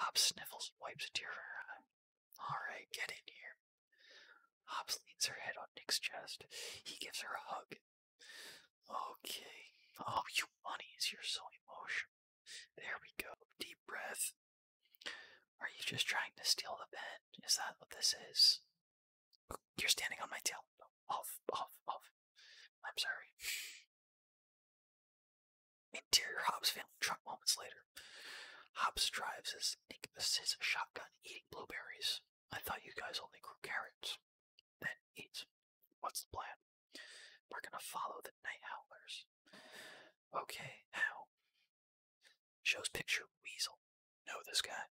Hobbs sniffles wipes a tear from her eye. Alright, get in here. Hobbs leans her head on Nick's chest. He gives her a hug. Okay. Oh, you bunnies, you're so emotional. There we go. Deep breath. Are you just trying to steal the bed? Is that what this is? You're standing on my tail. Off, off, off. I'm sorry. Interior Hobbs family truck moments later. Hobbs drives his, his shotgun eating blueberries. I thought you guys only grew carrots. Then eat. What's the plan? We're gonna follow the night owls. Okay, Now Shows picture Weasel. Know this guy?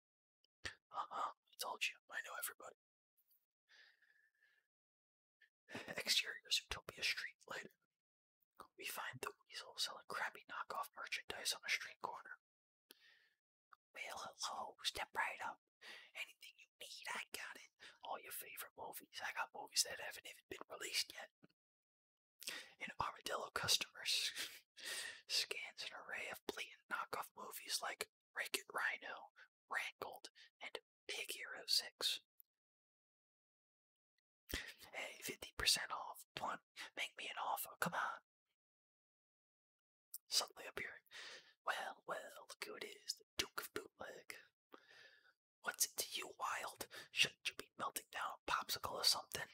Uh-huh, I told you. I know everybody. Exterior of Utopia Street later. We find the Weasel selling crappy knockoff merchandise on a street corner. Well, hello, step right up. Anything you need, I got it. All your favorite movies. I got movies that haven't even been released yet. An Armadillo customer scans an array of blatant knockoff movies like Wreck It Rhino, Rankled, and Big Hero 6. Hey, 50% off. One, make me an offer. Come on. Suddenly appearing. Well, well, look who it is, the Duke of Bootleg. What's it to you, Wild? Shouldn't you be melting down a popsicle or something?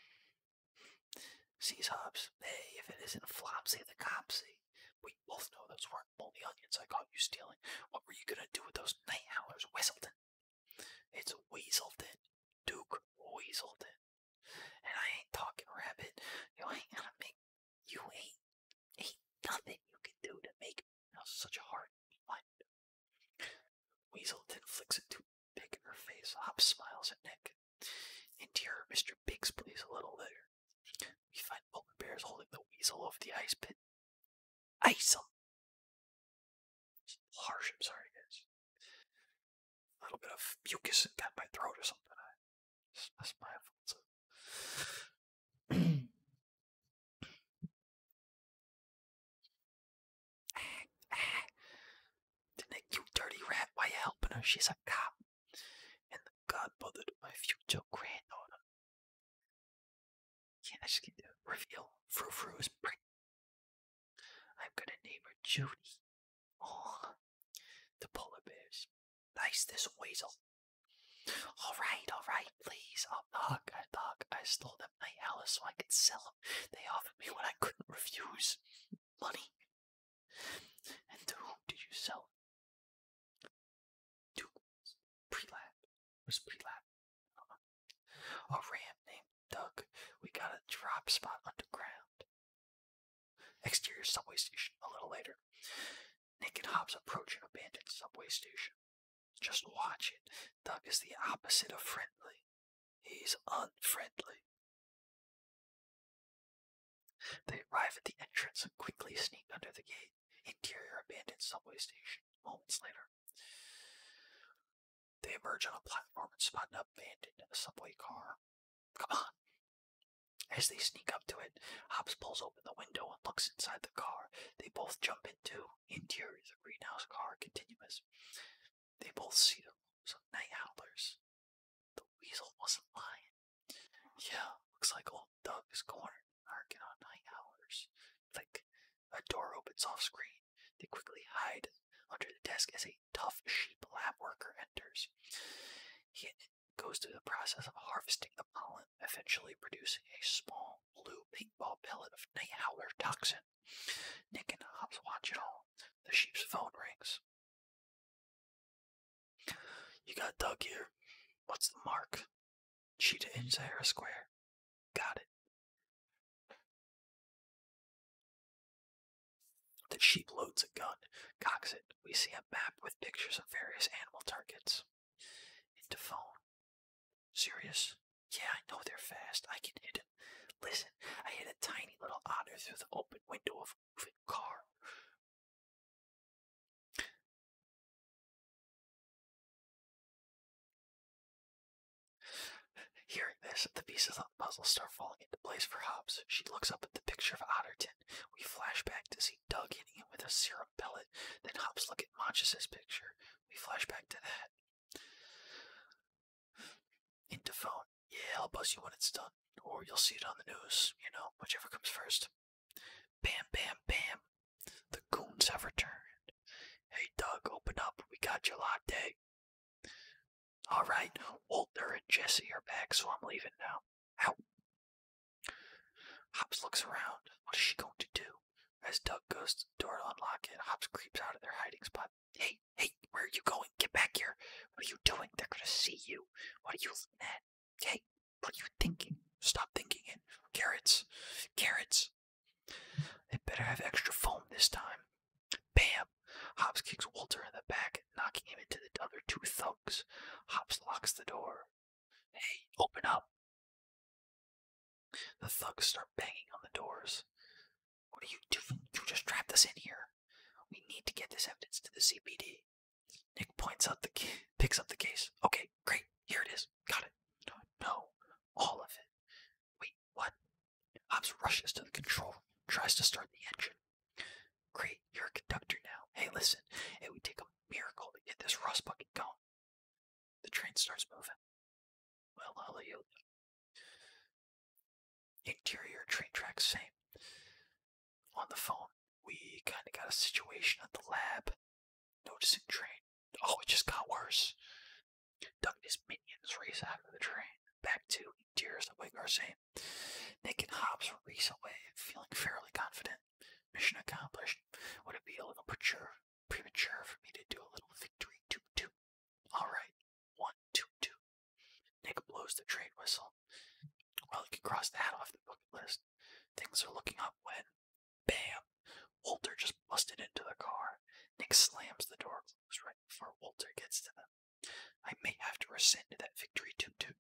Sees Hobbs. Hey, if it isn't Flopsy the Copsy. We both know those weren't only onions I caught you stealing. What were you gonna do with those night howlers, Weaselton? It's Weaselton. Duke Weaselton. And I ain't talking rabbit. You ain't gonna make you ain't ain't nothing you can do to make such a hard one. Weasel Weaselton flicks it to toothpick in her face. Hop smiles at Nick. And dear Mr. Biggs plays a little later. We find Polar Bears holding the weasel over the ice pit. Ice him! Harsh, I'm sorry, guys. A little bit of mucus got my throat or something. I, that's my Ah, ah. Then dirty rat, why you helping her? She's a cop. And the godmother my future granddaughter. Can't I just get the reveal? Frou pregnant. I'm gonna name her Judy. Oh, the polar bears. Nice this weasel. Alright, alright, please. I'll knock, I knock. I stole them my Alice so I could sell them. They offered me what I couldn't refuse money? And to whom did you sell it? To Prelab. was Prelab. A ram named Doug. We got a drop spot underground. Exterior subway station. A little later, Nick and Hobbs approach an abandoned subway station. Just watch it. Doug is the opposite of friendly. He's unfriendly. They arrive at the entrance and quickly sneak under the gate. Interior abandoned subway station. Moments later, they emerge on a platform and spot an abandoned subway car. Come on. As they sneak up to it, Hobbs pulls open the window and looks inside the car. They both jump into interior of the greenhouse car continuous. They both see them. So night howlers. The weasel wasn't lying. Yeah, looks like old Doug is cornered and narking on night howlers. Like a door opens off screen. They quickly hide under the desk as a tough sheep lab worker enters. He goes through the process of harvesting the pollen, eventually producing a small blue paintball pellet of night howler toxin. Nick and Hobbs watch it all. The sheep's phone rings. You got Doug here. What's the mark? Cheetah in Sahara Square. Got it. The sheep loads a gun, cocks it. We see a map with pictures of various animal targets. Into phone. Serious? Yeah, I know they're fast. I can hit it. Listen, I hit a tiny little otter through the open window of a moving car. Hearing this, the pieces of the puzzle start falling into place for Hobbs. She looks up at the picture of Otterton. We flash back to see Doug hitting him with a syrup pellet. Then Hobbs look at Monchus's picture. We flash back to that. Into phone. Yeah, I'll buzz you when it's done. Or you'll see it on the news, you know, whichever comes first. Bam, bam, bam. The goons have returned. Hey, Doug, open up. We got your latte. All right, Walter and Jesse are back, so I'm leaving now. Out. Hops looks around. What is she going to do? As Doug goes to the door to unlock it, Hops creeps out of their hiding spot Hey, hey, where are you going? Get back here. What are you doing? They're gonna see you. What are you looking at? Hey, what are you thinking? Stop thinking it. Carrots. Carrots. They better have extra foam this time. Bam! Hobbs kicks Walter in the back, knocking him into the other two thugs. Hobbs locks the door. Hey, open up. The thugs start banging on the doors. What are you doing? You just trapped us in here. We need to get this evidence to the CPD. Nick points up the key, picks up the case. Okay, great. Here it is. Got it. No, no, all of it. Wait, what? Hobbs rushes to the control room, tries to start the engine. Great, you're conductor now. Hey, listen, it would take a miracle to get this rust bucket going. The train starts moving. Well, I'll Interior train tracks, same. On the phone, we kind of got a situation at the lab. Noticing train. Oh, it just got worse. Doug his minions race after the train. Back to interior subway car, same. Nick and Hobbs race away, feeling fairly confident. Mission accomplished. Would it be a little mature, premature for me to do a little victory toot toot? All right, one, two, two. Nick blows the trade whistle. Well, he can cross that off the bucket list. Things are looking up when, bam, Walter just busted into the car. Nick slams the door closed right before Walter gets to them. I may have to rescind that victory toot toot.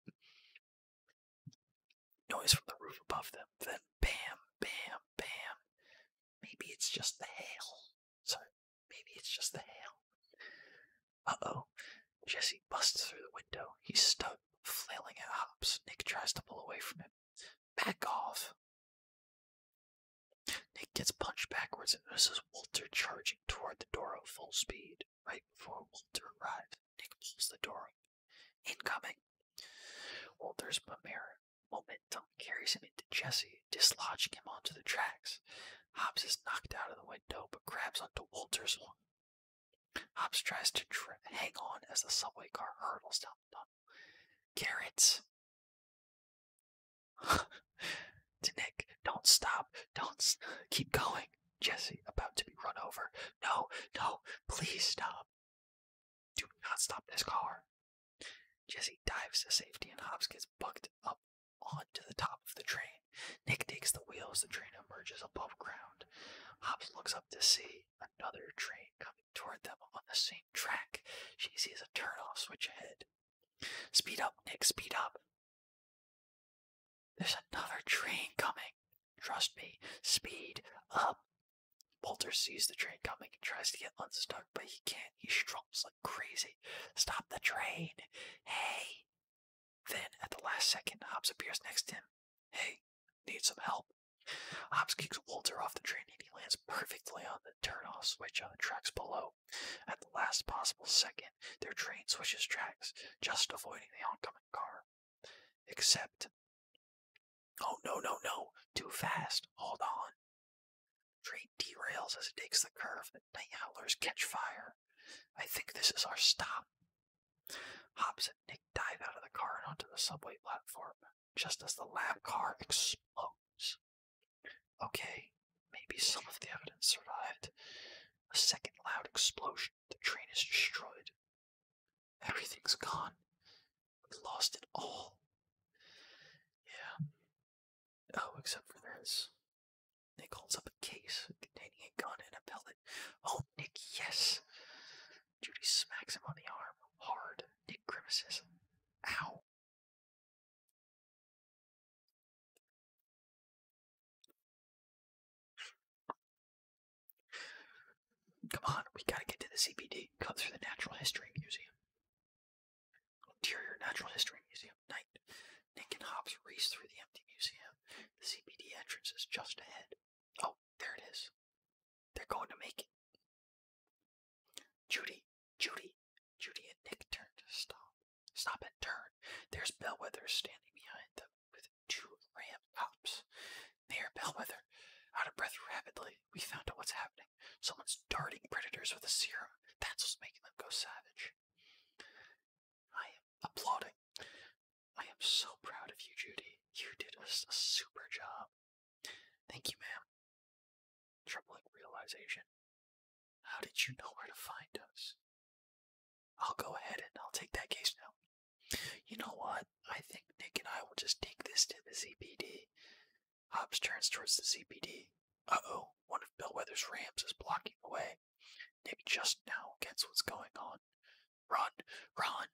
Noise from the roof above them, then bam, bam, bam. Maybe it's just the hail. So maybe it's just the hail. Uh-oh. Jesse busts through the window. He's stuck, flailing at Hops. Nick tries to pull away from him. Back off! Nick gets punched backwards and notices Walter charging toward the door at full speed. Right before Walter arrives, Nick pulls the door up. Incoming! Walter's momentum carries him into Jesse, dislodging him onto the tracks. Hobbs is knocked out of the window but grabs onto Walter's one. Hobbs tries to hang on as the subway car hurtles down the tunnel. Garretts. to Nick, don't stop. Don't keep going. Jesse, about to be run over. No, no, please stop. Do not stop this car. Jesse dives to safety and Hobbs gets bucked up onto the top of the train. Nick takes the wheels. the train emerges above ground. Hobbs looks up to see another train coming toward them on the same track. She sees a turnoff switch ahead. Speed up, Nick, speed up. There's another train coming. Trust me, speed up. Walter sees the train coming and tries to get unstuck, but he can't. He strumps like crazy. Stop the train. Hey, then, at the last second, Hobbs appears next to him. Hey, need some help? Hobbs kicks Walter off the train and he lands perfectly on the turnoff switch on the tracks below. At the last possible second, their train switches tracks, just avoiding the oncoming car. Except, oh no, no, no, too fast, hold on. Train derails as it takes the curve night howlers catch fire. I think this is our stop. Hobbs and Nick dive out of the car and onto the subway platform just as the lab car explodes. Okay, maybe some of the evidence survived. A second loud explosion. The train is destroyed. Everything's gone. We lost it all. Yeah, Oh, except for this. Nick holds up a case containing a gun and a pellet. Oh, Nick, yes! Judy smacks him on the arm, hard. Nick grimaces. Ow! Come on, we gotta get to the CBD. Cut through the Natural History Museum. Interior Natural History Museum. Night. Nick and Hobbs race through the empty museum. The CPD entrance is just ahead. Oh, there it is. They're going to make it. Judy, Judy, Judy and Nick turn to stop. Stop and turn. There's Bellwether standing behind them with two ram cops. Mayor Bellwether, out of breath rapidly, we found out what's happening. Someone's darting predators with a serum. That's what's making them go savage. I am applauding. I am so proud of you, Judy. You did us a super job. Thank you, ma'am. Troubling realization. How did you know where to find us? I'll go ahead and I'll take that case now. You know what? I think Nick and I will just take this to the CPD. Hobbs turns towards the CPD. Uh oh, one of Bellwether's rams is blocking the way. Nick just now gets what's going on. Run, run!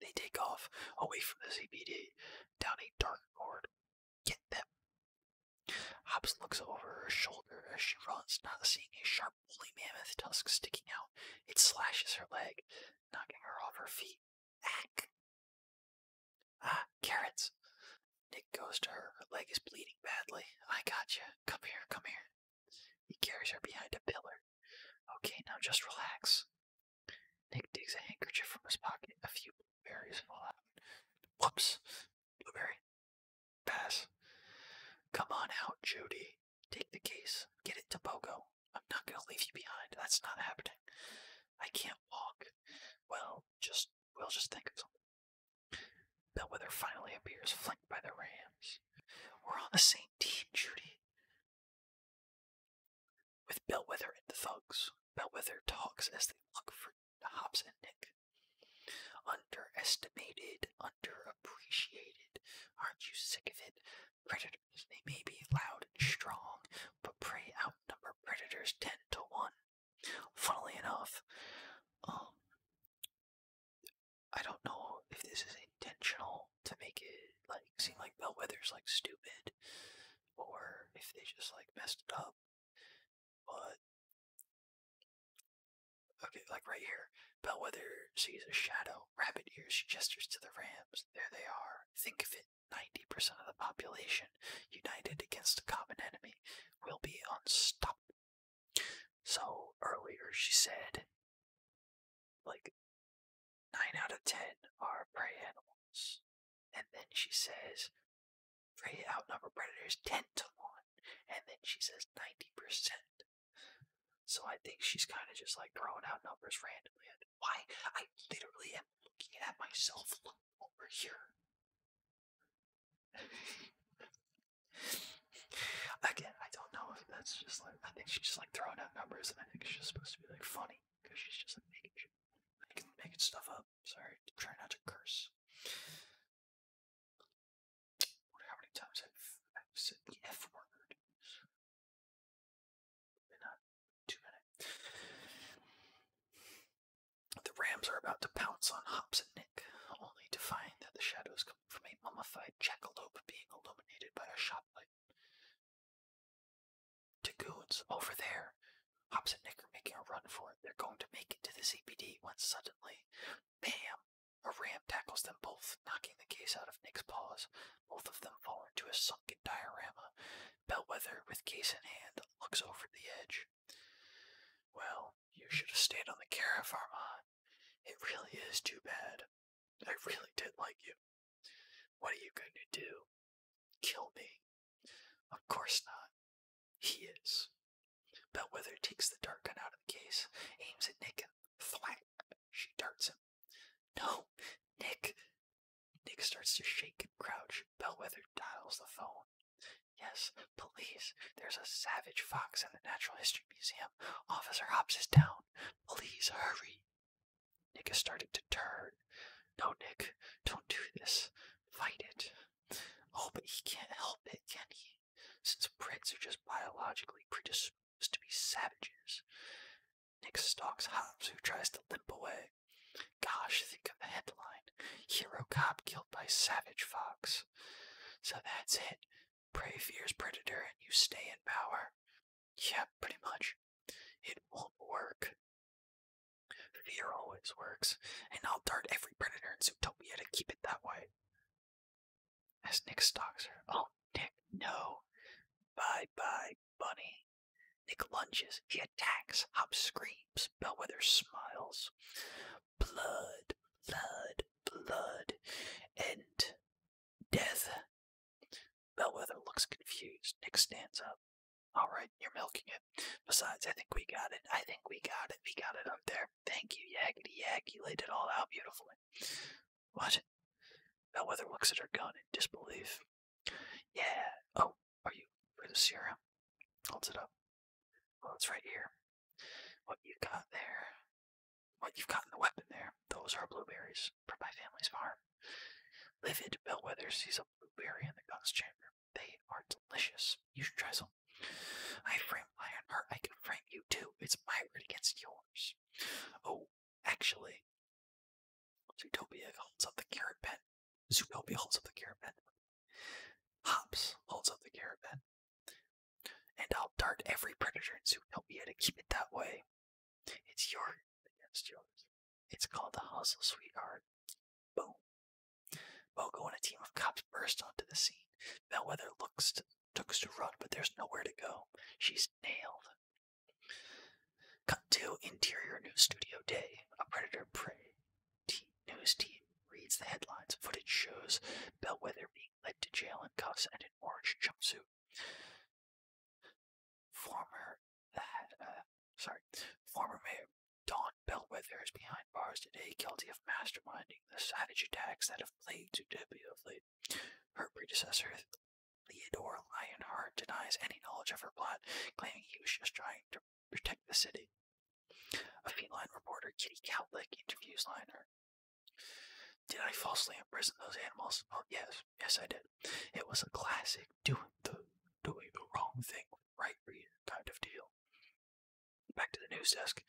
They take off away from the CBD down a dark corridor. Get them. Hobbs looks over her shoulder as she runs, not seeing a sharp woolly mammoth tusk sticking out. It slashes her leg, knocking her off her feet. Ah, carrots! Nick goes to her. Her leg is bleeding badly. I got you. Come here, come here. He carries her behind a pillar. Okay, now just relax. Nick digs a handkerchief from his pocket. A few blueberries fall out. Whoops. Blueberry. Pass. Come on out, Judy. Take the case. Get it to Bogo. I'm not going to leave you behind. That's not happening. I can't walk. Well, just we'll just think of something. Bellwether finally appears, flanked by the Rams. We're on the same team, Judy. With Bellwether and the thugs, Bellwether talks as they look for Hobbs and Nick. Underestimated, underappreciated. Aren't you sick of it? Predators, they may be loud and strong, but prey outnumber predators 10 to 1. Funnily enough, um, I don't know if this is intentional to make it like seem like Bellwether's like stupid, or if they just like messed it up. But okay, like right here, Bellwether sees a shadow. Rabbit ears gestures to the rams. There they are. Think of it. 90% of the population united against a common enemy will be unstoppable. So earlier she said, like, nine out of ten are prey animals. And then she says, prey outnumber predators 10 to 1. And then she says 90%. So I think she's kind of just like throwing out numbers randomly. Why? I literally am looking at myself over here. Again, I don't know if that's just like I think she's just like throwing out numbers, and I think she's supposed to be like funny because she's just like making making, stuff up. Sorry, i not to curse. How many times have I said the F word in a two minute? The rams are about to pounce on Hops and Nick, only to find that the shadows come from a mummified jackalope being illuminated by a shotlight. Tagoons, over there! Hops Nick are making a run for it. They're going to make it to the CPD when suddenly, bam! A ram tackles them both, knocking the case out of Nick's paws. Both of them fall into a sunken diorama. Bellwether, with case in hand, looks over the edge. Well, you should have stayed on the Kara, Farman. It really is too bad. I really did like you. What are you going to do? Kill me? Of course not. He is. Bellwether takes the dart gun out of the case, aims at Nick, thwack! She darts him. No, Nick! Nick starts to shake and crouch. Bellwether dials the phone Yes, please. There's a savage fox in the Natural History Museum. Officer Hobbs is down. Please hurry. Nick has started to turn. No, Nick, don't do this. Fight it. Oh, but he can't help it, can he? Since Brits are just biologically predisposed to be savages. Nick stalks Hobbs, who tries to limp away. Gosh, think of the headline. Hero cop killed by savage fox. So that's it. Prey fears predator and you stay in power. Yeah, pretty much. It won't work. Fear always works, and I'll dart every predator in Zootopia to keep it that way. As Nick stalks her. Oh, Nick, no. Bye bye, bunny. Nick lunges, he attacks, Hop screams, Bellwether smiles blood, blood, blood, and death. Bellwether looks confused. Nick stands up. All right, you're milking it. Besides, I think we got it. I think we got it. We got it up there. Thank you, Yakety Yak. You laid it all out beautifully. What? Bellwether looks at her gun in disbelief. Yeah. Oh, are you for the serum? Holds it up. Well, oh, it's right here. What you got there, what you've got in the weapon there, those are blueberries from my family's farm. Livid Bellwether sees a blueberry in the gun's chamber. They are delicious. You should try some. I frame Lionheart. I can frame you too. It's my word against yours. Oh, actually, Zootopia holds up the carrot pen. Zootopia holds up the carrot pen. Hops holds up the caravan. And I'll dart every predator and soon help me to keep it that way. It's yours against yours. It's called the hustle, sweetheart. Boom. Bogo and a team of cops burst onto the scene. Bellwether looks to, looks to run, but there's nowhere to go. She's nailed. Cut to interior new studio day. A predator prey news team reads the headlines. Footage shows Bellwether being led to jail in cuffs and an orange jumpsuit. Former uh, uh, sorry, former mayor Don Bellwether is behind bars today, guilty of masterminding the savage attacks that have plagued Zootopia of late. Her predecessor, Theodore Lionheart, denies any knowledge of her plot, claiming he was just trying to protect the city. A feline reporter, Kitty Cowlick, interviews Liner. Did I falsely imprison those animals? Oh, yes. Yes, I did. It was a classic doing the doing the wrong thing with the right reader kind of deal. Back to the news desk.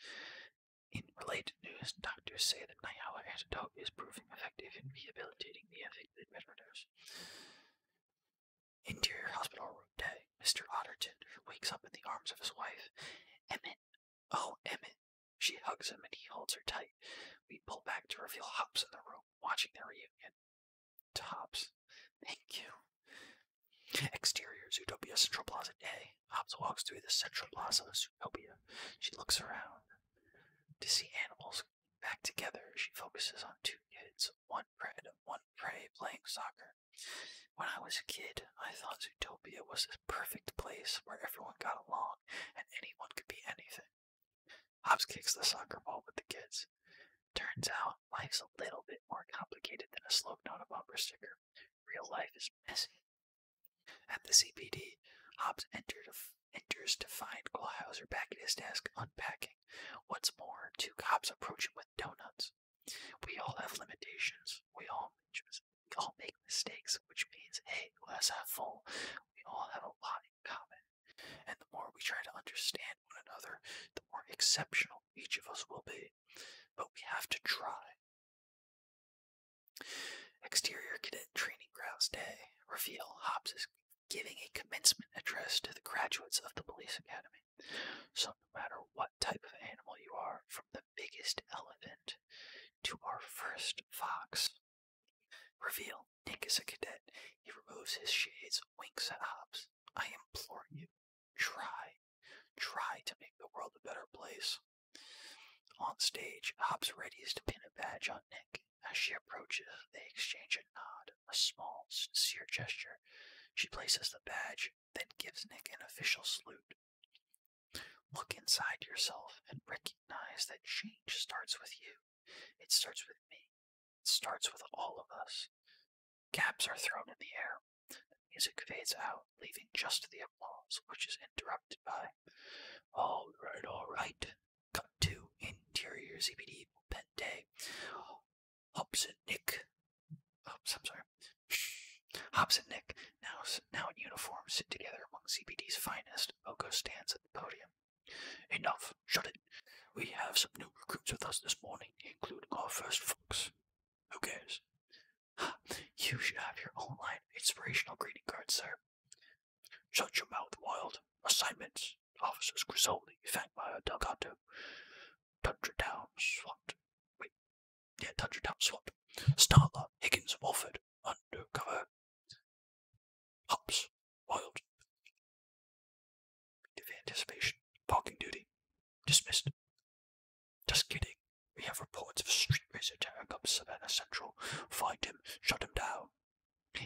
In related news, doctors say that Nayala antidote is proving effective in rehabilitating the affected murderers. Interior hospital room 10. Mr. Otterton wakes up in the arms of his wife. Emmett. Oh, Emmett. She hugs him and he holds her tight. We pull back to reveal Hops in the room, watching the reunion. To Hops. Thank you. Exterior Zootopia Central Plaza Day. Hobbs walks through the central plaza of Zootopia. She looks around. To see animals back together, she focuses on two kids, one prey one prey, playing soccer. When I was a kid, I thought Zootopia was this perfect place where everyone got along and anyone could be anything. Hobbs kicks the soccer ball with the kids. Turns out life's a little bit more complicated than a slope on a bumper sticker. Real life is messy. At the CPD, Hobbs enters to find Glahauser back at his desk unpacking. What's more, two cops approach him with donuts. We all have limitations. We all, make mistakes, which means, hey, let's have fun. We all have a lot in common. And the more we try to understand one another, the more exceptional each of us will be. But we have to try. Exterior Cadet Training Grounds Day. Reveal Hobbs is giving a commencement address to the graduates of the police academy. So, no matter what type of animal you are, from the biggest elephant to our first fox. Reveal Nick is a cadet. He removes his shades, winks at Hobbs. I implore you, try. Try to make the world a better place. On stage, Hobbs readies to pin a badge on Nick. As she approaches, they exchange a nod, a small, sincere gesture. She places the badge then gives Nick an official salute. Look inside yourself and recognize that change starts with you. It starts with me. It starts with all of us. Gaps are thrown in the air. The music fades out, leaving just the applause, which is interrupted by, All right, all right. Come to interior ZPD pen day. Hubs and Nick. Oops, I'm sorry. Hobbs and Nick, now, in uniform, sit together among CPD's finest. Oko stands at the podium. Enough. Shut it. We have some new recruits with us this morning, including our first fox. Who cares? You should have your own line inspirational greeting cards, sir. Shut your mouth, Wild. Assignments. Officers Grisoldi, Fangmeyer, Delgado, Tundra Down, SWAT. Wait, yeah, touch tap swap. Startler, Higgins, Walford, undercover. Hops, Wild. anticipation, parking duty. Dismissed. Just kidding. We have reports of street racer tearing up Savannah Central. Find him, shut him down.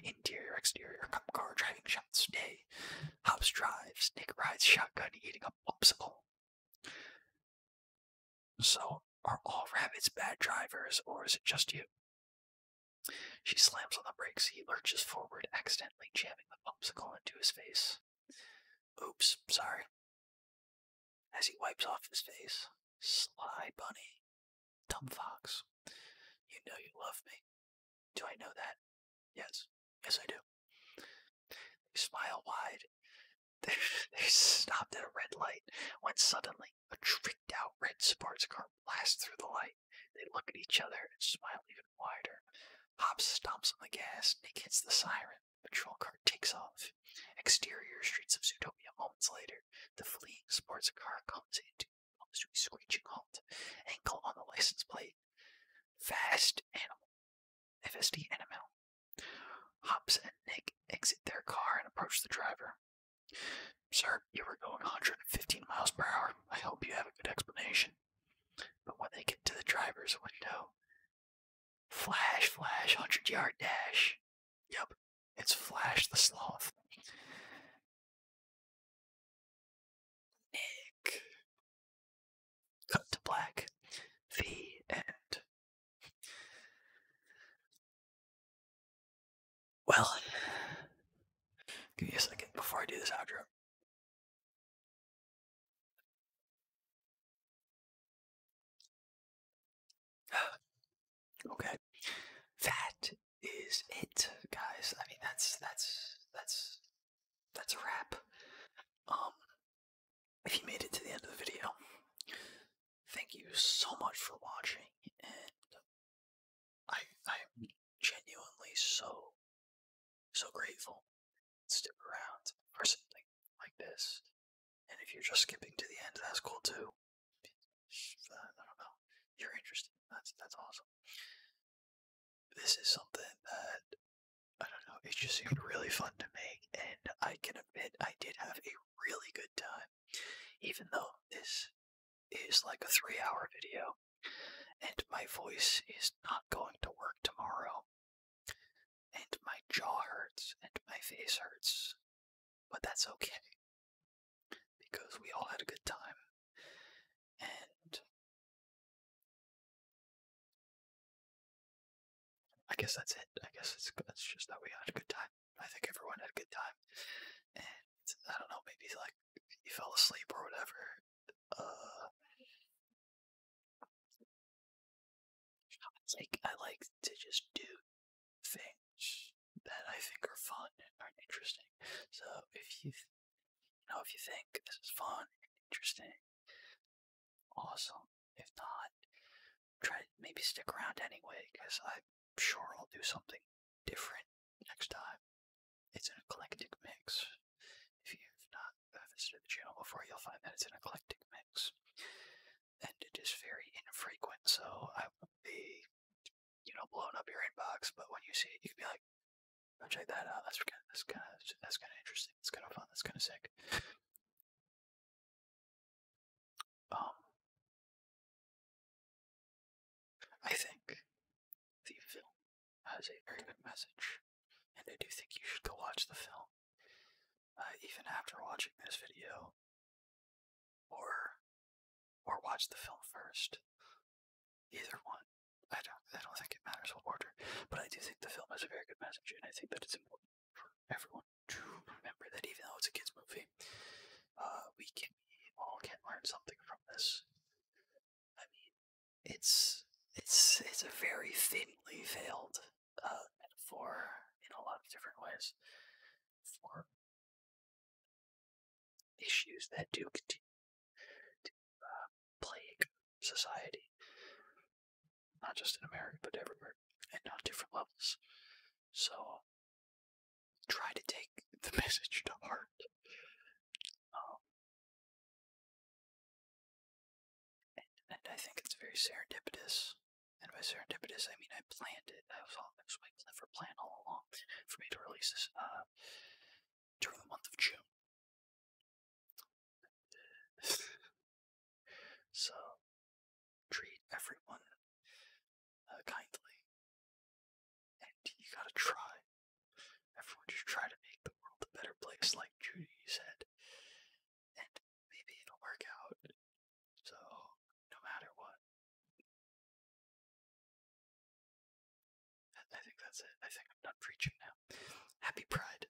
Interior, exterior, cop car driving shots, day. Hops drives, snake rides shotgun, eating up popsicle. So, are all rabbits bad drivers, or is it just you? She slams on the brakes. He lurches forward, accidentally jamming the popsicle into his face. Oops, sorry. As he wipes off his face, Sly Bunny, Dumb Fox, you know you love me. Do I know that? Yes, yes I do. They smile wide. They, they stopped at a red light when suddenly a tricked out red sports car blasts through the light. They look at each other and smile even wider. Hobbs stomps on the gas. Nick hits the siren. patrol car takes off. Exterior streets of Zootopia moments later. The fleeing sports car comes into to a screeching halt. Ankle on the license plate. Fast animal. FSD NML. Hops and Nick exit their car and approach the driver. Sir, you were going 115 miles per hour. I hope you have a good explanation. But when they get to the driver's window, flash, flash, 100 yard dash. Yep, it's Flash the Sloth. Nick. Cut to black. The end. Well, give me a second before I do this outro. Okay. That is it, guys. I mean that's that's that's that's a wrap. Um if you made it to the end of the video, thank you so much for watching, and I I'm genuinely so so grateful to stick around for something like this. And if you're just skipping to the end, that's cool too. Uh, I don't know. You're interested. That's that's awesome. This is something that I don't know, it just seemed really fun to make, and I can admit I did have a really good time, even though this is like a three hour video, and my voice is not going to work tomorrow, and my jaw hurts, and my face hurts, but that's okay, because we all had a good time, and I guess that's it. I guess it's just that we had a good time. I think everyone had a good time, and I don't know, maybe like you fell asleep or whatever. Uh it's like I like to just do things that I think are fun and are interesting. So if you know, if you think this is fun and interesting Awesome. If not, try to maybe stick around anyway, because I'm sure I'll do something different next time. It's an eclectic mix. If you've not visited the channel before, you'll find that it's an eclectic mix. And it is very infrequent, so I will be, you know, blowing up your inbox, but when you see it, you can be like, oh, check that out. that's kind of, that's kind of interesting. That's kind of fun. That's kind of sick. Um, I think the film has a very good message, and I do think you should go watch the film, uh, even after watching this video, or or watch the film first. Either one. I don't. I don't think it matters what order, but I do think the film has a very good message, and I think that it's important for everyone to remember that even though it's a kids movie, uh, we can all can learn something from this. I mean, it's it's it's a very thinly veiled uh, metaphor in a lot of different ways for issues that do continue to uh, plague society not just in America, but everywhere, and on different levels. So, try to take the message to heart. Um, and, I think it's very serendipitous. And by serendipitous, I mean I planned it. I was all. I was waiting clever plan all along for me to release this uh, during the month of June. So treat everyone uh, kindly. And you gotta try. Everyone just try to make the world a better place, like Judy said. And maybe it'll work out. So, no matter what. I think that's it. I think I'm done preaching now. Happy Pride.